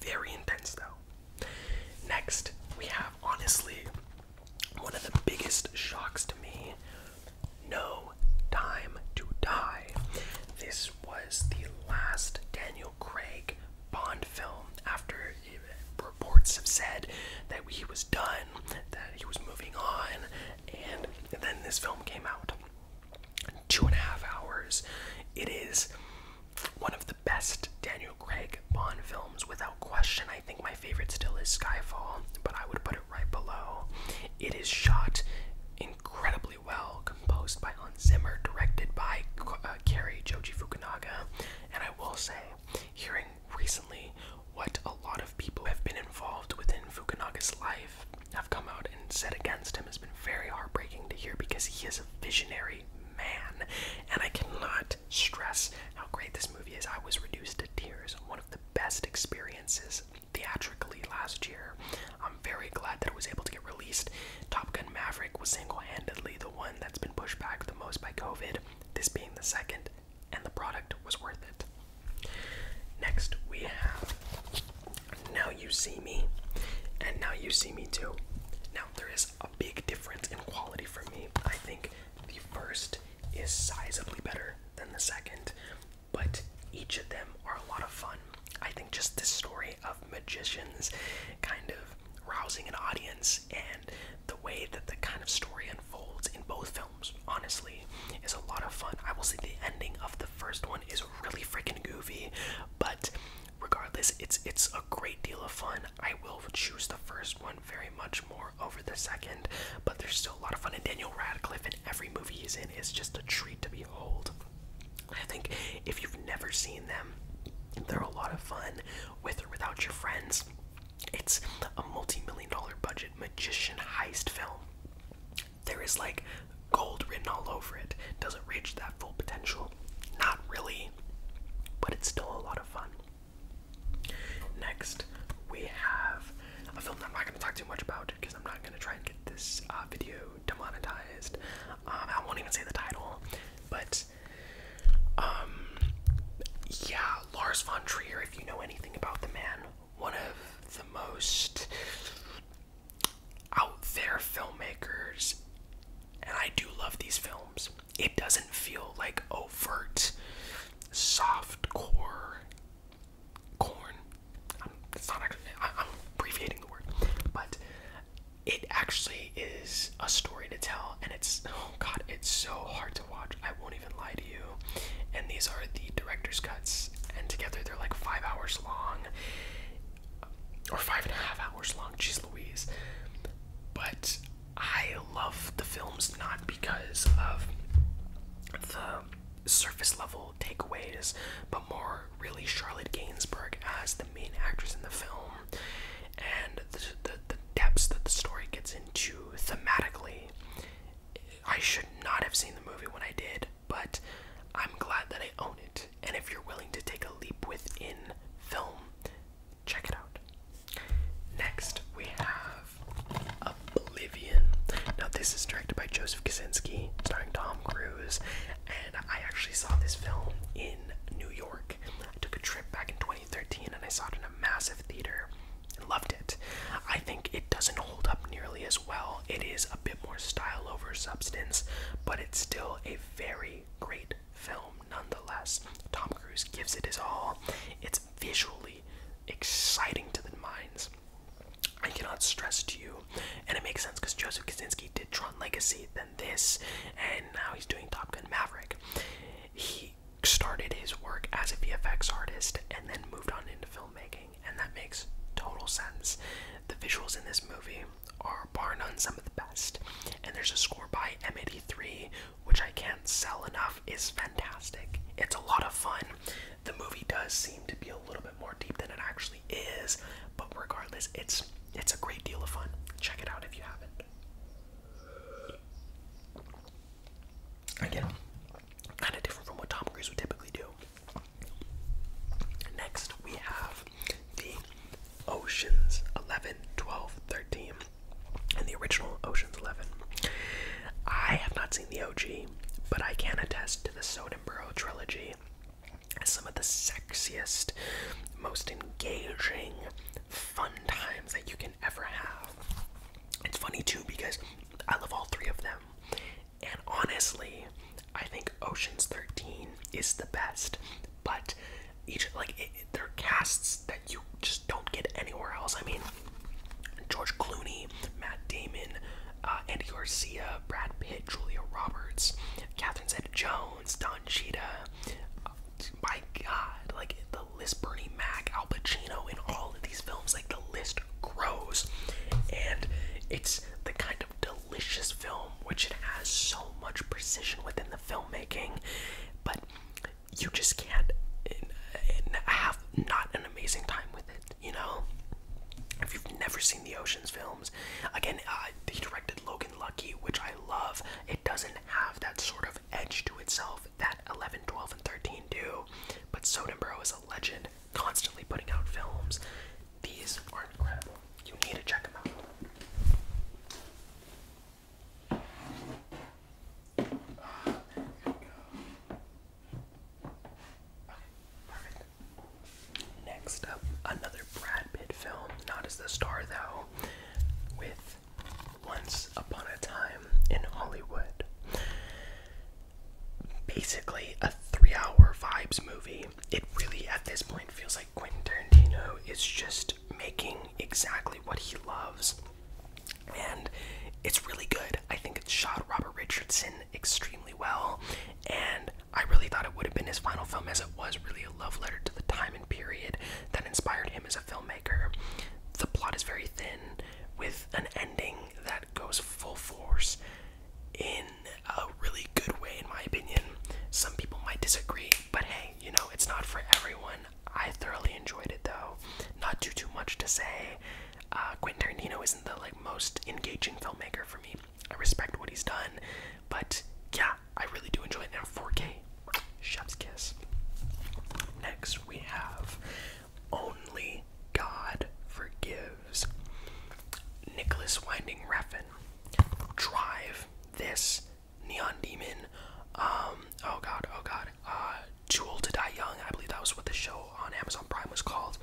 Very intense though. Next, we have honestly one of the biggest shocks to me No Time to Die. This was the last Daniel Craig Bond film after reports have said that he was done, that he was moving on, and then this film came out. Two and a half hours. It is one of the best Daniel Craig Bond films, without question. I think my favorite still is Skyfall, but I would put it right below. It is shot incredibly well, composed by Hans Zimmer, directed by uh, Kerry Joji Fukunaga, and I will say, hearing recently what a lot of people have been involved within Fukunaga's life have come out and said against him has been very heartbreaking to hear because he is a visionary man. And I cannot stress how great this movie is. I was reduced to tears. One of the best experiences theatrically last year. I'm very glad that it was able to get released. Top Gun Maverick was single handedly the one that's been pushed back the most by COVID, this being the second, and the product was worth it. Next, we have Now You See Me and Now You See Me Too. Now, there is a big difference in quality for me. I think the first is sizably better than the second, but each of them are a lot of fun. I think just the story of magicians kind of rousing an audience and the way that the kind of story unfolds in both films, honestly, is a lot of fun. I will say the ending of the first one is really freaking goofy, but regardless, it's it's a great deal of fun. I will choose the first one very much more over the second, but there's still a lot of fun. in Daniel Radcliffe and every movie he's in is just a treat to behold. I think if you've never seen them, they're a lot of fun with or without your friends. It's a multi-million dollar budget magician heist film. There is like gold written all over it. Does not reach that full potential? Not really but it's still a lot of fun. Next, we have a film that I'm not going to talk too much about because I'm not going to try and get this uh, video demonetized. Um, I won't even say the title, but um, yeah, Lars von Trier. If you know anything about the man, one of the most out there filmmakers and I do love these films. It doesn't feel like overt, soft core corn. it's not actually, I'm abbreviating the word, but it actually is a story to tell, and it's oh god, it's so hard to watch. I won't even lie to you. And these are the director's cuts, and together they're like five hours long or five and a half hours long. Jeez Louise. But I love the films not because of the surface level takeaways, but more really Charlotte Gainsbourg as the main actress in the film and the, the depths that the story gets into thematically. I should not have seen the movie when I did, but I'm glad that I own it. And if you're willing to take a leap within film, check it out. Next, we have Oblivion. Now, this is directed by Joseph Kaczynski, starring Tom Cruise. And I actually saw this film in New York. I took a trip back in 2013 and I saw it in a massive theater and loved it. I think it doesn't hold up nearly as well. It is a bit more style over substance, but it's still a very great film nonetheless. Tom Cruise gives it his all. It's visually exciting to the minds. I cannot stress to you, and it makes sense because Joseph Kaczynski did Tron Legacy, then this, and now he's doing Top Gun Maverick. He started his work as a VFX artist and then moved on into filmmaking, and that makes total sense. The visuals in this movie are bar some of the best. And there's a score by M83, which I can't sell enough, is fantastic. It's a lot of fun. The movie does seem to be a little bit more deep than it actually is, but regardless, it's it's a great deal of fun. Check it out if you haven't. Again, kind of different from what Tom Cruise would typically do. Next, we have the Oceans 11, 12, 13, and the original Oceans 11. I have not seen the OG, but I can attest to the Sodenborough trilogy as some of the sexiest, most engaging, fun times that you can ever have. It's funny too because I love all three of them. And honestly, I think Ocean's 13 is the best, but each like it, they're casts that you just don't get anywhere else. I mean, George Clooney, Matt Damon, uh, Andy Garcia, Brad Pitt, Julia Roberts, Catherine Zeta-Jones, Don Cheetah. my God, like the list, Bernie Mac, Al Pacino, in all of these films, like the list grows, and it's the kind of delicious film which it has so much precision within filmmaking, but you just can't have not an amazing time with it, you know? If you've never seen the Ocean's films, again, uh, he directed Logan Lucky, which I love. It doesn't have that sort of edge to itself that 11, 12, and 13 do, but Soderbergh is a legend, constantly putting out films. These are incredible. You need to check them out. Next up, another Brad Pitt film, not as the star though, with Once Upon a Time in Hollywood. Basically, a three hour vibes movie. It really, at this point, feels like like Quentin Tarantino is just making exactly what he loves. And it's really good. I think it's shot Robert Richardson extremely well. And I really thought it would have been his final film, as it was really a love letter to the time and period that inspired him as a filmmaker. The plot is very thin, with an ending that goes full force in a really good way, in my opinion. Some people might disagree, but hey, you know, it's not for everyone. I thoroughly enjoyed it though. Not do too much to say. Uh, Quentin Tarantino isn't the like most engaging filmmaker for me. I respect what he's done, but yeah, I really do enjoy it now. 4K, chef's kiss. Next we have Only God Forgives. Nicholas Winding Refn. Drive. This Neon Demon, um, oh god, oh god, uh, Jewel to Die Young, I believe that was what the show on Amazon Prime was called.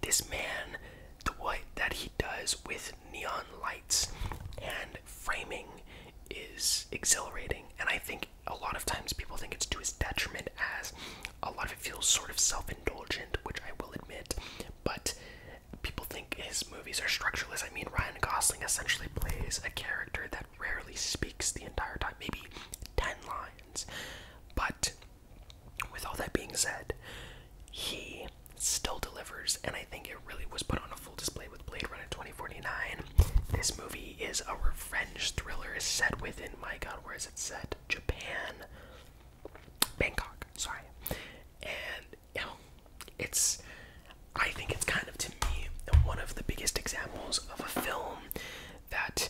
This man, the way that he does with neon lights and framing is exhilarating, and I think a lot of times people think it's to his detriment as a lot of it feels sort of self indulgent, which I will admit, but people think his movies are structureless. I mean, Ryan Gosling essentially plays a character that rarely speaks the entire time, maybe 10 lines. But with all that being said, he still delivers, and I think it really was put on a full display with Blade Runner 2049. This movie is a revenge thriller is set within, my god, where is it set? Japan. Bangkok, sorry. And you know, it's I think it's kind of to me one of the biggest examples of a film that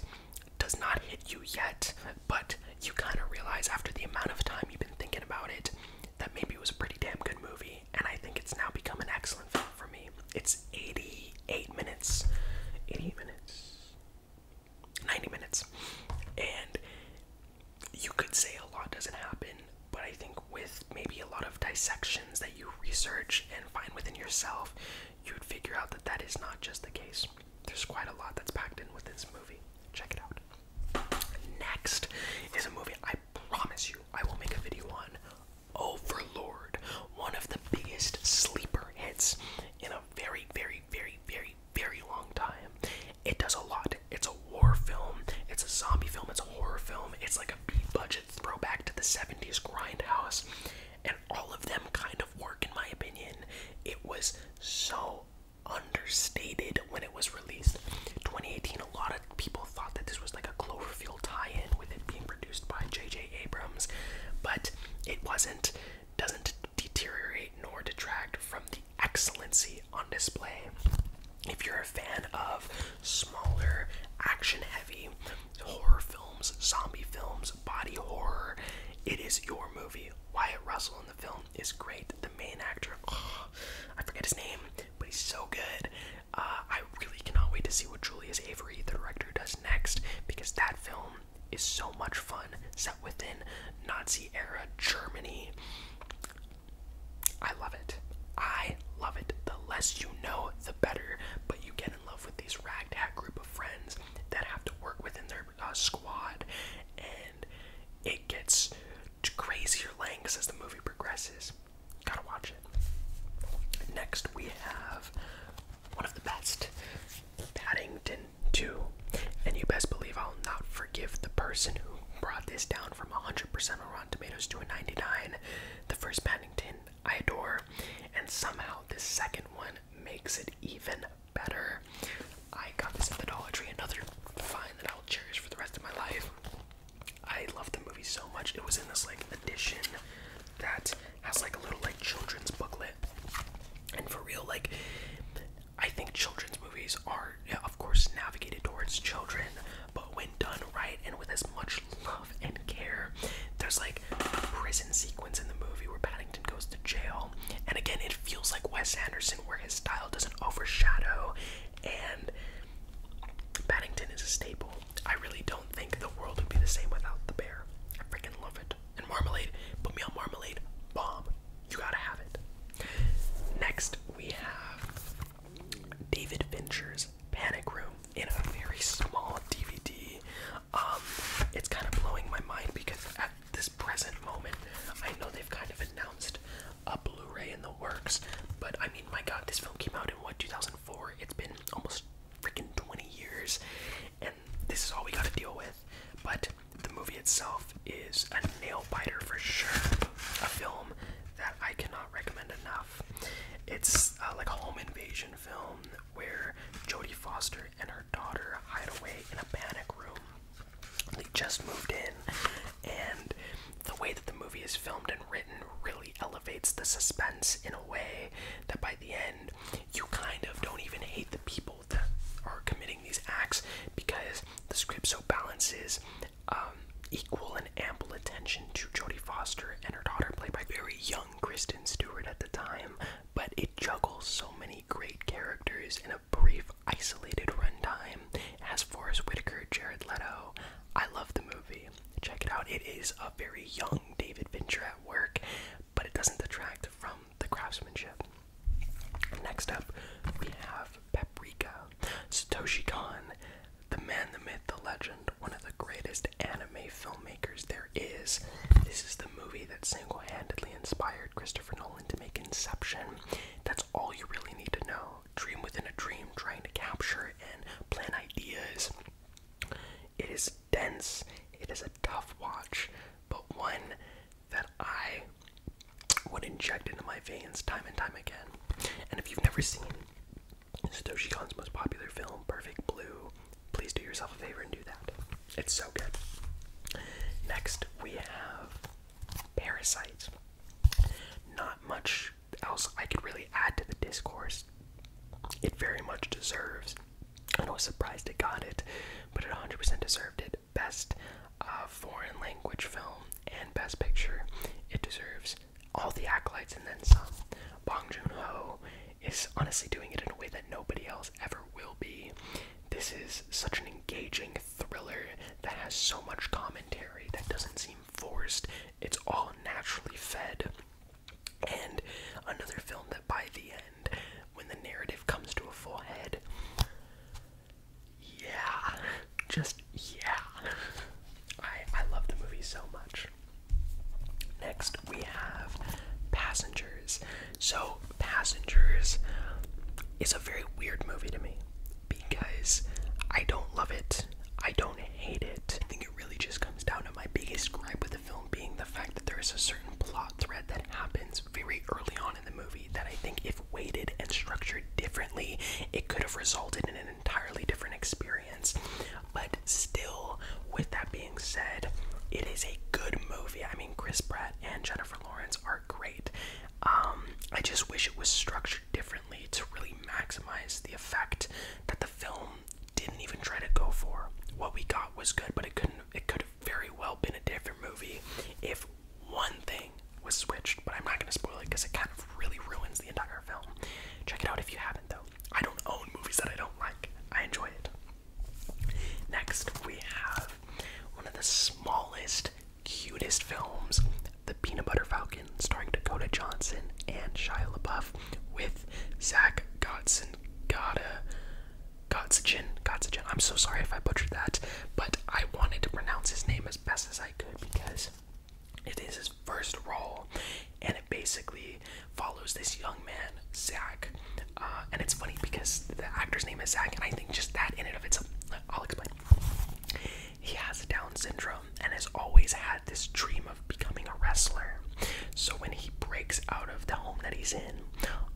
does not hit you yet, but you kind of realize after the amount of time you've been thinking about it that maybe it was a pretty damn good movie, and I think it's now become an excellent film for me. It's 88 minutes, eighty minutes, 90 minutes, and you could say a lot doesn't happen, but I think with maybe a lot of dissections that you research and find within yourself, you'd figure out that that is not just the case. There's quite a lot that's packed in with this movie. Check it out. Next is a movie I promise you I will make a video on Overlord, one of the biggest sleeper hits in a very, very, very, very, very long time. It does a lot. It's a war film, it's a zombie film, it's a horror film, it's like a B budget throwback to the 70s grindhouse, and all of them kind of work in my opinion. It was so understated when it was released. 2018, a lot of people thought that this was like a Cloverfield tie-in with it being produced by J.J. Abrams, but it wasn't. Doesn't deteriorate nor detract from the excellency on display if you're a fan of smaller, action heavy horror films, zombie films, body horror, it is your movie. Wyatt Russell in the film is great. The main actor, I forget his name, but he's so good. Uh, I really cannot wait to see what Julius Avery, the director, does next because that film is so much fun. Set within Nazi era Germany. I love it. I love it. The less you know, the better. But you get in love with these ragtag group of friends that have to work within their uh, squad, and it gets crazier lengths as the movie progresses. Gotta watch it. Next, we have one of the best, Paddington 2. And you best believe I'll not forgive the person who brought this down from 100% of Rotten Tomatoes to a 99. The first Paddington I adore, and somehow this second one makes it even better. I got this at the Dollar Tree, another find that I'll cherish for the rest of my life. I love the movie so much. It was in this like edition that has like a little like children's booklet. And for real, like I think children's movies are, yeah, of course, navigated towards children, but when done right and with as much love and care. There's like a prison sequence in the movie where Paddington goes to jail, and again, it feels like Wes Anderson, where his style doesn't overshadow, and Paddington is a staple. I really don't think the world would be the same without the bear. I freaking love it. And marmalade, put me on marmalade, bomb. You gotta have it. Next, we have David Fincher's Panic Room in a very small DVD. Um, it's kind of blowing my mind because at this present moment, I know they've kind of announced a Blu-ray in the works, but I mean, my God, this film came out in what 2004. It's been almost freaking 20 years, and this is all we got to deal with. But the movie itself is a nail biter for sure. A film that I cannot recommend enough. It's uh, like a home invasion film where Jodie Foster and her daughter hide away in a panic room. They just moved in, and the way that the movie is filmed and written really elevates the suspense in a way that by the end you kind of don't even hate the people that are committing these acts because the script so balances um, equal and ample attention to Jodie Foster and her daughter, played by very young Kristen Stewart at the time, but it juggles so many great characters in a brief, isolated runtime. As Forrest Whitaker, Jared Leto, I love the movie. Check it out. It is a very young David Fincher at work, but it doesn't detract from the craftsmanship. Next up, we have Paprika, Satoshi Kon, the man, the myth, the legend, one of the greatest anime filmmakers there is. This is the movie that single handedly inspired Christopher Nolan to make Inception. That's all you really need to know. Dream within a dream, trying to capture and plan ideas. It is dense, it is a tough watch, but one that I would inject into my veins time and time again. And if you've never seen Satoshi Kon's most popular film, Perfect Blue. Please do yourself a favor and do that. It's so good. Next, we have Parasite. Not much else I could really add to the discourse. It very much deserves, I was surprised it got it, but it 100% deserved it. Best uh, foreign language film and best picture. It deserves all the acolytes and then some. Bong Joon Ho is honestly doing it in a way that nobody else ever will be. This is such an engaging thriller that has so much commentary that doesn't seem forced. It's all naturally fed. And another film that by the end, when the narrative comes to a full head, yeah, just yeah. I I love the movie so much. Next we have Passengers. So Passengers is a very weird movie to me because I don't love it. I don't hate it. I think it really just comes down to my biggest gripe with the film being the fact that there is a certain plot thread that happens very early on in the movie that I think if weighted and structured differently, it could have resulted in an entirely different experience. But still, with that being said, it is a good movie. I mean, Chris Pratt and Jennifer Lawrence are great. Um, I just wish it was structured differently to really maximize the effect that the film didn't even try to go for. What we got was good, but it couldn't. It could have very well been a different movie if one thing was switched. But I'm not going to spoil it because it kind of really ruins the entire film. Check it out if you haven't, though. I don't own movies that I don't like. I enjoy it. Next, we have one of the smallest, cutest films, The Peanut Butter Falcon, starring Dakota Johnson and Shia LaBeouf, with Zach Godson, Gotta, Godsachin, Godsachin. I'm so sorry if I butchered that, but I wanted to pronounce his name as best as I could because it is his first role and it basically follows this young man zach uh, and it's funny because the actor's name is zach and i think just that in and of itself i'll explain he has down syndrome and has always had this dream of becoming a wrestler so when he breaks out of the home that he's in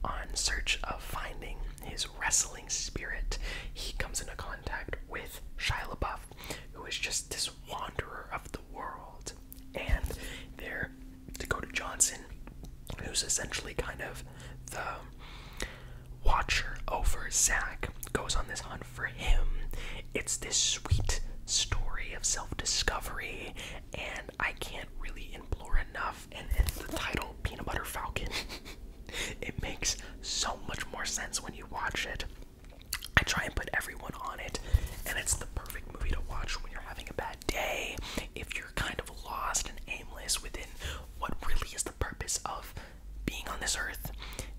on search of finding his wrestling spirit he comes into contact with Shia LaBeouf, Olaf, who is just this wanderer of the world. And there, Dakota Johnson, who's essentially kind of the watcher over Zach, goes on this hunt for him. It's this sweet story of self discovery, and I can't really implore enough. And, and the title, Peanut Butter Falcon, it makes so much more sense when you watch it. I try and put everyone on it, and it's the perfect movie to watch when you're having a bad day, if you're kind of lost and aimless within what really is the purpose of being on this earth.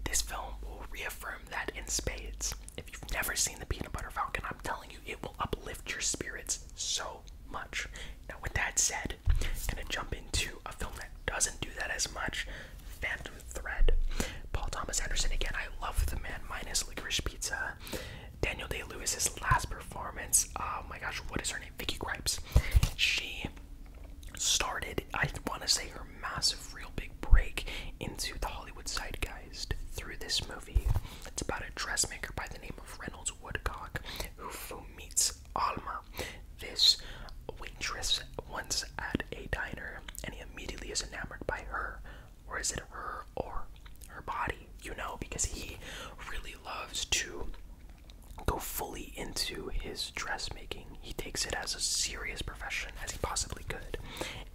This film will reaffirm that in spades. If you've never seen The Peanut Butter Falcon, I'm telling you, it will uplift your spirits so much. Now, with that said, I'm gonna jump into a film that doesn't do that as much Phantom thread. Paul Thomas Anderson again. I love the man minus licorice pizza. Daniel Day Lewis's last performance. Oh my gosh, what is her name? Vicky Gripes. She started, I want to say, her massive, real big break into the Hollywood zeitgeist through this movie. It's about a dressmaker by the name of Reynolds Woodcock who meets Alma, this waitress once at a diner, and he immediately is enamored by her or is it her or her body? You know, because he really loves to go fully into his dressmaking. He takes it as a serious profession as he possibly could.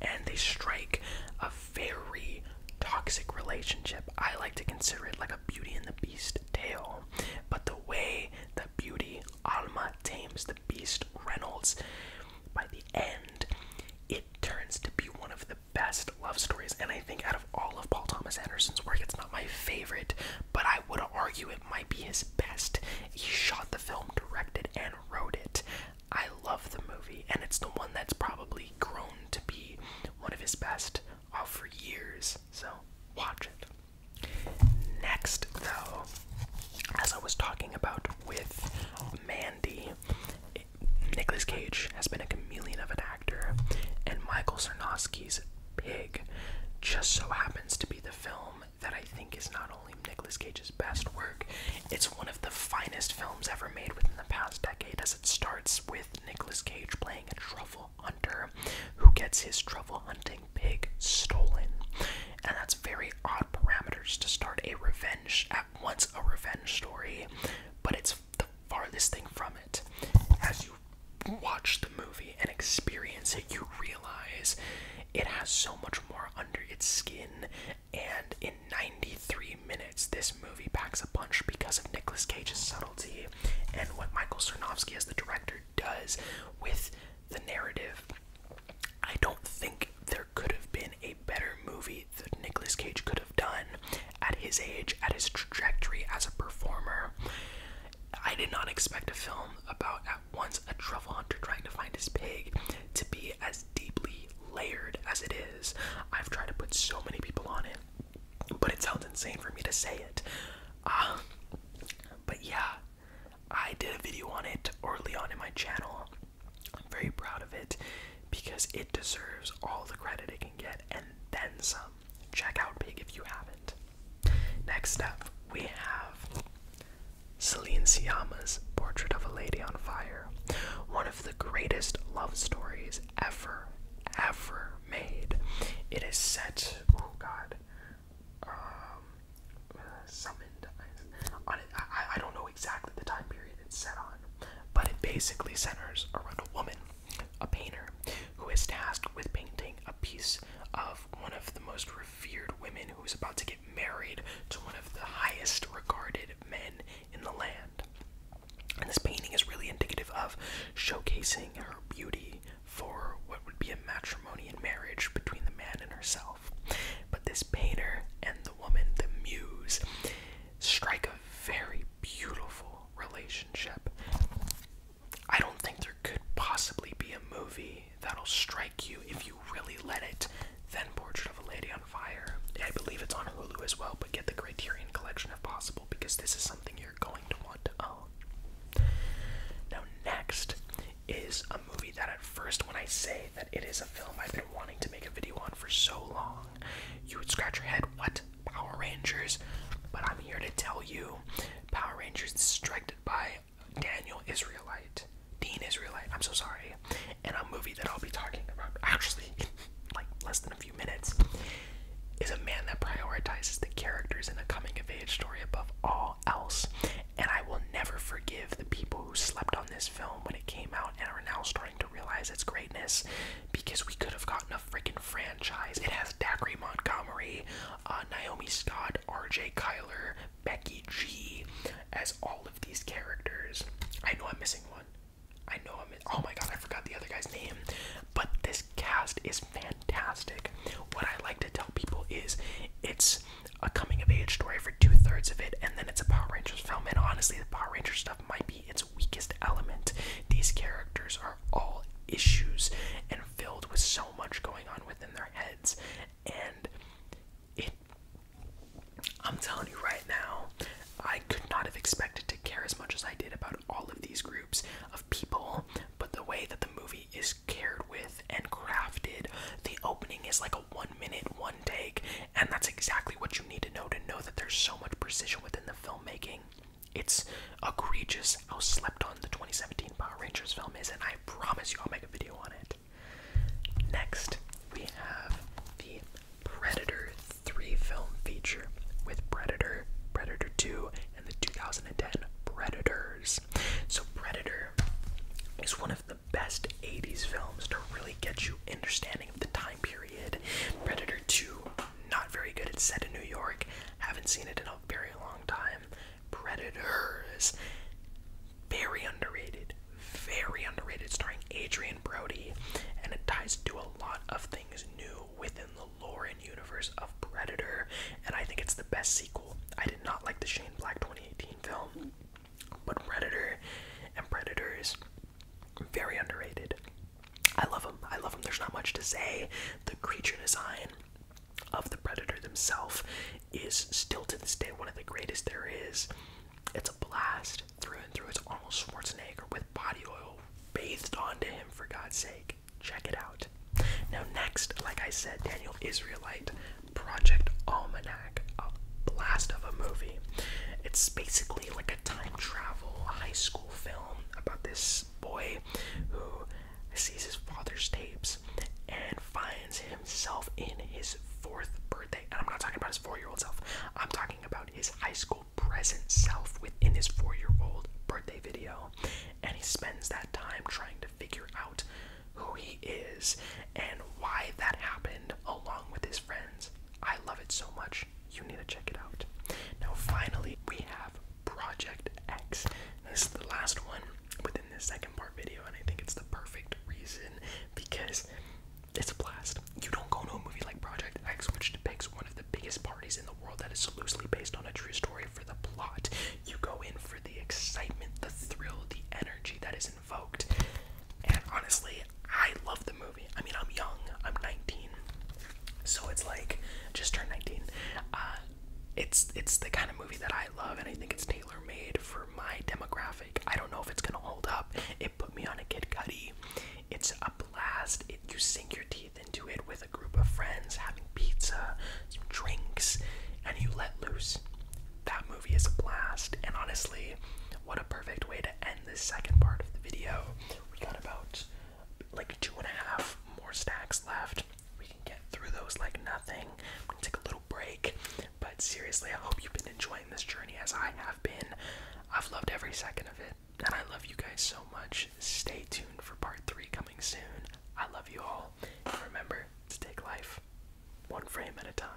And they strike a very toxic relationship. I like to consider it like a Beauty and the Beast tale. But the way that Beauty, Alma, tames the. Beast Reynolds. By the end, it turns to be one of the best love stories, and I think out of all of Paul Thomas Anderson's work, it's not my favorite, but I would argue it might be his best. He shot the film, directed, and wrote it. I love the movie, and it's the one that's probably grown to be one of his best uh, for years, so watch it. Next, though, as I was talking about with Man Mandy. Nicolas Cage has been a chameleon of an actor, and Michael Sarnowski's Pig just so happens to be the film that I think is not only Nicolas Cage's best work, it's one of the finest films ever made within the past decade, as it starts with Nicolas Cage playing a truffle hunter who gets his truffle hunting pig stolen. And that's very odd parameters to start a revenge at once a revenge story, but it's the farthest thing from it. As you watch the movie and experience it, you realize it has so much more under its skin. And in 93 minutes, this movie packs a punch because of Nicolas Cage's subtlety and what Michael Cernovsky, as the director, does with the narrative I don't think there could have been a better movie that Nicolas Cage could have done at his age, at his trajectory as a performer. I did not expect a film about at once a truffle hunter trying to find his pig to be as deeply layered as it is. I've tried to put so many people on it, but it sounds insane for me to say it. Ah, but yeah, I did a video on it early on in my channel. I'm very proud of it because it deserves all the credit it can get and then some. Check out Big if you haven't. Next up, we have Celine Siama's Portrait of a Lady on Fire, one of the greatest love stories ever, ever made. It is set, oh god, um, I, don't know exactly the time period it's set on, but it basically centers around a woman, a painter, who is tasked with painting a piece of one of the most revered women who is about to get married to one of the highest regarded men in the land. And this painting is really indicative of showcasing her beauty for what would be a matrimony and marriage between the man and herself. But this painter and the woman, the muse, strike a very beautiful relationship. I don't think there could possibly be a movie that'll strike you if you really let it Then, Portrait of a Lady on Fire. I believe it's on Hulu as well, but get the Criterion Collection if possible because this is something you're going to want to own. Now, next is a movie that at first, when I say that it is a film I've been wanting to make a video on for so long. You would scratch your head, what? Power Rangers? But I'm here to tell you Power Rangers directed by Daniel Israelite. Dean Israelite, I'm so sorry. And a movie that I'll be talking about actually like less than a few minutes is a man that prioritizes the characters in a coming of age story above all else. And I will never forgive the people who slept on this film when it came out and are now starting to realize its greatness because we could have gotten a freaking franchise. It has Dacre Montgomery, uh, Naomi Scott, RJ Kyler, Becky G as all of these characters. I know I'm missing one. I know I'm. Oh my god, I forgot the other guy's name. But this cast is fantastic. What I like to tell people is it's a coming of age story for two thirds of it, and then it's a Power Rangers film. And honestly, the Power Rangers stuff might be its weakest element. These characters are all issues and filled with so much going on within their heads, and I'm telling you right now, I could not have expected to care as much as I did about all of these groups of people, but the way that the movie is cared with and crafted, the opening is like a one minute, one take, and that's exactly what you need to know to know that there's so much precision within the filmmaking. It's egregious how slept on the 2017 Power Rangers film is, and I promise you I'll make a video on it. Next, we have the Predator 3 film feature with Predator, Predator 2, and the 2010 Predators. So, Predator is one of the best 80s films to really get you understanding of the time period. Predator 2, not very good. It's set in New York. Haven't seen it in a very long time. Predators, very underrated. Very underrated, starring Adrian Brody, and it ties to a lot of things new within the lore and universe of Predator. And I think it's the best sequel. I did not like the Shane Black 2018 film. But Predator and Predators, very underrated. I love them. I love them. There's not much to say. The creature design of the Predator themselves is still to this day one of the greatest there is. It's a blast through and through. It's Arnold Schwarzenegger with body oil bathed onto him, for God's sake. Check it out. Now, next, like I said, Daniel Israelite Project Almanac a blast of a movie. It's basically like a time travel high school film about this boy who sees his father's tapes and finds himself in his fourth birthday. And I'm not talking about his four year old self, I'm talking about his high school present self within his four year old birthday video. And he spends that time trying to figure out who he is and why that happened along with his friends. I love it so much. You need to check it out. Now, finally, we have Project X. This is the last one within this second part video, and I think it's the perfect reason because it's a blast. You don't go to a movie like Project X, which depicts one of the biggest parties in the world that is loosely based on a true story for the plot. You go in for the excitement, the thrill, the energy that is invoked. And honestly, I love the movie. I mean, I'm young, I'm 19. So it's like just turned 19. Uh, it's it's the kind of movie that I love, and I think it's tailor made for my demographic. I don't know if it's gonna hold up. It put me on a Kid Cudi. It's a blast. It, you sink your teeth into it with a group of friends, having pizza, some drinks, and you let loose. That movie is a blast. And honestly, what a perfect way to end this second part of the video. We got about like two and a half more stacks left. We can get through those like nothing. We take a little break. But seriously, I hope you've been enjoying this journey as I have been. I've loved every second of it. And I love you guys so much. Stay tuned for part three coming soon. I love you all. And remember to take life one frame at a time.